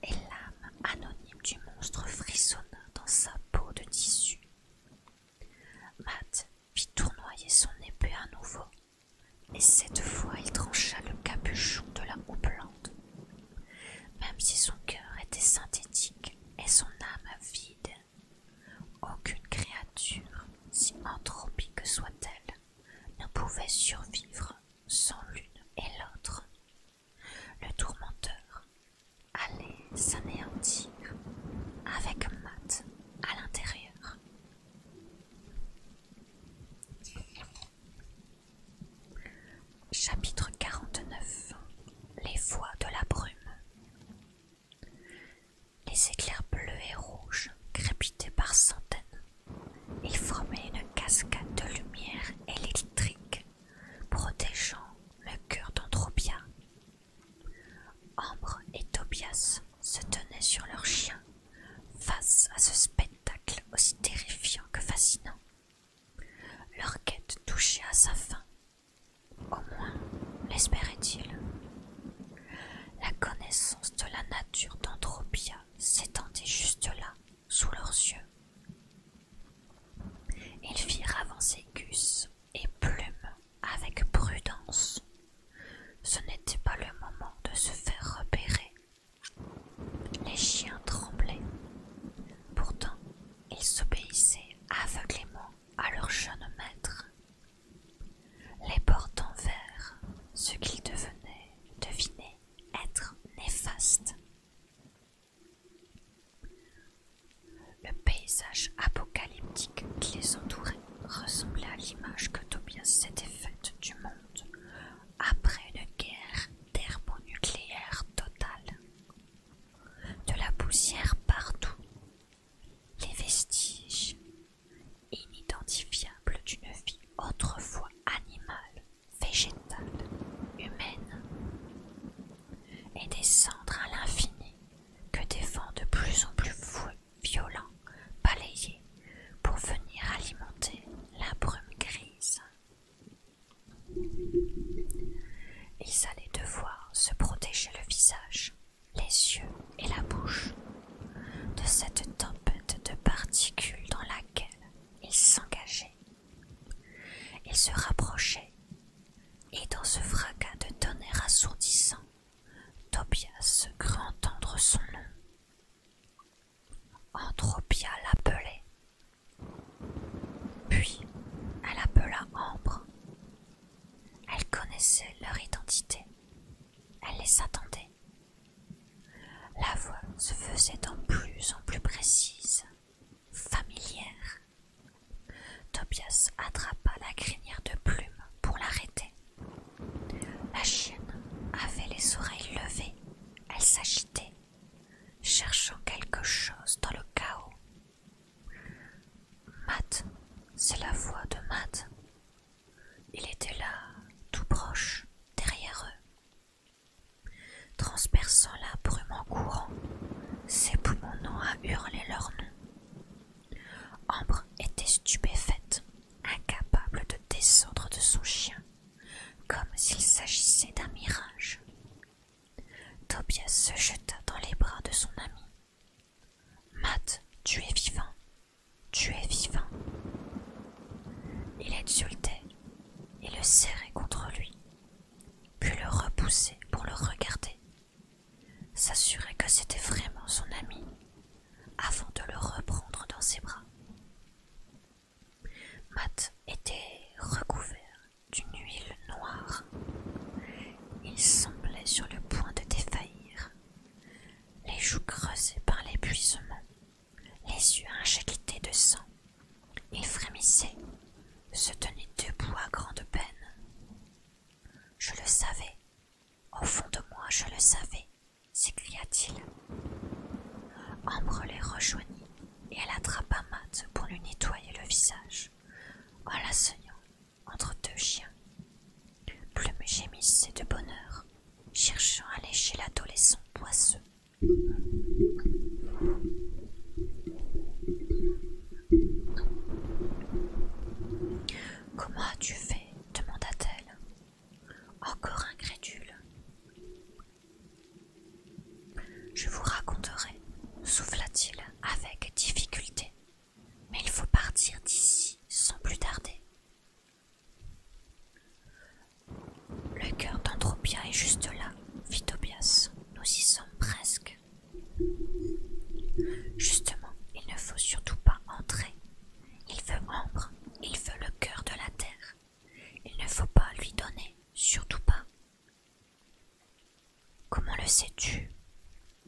et l'âme anonyme du monstre frissonna dans sa peau de tissu. Matt fit tournoyer son épée à nouveau et cette fois il trancha le capuchon de la houppelande. Même si son cœur était synthétique et son âme vide, aucune créature, si anthropique soit-elle, ne pouvait survivre sans l'une et l'autre. Le tourmenteur allait s'anéantir avec Matt à l'intérieur Chapitre 49 Les voix de la brume Les éclairs bleus et rouges crépitaient par centaines. et formaient une cascade de lumière électrique protégeant le cœur d'Andropia Ambre et Tobias se tenaient sur leurs chiens face à ce spectacle aussi terrifiant que fascinant. Leur quête touchait à sa fin. Au moins, l'espéraient-ils La connaissance de la nature d'Andropia s'étendait juste là, sous leurs yeux. Ils firent avancer Gus et Plume avec prudence. Ce n'était pas le moment de se faire repérer. Les chiens tremblaient. Pourtant, ils s'obéissaient aveuglément à leur jeune maître. Les portes envers ce qu'ils devenaient, devinaient être néfastes. Le paysage apocalyptique qui les entourait ressemblait à l'image que Tobias s'était faite du monde après une guerre thermonucléaire totale. De la poussière partout, les vestiges inidentifiables d'une vie autrefois animale, végétale, humaine, et descendre à l'infini que défend de plus en plus fou violents, balayés, pour venir alimenter la brume grise. Ils allaient devoir se protéger le visage, les yeux et la bouche de cette tempête de particules dans laquelle ils s'engageaient. Ils se rapprochaient, et dans ce fracas de tonnerre assourdissant, Tobias crut entendre son nom. Anthropia l'appelait. Puis elle appela Ambre. Elle connaissait leur identité. Elle les attendait. La voix se faisait de plus en plus précise, familière. Tobias attrapa la crinière de plume pour l'arrêter. La chienne avait les oreilles levées, elle s'agitait, cherchant quelque chose dans le chaos. Matt, c'est la voix de Matt. Il était là, tout proche, derrière eux. Transperçant la brume en courant, ses poumons à hurler leur nom. Ambre était stupéfaite incapable de descendre de son chien, comme s'il s'agissait d'un mirage. Tobias se jeta dans les bras de son ami. Matt, tu es vivant, tu es vivant. Il insultait et le serrait contre lui, puis le repoussait pour le regarder, s'assurer que c'était vraiment son ami avant de le reprendre dans ses bras. Matt était recouvert d'une huile noire. Il semblait sur le point de défaillir, les joues creusées par l'épuisement, les yeux injectés de sang. Il frémissait, se tenait debout à grande peine. Je le savais, au fond de moi je le savais, s'écria-t-il. Ambre les rejoignit et elle attrapa Matt pour lui nettoyer le visage, en la entre deux chiens. Plume gémissait de bonheur, cherchant à lécher l'adolescent poisseux. Comment as-tu fait demanda-t-elle. Encore incrédule. Je vous raconterai, souffla-t-il avec difficulté, mais il faut partir d'ici sans plus tarder. Le cœur d'Andropia est juste là, fit Tobias. Nous y sommes presque. Justement, il ne faut surtout pas entrer il veut ombre, il veut le cœur de la terre. Il ne faut pas lui donner, surtout pas. Comment le sais-tu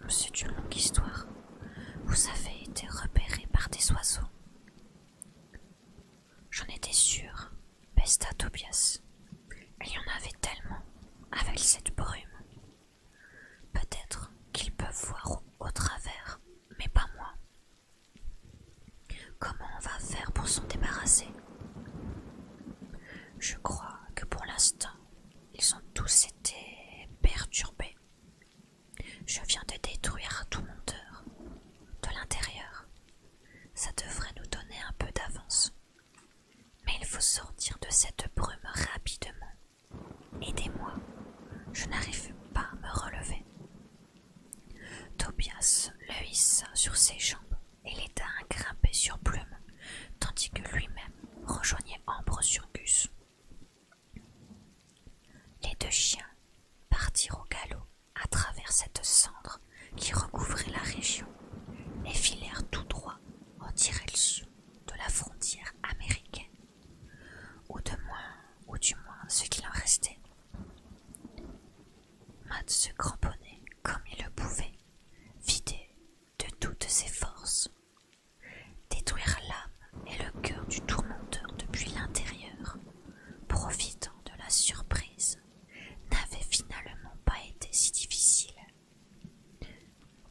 C'est une longue histoire. Vous avez été repéré par des oiseaux. J'en étais sûre, pesta Tobias. Il y en avait tellement, avec cette brume. Peut-être qu'ils peuvent voir au travers mais pas moi. Comment on va faire pour s'en débarrasser Je crois que pour l'instant, ils ont tous été perturbés. Je viens de détruire tout mon cœur, de l'intérieur. Ça devrait nous donner un peu d'avance. Mais il faut sortir de cette brume rapidement Aidez-moi, je n'arrive pas à me relever. Tobias le hissa sur ses jambes et l'aida à grimper sur Plume, tandis que lui-même rejoignait Ambre sur Gus. Les deux chiens partirent au galop à travers cette cendre qui recouvrait la région et filèrent tout droit en direction de la frontière américaine ou de moins, ou du moins ce qu'il en restait. Matt se cramponnait comme il le pouvait, vidé de toutes ses forces. Détruire l'âme et le cœur du tourmenteur depuis l'intérieur, profitant de la surprise, n'avait finalement pas été si difficile.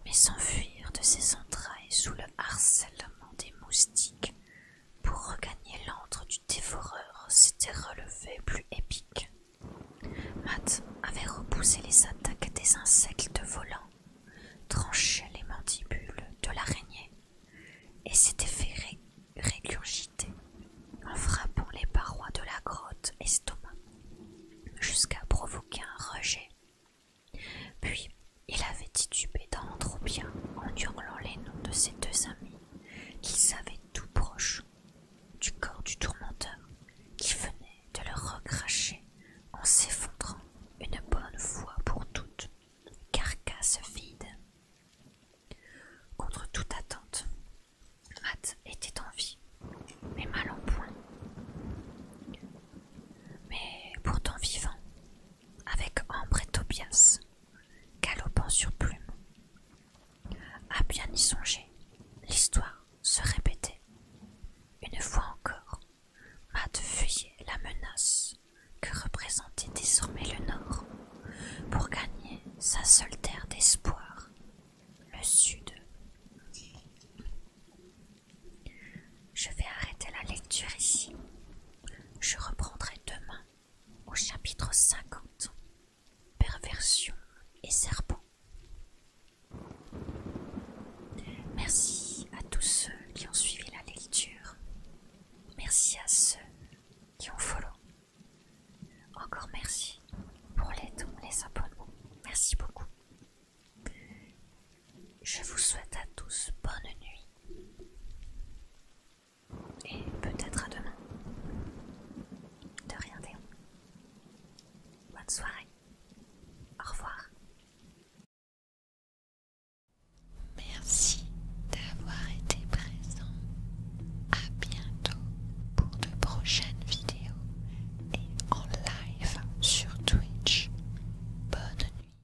Mais s'enfuir de ses entrailles sous le harcèlement des moustiques pour regagner l'antre du dévoreur, s'était relevé plus épique. Matt avait repoussé les attaques des insectes volants, tranché les mandibules de l'araignée et s'était fait régurgiter en frappant les parois de la grotte estomac jusqu'à provoquer un rejet puis il avait titubé trop bien, en hurlant les noms de ses deux amis, qu'il savait tout proche du corps du tourmenteur, qui venait de le recracher en s'effondrant une bonne fois pour toutes, carcasse vide. Contre toute attente, Matt était en vie, mais mal en point. Mais pourtant vivant, avec Ambre et Tobias, galopant sur plume. À bien y songer, l'histoire se répétait. Une fois encore, Matt fuyait la menace que représentait désormais le Nord pour gagner sa seule terre d'espoir, le Sud. Je vais arrêter la lecture ici. Je reprendrai demain au chapitre 50. Perversion et serpent. Merci à tous ceux qui ont suivi la lecture. Merci à ceux qui ont follow. Encore merci pour les dons, les abonnements. Merci beaucoup. Je vous souhaite à tous bonne nuit. Et peut-être à demain. De rien, Théon. Bonne soirée. Au revoir. Merci d'avoir été présent. À bientôt pour de prochaines vidéos et en live sur Twitch. Bonne nuit.